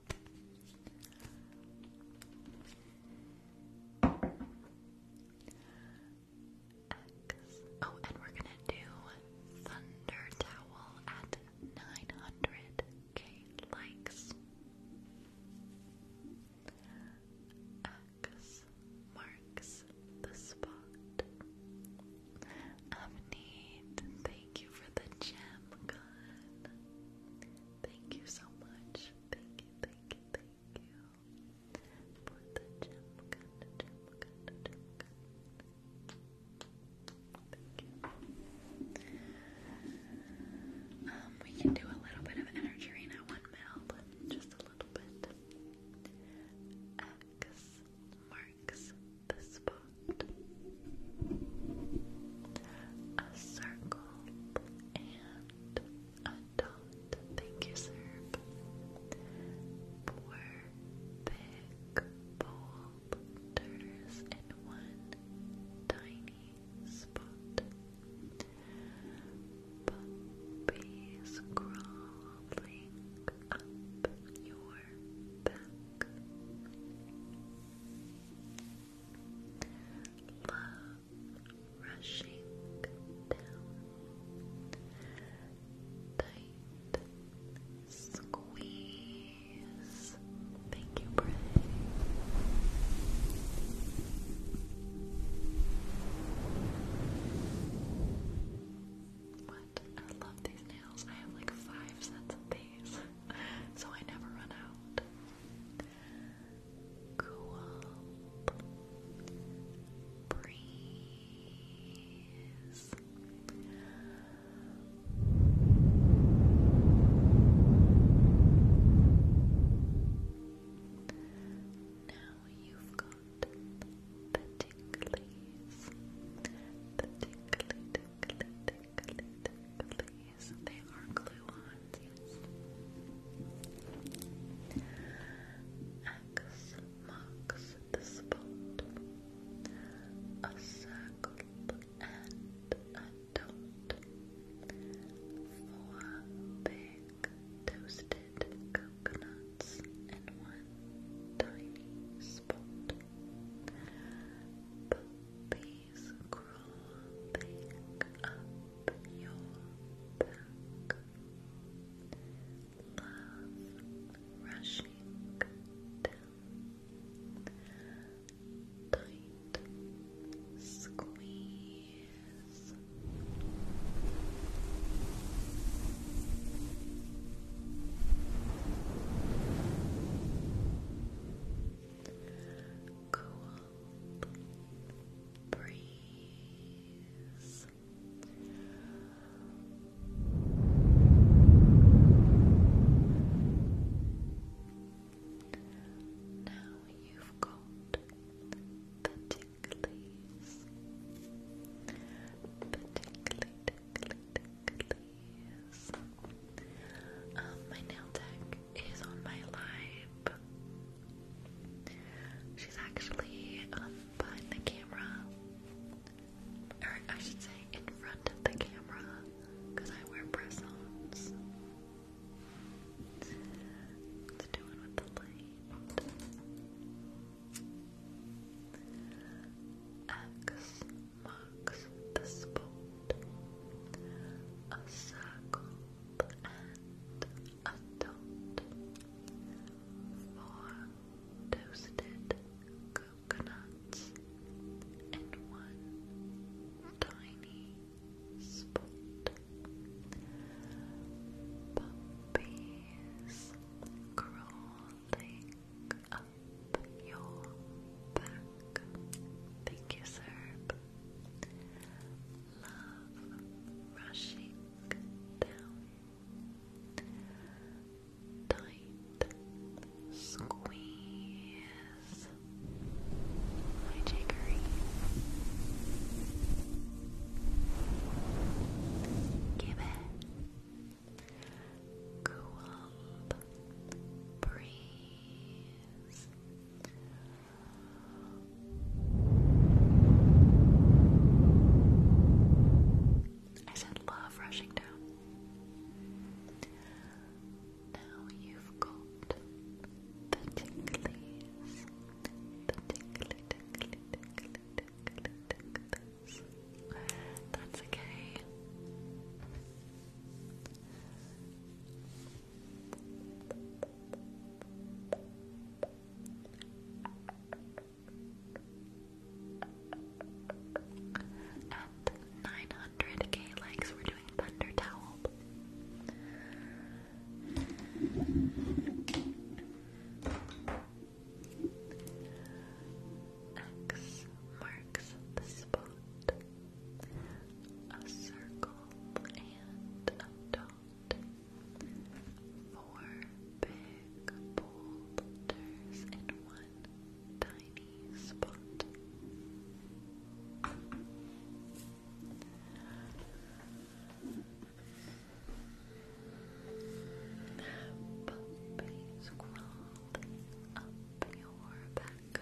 [SPEAKER 1] X. Oh, and we're gonna do Thunder Towel at 900k likes. X marks the spot. Amneed, thank you for the gem gun. Thank you so much. Thank you, thank you, thank you for the gem gun, gem gun, gem gun. Thank you. Um, we can do a little bit of energy right now, one mil, but just a little bit. X marks the spot. A circle and a dot. Thank you, sir. Four big bulb turners one tiny spot. Puppies crawling up your back. Love rushing down. Tight squeeze. Thank you, Bray. What? I love these nails. I have like five sets of these, so I never run out. Cool Now you've got the ticklies, the tickly, tickly, tickly, tickly, these. They X marks the spot. A circle and a dot. Four big toasted coconuts and one tiny spot. Puppy Please crawl back up your back. Love rushing Tight squeeze breeze. Now you've got the ticklies, the Um, my nail tech is on my live. She's actually um, the camera, or I should say in front of the camera, because I wear press-ons. doing with the light? X marks the spot. A circle adult
[SPEAKER 2] four toasted coconuts and one tiny spot puppies crawling up your back thank you sir love rushing down. Tight squeeze my jiggery. Give it cool breeze. I said love rushing down. Now you've got the ticklies, the tickly, tickly, tickly, tickly, ticklies. That's okay.
[SPEAKER 1] At 900k likes, we're doing Thunder Towel. X marks the spot. A circle and a dot out four big boulders in one tiny spot. Puppies crawled up your back.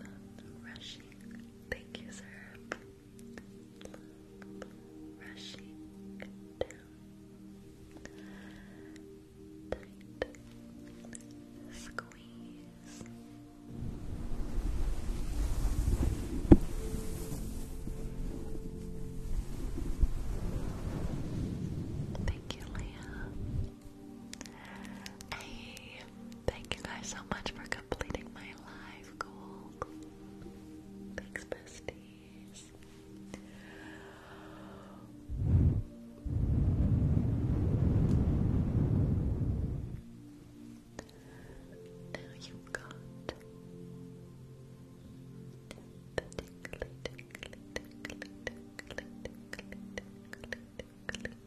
[SPEAKER 1] Love rushing Thank you, sir. Rushing down. Tight. Squeeze. Thank you, Leah. I Thank you guys so much for completing my life goal. Thanks, besties. Now you've got ticklies. Tickly, tickly,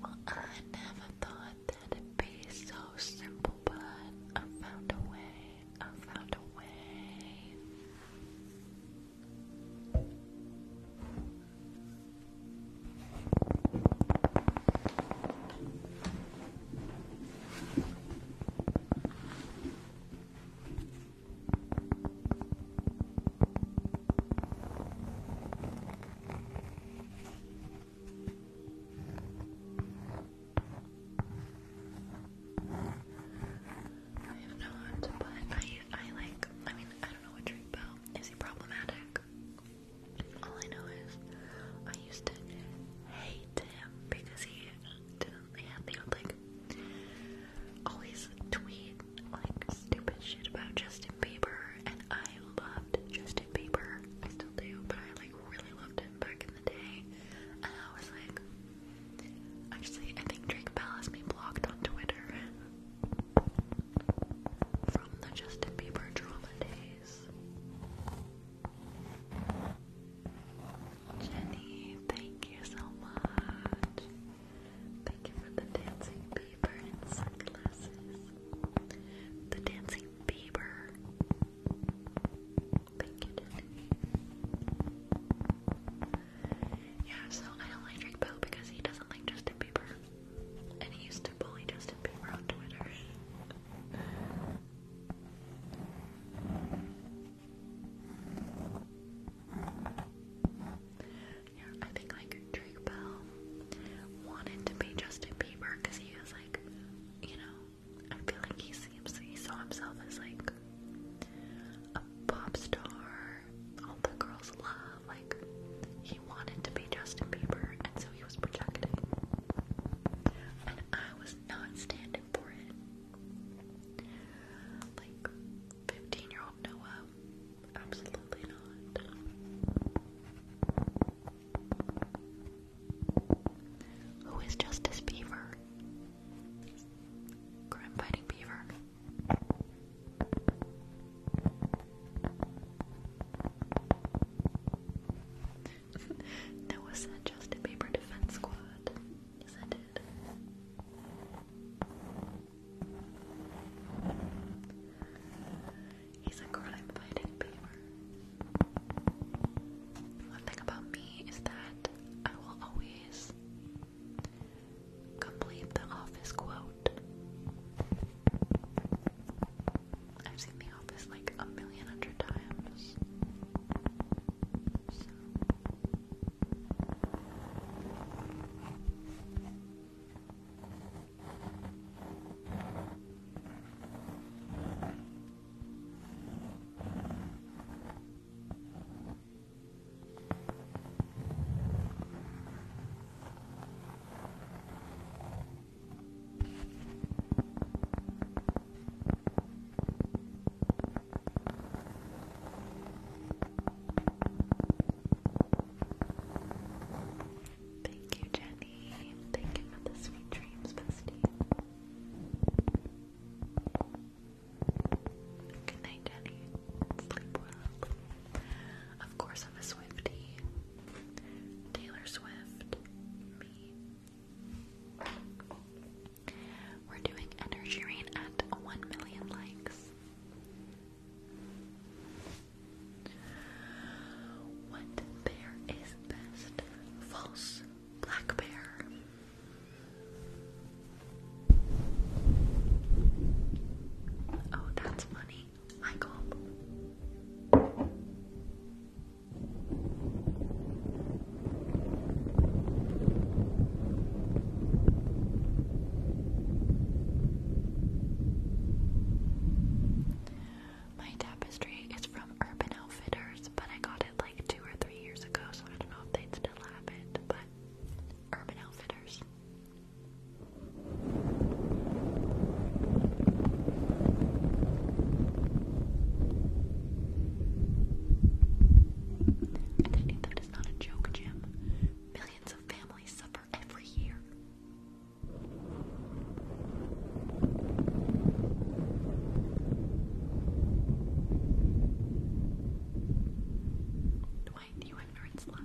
[SPEAKER 1] Well, I never thought that be so simple, but I found a way. I found a way. I have not, but I, I like, I mean, I don't know what Drake Bell, is he problematic? All I know is, I used to hate him because he did would like, always tweet, like, stupid shit about Justin Bieber, and I loved Justin loved Tim I still do, but I like really loved him back in the day. And I was like, actually, I think Drake Bell has me blocked on Twitter from the Justin Bieber drama days. Jenny, thank you so much. Thank you for the dancing beaver sunglasses. The dancing beaver. Thank you, Jenny. Yeah, so I don't like Drake Bell because he doesn't like Justin Bieber. And he used to bully Justin Bieber on Twitter. Yeah, I think like Drake Bell wanted to be Justin Bieber because he was like, you know, I feel like he seems he saw himself as like a pop star, all the girls love. Like he wanted to be Justin Bieber, and so he was projecting. And I was not standing for it. Like fifteen-year-old Noah, absolutely not. Who is Justice Beaver? Crime Fighting Beaver. that was that Justin Bieber Defense Squad. Yes, I did. He's a girl. crime fighting beaver. One thing about me is that I will always complete the office quote. I've seen the office like a million hundred times. Thank you, Jenny dream. Thank the sweet dreams, bestie. Good night, Jenny. Sleep well. Of course, I'm a Swifty. Taylor Swift. Me. We're doing Energy Rain at 1 million likes. 1 there is best false black bear. Oh, that's funny. Michael. My tapestry is from Urban Outfitters, but I got it like two or three years ago, so I don't know if they'd still have it, but Urban Outfitters. I think that is not a joke, Jim. Millions of families suffer every year. Dwight, you ignorant slut.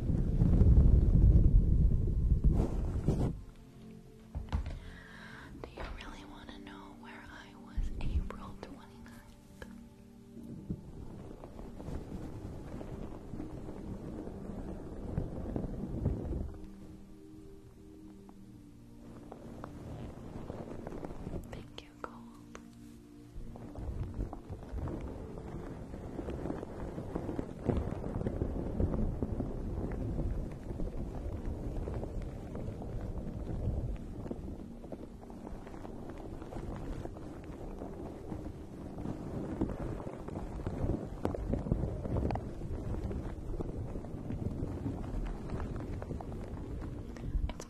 [SPEAKER 2] Do you really want to know where I was April 29th? Thank you, Gold. It's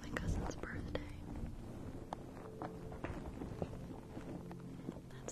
[SPEAKER 2] my cousin's birthday. That's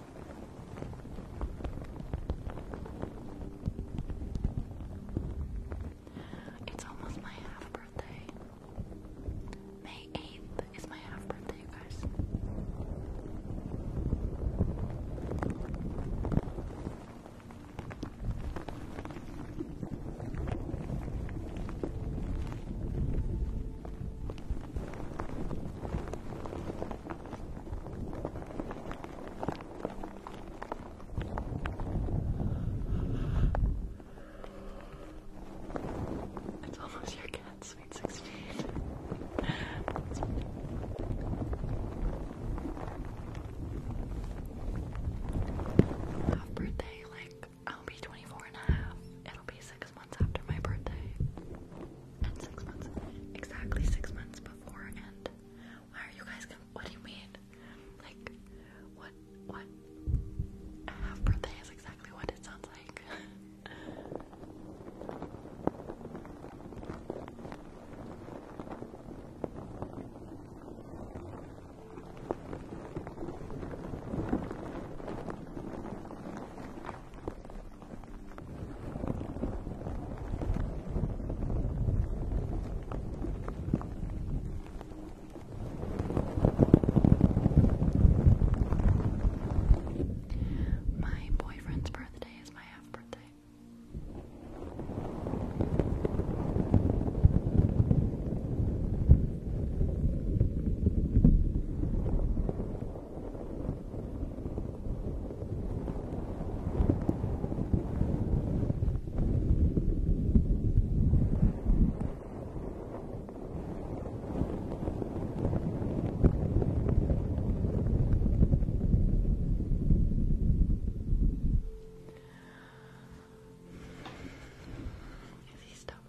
[SPEAKER 2] It's almost my half birthday. May 8th is my half birthday, guys. It's almost your cat's sweet sixteen. Half birthday,
[SPEAKER 1] like I'll be 24 It'll be six months after my birthday exactly six months before. And why are you guys? What do you mean? Like, what? What? A half birthday is exactly what it sounds like. My boyfriend's birthday is my half birthday. Is he stubborn?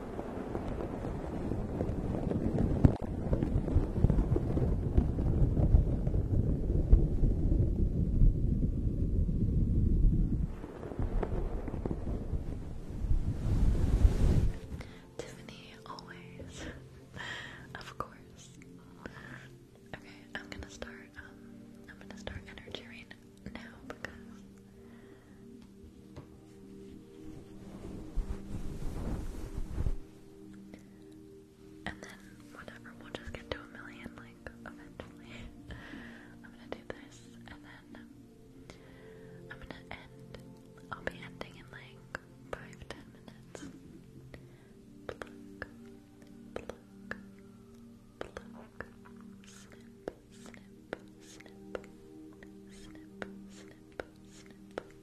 [SPEAKER 1] Tiffany, always. of course. Okay, I'm gonna start, um, I'm gonna start energy now and then, whatever, we'll just get to a million, like, eventually. I'm gonna do this, and then I'm gonna end. I'll be ending in like five, ten minutes. Pluck,
[SPEAKER 2] pluck, pluck, snip, snip, snip, snip, snip, snip.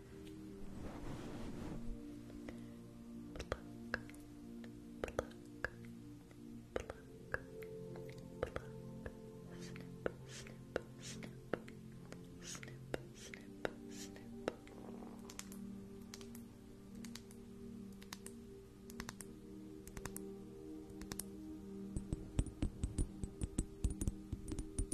[SPEAKER 1] pluck, pluck, pluck, pluck, snip, snip, snip, snip, snip, snip. Pluck, pluck, pluck,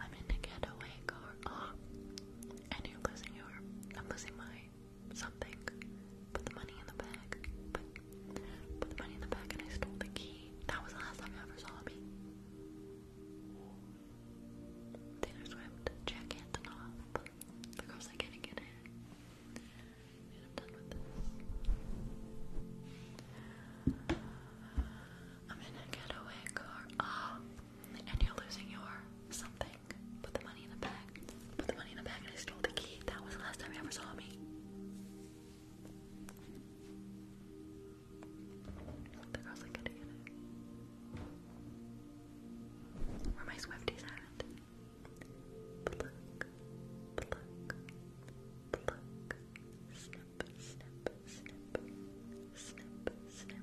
[SPEAKER 1] I'm in a getaway car. Oh, I knew losing your. I'm losing my something. Put the money in the bag. Put, the money in the bag, and I stole the key. That was the last time I ever saw me. Taylor Swift, jacket off because I can't get I'm done with this. I'm in a getaway car. Oh, and you're losing your something. Put the money in the bag. Put the money in the bag, and I stole the key. That was the last time you ever saw me. The girls are getting it. Where my Swifties at? pluck, pluck,
[SPEAKER 2] pluck, snip, snip, snip, snip, snip, snip.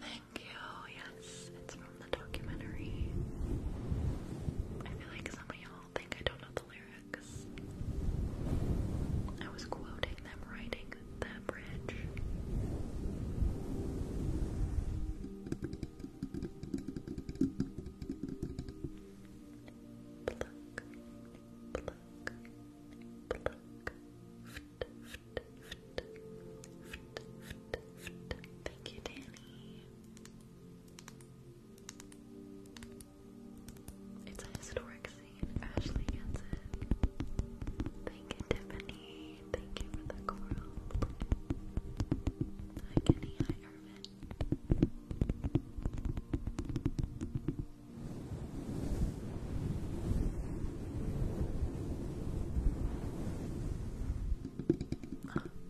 [SPEAKER 1] Thank you. Yes, it's from the documentary. I feel like some of y'all think
[SPEAKER 2] I don't know the lyrics. I was quoting them writing the bridge. Pluck, pluck, pluck. Thank you, Danny.
[SPEAKER 1] It's a historic scene. Ashley Thank you, Tiffany. Thank you for the coral. Hi, Kenny. Hi,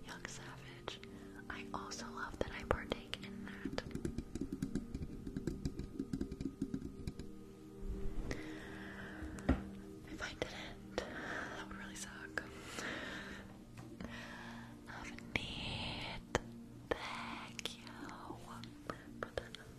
[SPEAKER 1] Young Savage. I also love that I partake in that. If I didn't, that would really suck. Have
[SPEAKER 2] neat. Thank you for the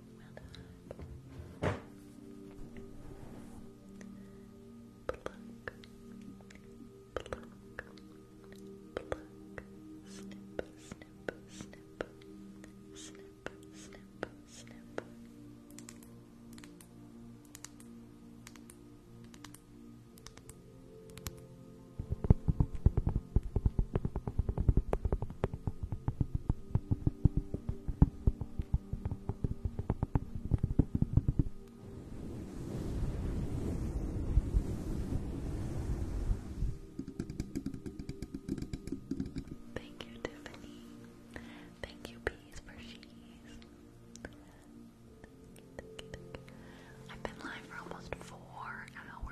[SPEAKER 2] Pluck. Pluck. Pluck. Snip, snip, snip. Snip, snip, snip. Pluck. Thank you, Tiffany. Thank you, Peas, for cheese. I've been live for almost four hours.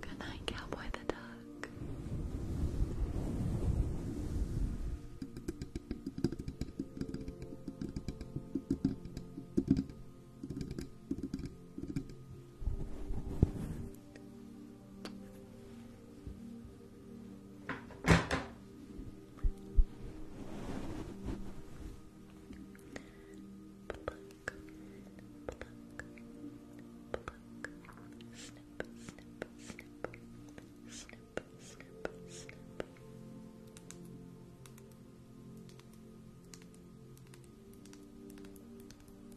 [SPEAKER 2] Good night, Cowboy the Duck. Pluck, pluck, pluck. Snip, snip, snip, snip, snip, snip. Pluck, I'm so tired.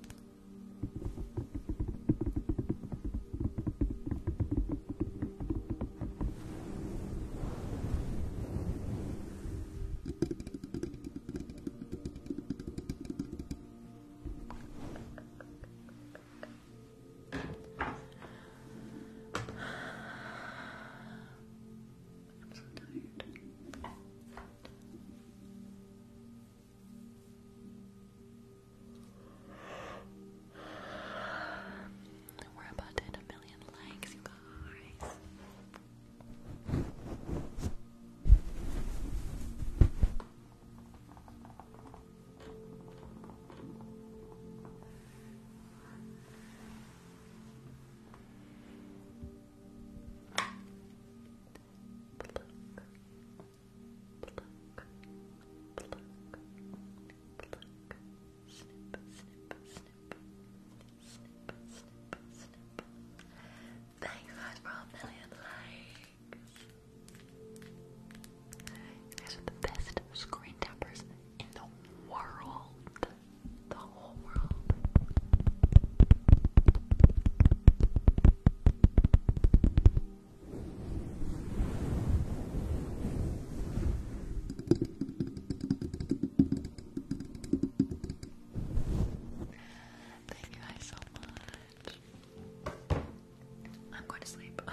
[SPEAKER 2] We're about to hit a million likes, you guys. Thank
[SPEAKER 1] you guys for a million likes. You are the best screen tappers in the world. The whole world. Thank you guys so much. I'm going to sleep.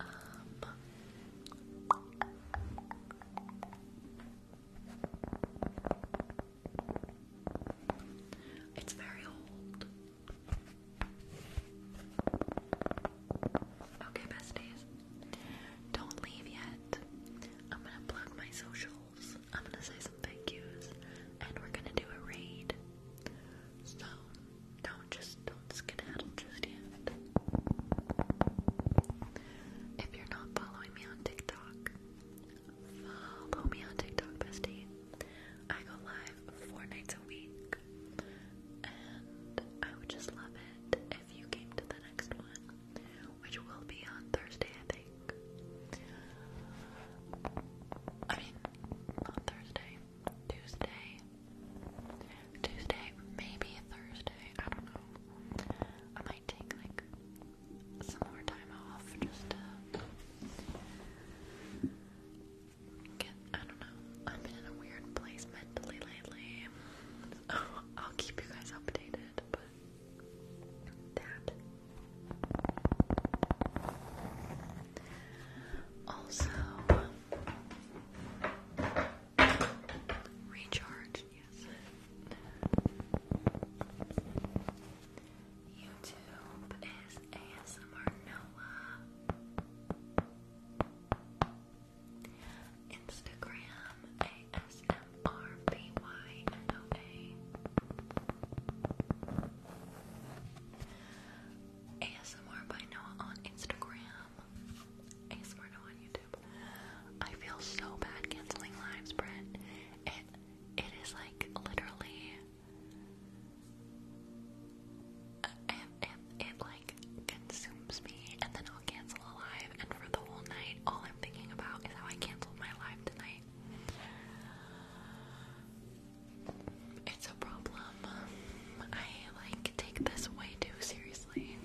[SPEAKER 1] Um, it's very old. Okay, besties. Don't leave yet. I'm gonna plug my socials. I'm gonna say some thank yous. And we're gonna do a raid. So don't just don't skedaddle just yet. If you're not following me on TikTok, Follow me on TikTok, bestie. I go live four nights a week, and I would just love it if you came to the next one, which will be on Thursday, I think. I mean, not Thursday, Tuesday. Tuesday, maybe Thursday. I don't know. I might take like some more time off just to get,
[SPEAKER 2] I don't know, I've been in a weird place mentally lately. I'll keep you guys updated, but Also, recharge, yes. YouTube is ASMR Noah. Instagram ASMRBYNOA. ASMR by Noah on Instagram. ASMR Noah on YouTube. I feel so bad canceling lives, Brent. It it
[SPEAKER 1] is like literally it like consumes me, and then I'll cancel a live, and for the whole night, all I'm thinking about is how I canceled my live tonight. It's a problem. I like take this way too seriously.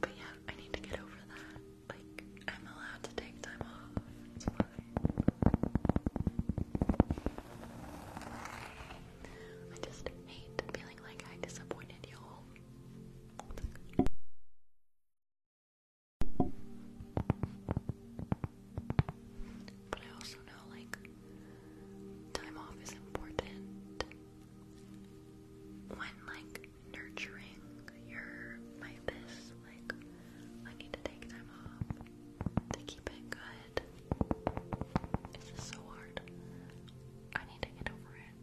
[SPEAKER 1] but yeah, I need to get over that. Like, I'm allowed to take time off. I just hate feeling like I disappointed y'all. But I also know, like, time off is important when, like, nurturing. your my best. Like, I need to take time off
[SPEAKER 2] to keep it good. This is so hard. I need to get over it.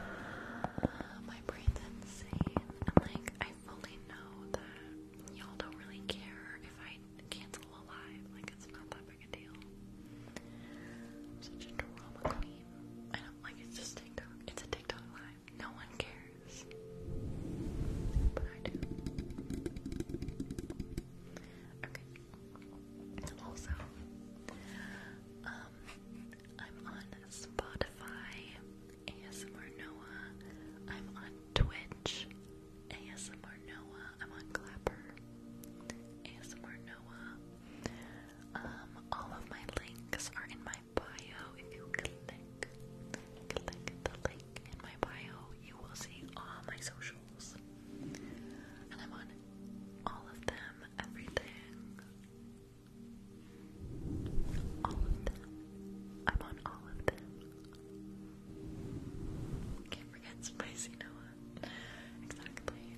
[SPEAKER 2] My brain's insane. I'm like, I fully know that y'all don't really care if I cancel a live. Like, it's not that I'm such a drama queen. No one cares. But I do. Okay. Also, um, I'm on Spotify,
[SPEAKER 1] ASMR Noah. I'm on Twitch, ASMR Noah. I'm on Clapper, ASMR Noah. Um, all of my links are in my bio. If you click, click the link in my bio, you will see all my socials. And I'm on all of them, everything. All of them. I'm on all of them. Can't forget Spicy Noah. Exactly.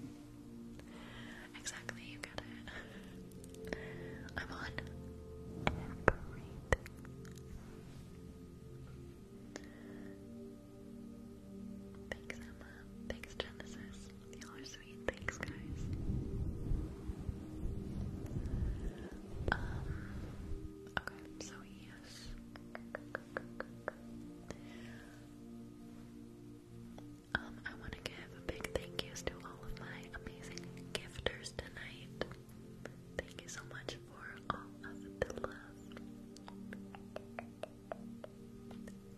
[SPEAKER 1] Exactly, you get it. I'm on Thanks, Emma. Thanks, Genesis. Y'all are sweet. Thanks, guys. Um, okay, so yes. Um, I want to give a big thank yous to all of my amazing gifters tonight. Thank you so much for all of the love.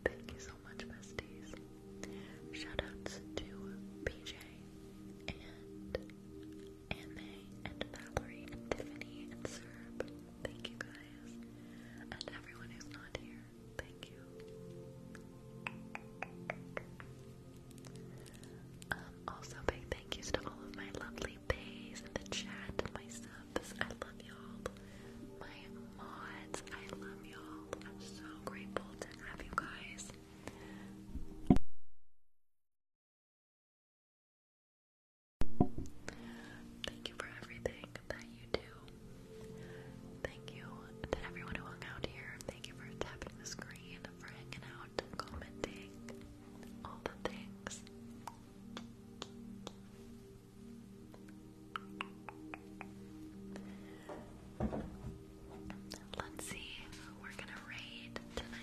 [SPEAKER 1] Thank you so much, besties. Shoutouts to PJ and Anne and Valerie Tiffany and Serb. Thank you guys. And everyone who's not here. Thank you. Um, also, big thank yous to all of my lovely bays in the chat, my subs. I love y'all. My mods, I love y'all. I'm so grateful to have you guys. Thank you for everything that you do. Thank you to everyone who hung out here. Thank you for tapping the screen, for hanging out, commenting, all the things. Let's see we're gonna raid tonight.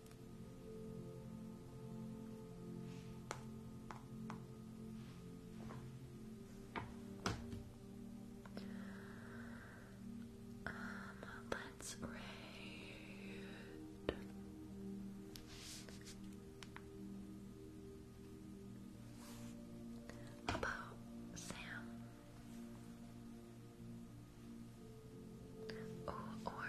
[SPEAKER 1] um, let's read. About Sam. Oh, or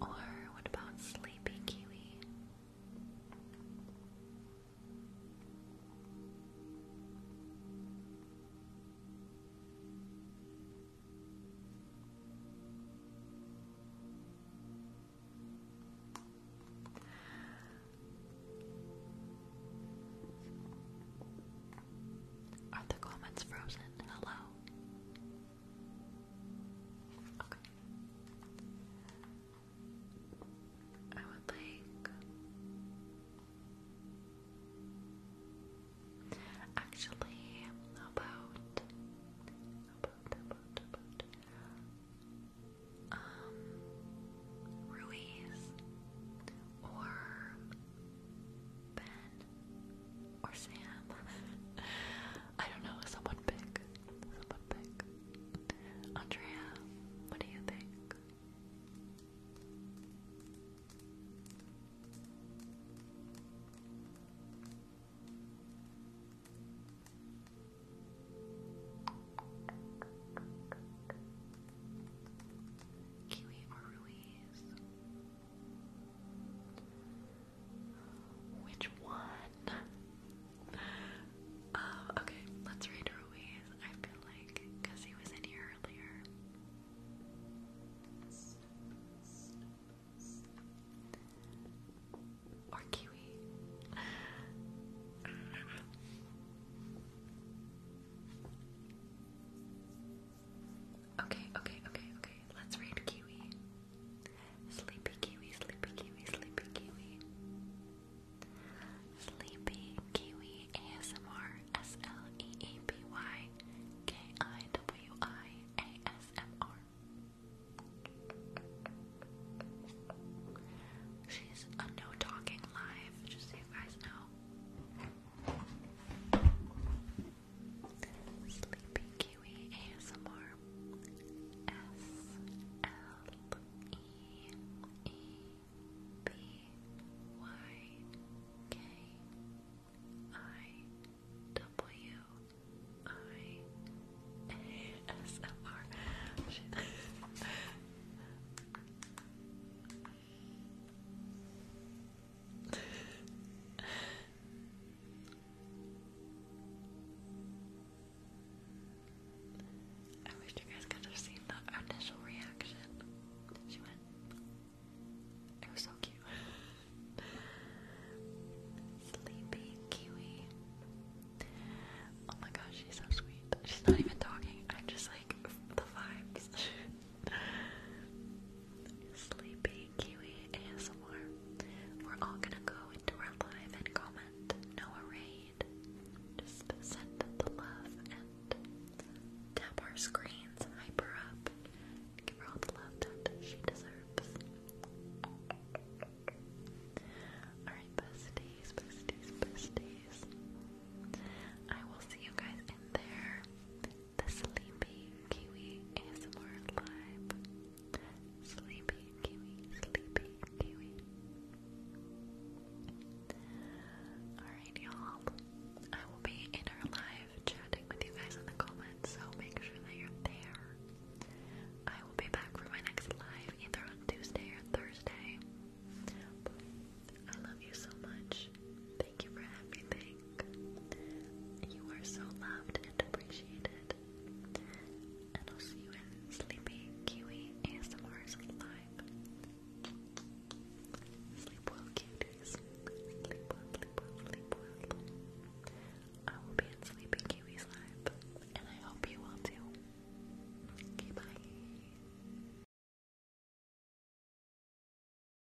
[SPEAKER 1] or what about Sleepy Kiwi? Are the comments frozen? Hello? Okay. I would like. Actually, about. about, about, about. Um, Ruiz or Ben or Sam. I don't know, someone pick. Someone pick. Andrea, what do you think? Kiwi or Ruiz? Which one? Oh, okay, let's read Ruiz, I feel like, because he was in here earlier. Or Kiwi. Okay, okay, okay, okay. Let's read Kiwi. Sleepy Kiwi, Sleepy Kiwi, Sleepy Kiwi. Sleepy Kiwi ASMR S L E E P Y K I W I A S M R. She's a no talking live, just so you guys know. Sleepy Kiwi ASMR S L E E B Y K I W I A S M R. Shit. I wish you guys could have seen the initial reaction. She went. It was so cute. Sleepy Kiwi. Oh my gosh, she's so sweet. She's not even talking. I'm just like the vibes. Sleepy Kiwi and ASMR. We're all gonna go into our live and comment. No raid. Just send the love and tap our screens, Hyper up, give her all the love that she deserves.
[SPEAKER 2] Alright, besties, besties, days.
[SPEAKER 1] I will see you guys in there the Sleepy Kiwi ASMR Live. Sleepy Kiwi, Sleepy Kiwi. Alright, y'all. I will be in our live chatting with you guys in the comments, so make sure that you're there. I will be back for my next live either on Tuesday or Thursday. I love you so much. Thank you for everything. You are so loved and appreciated. And I'll see you in Sleepy Kiwi ASMR's live.
[SPEAKER 2] Sleep well, cuties. Sleep well, sleep well, sleep well. I will be at Sleepy Kiwi's live, and I hope you will too. Okay,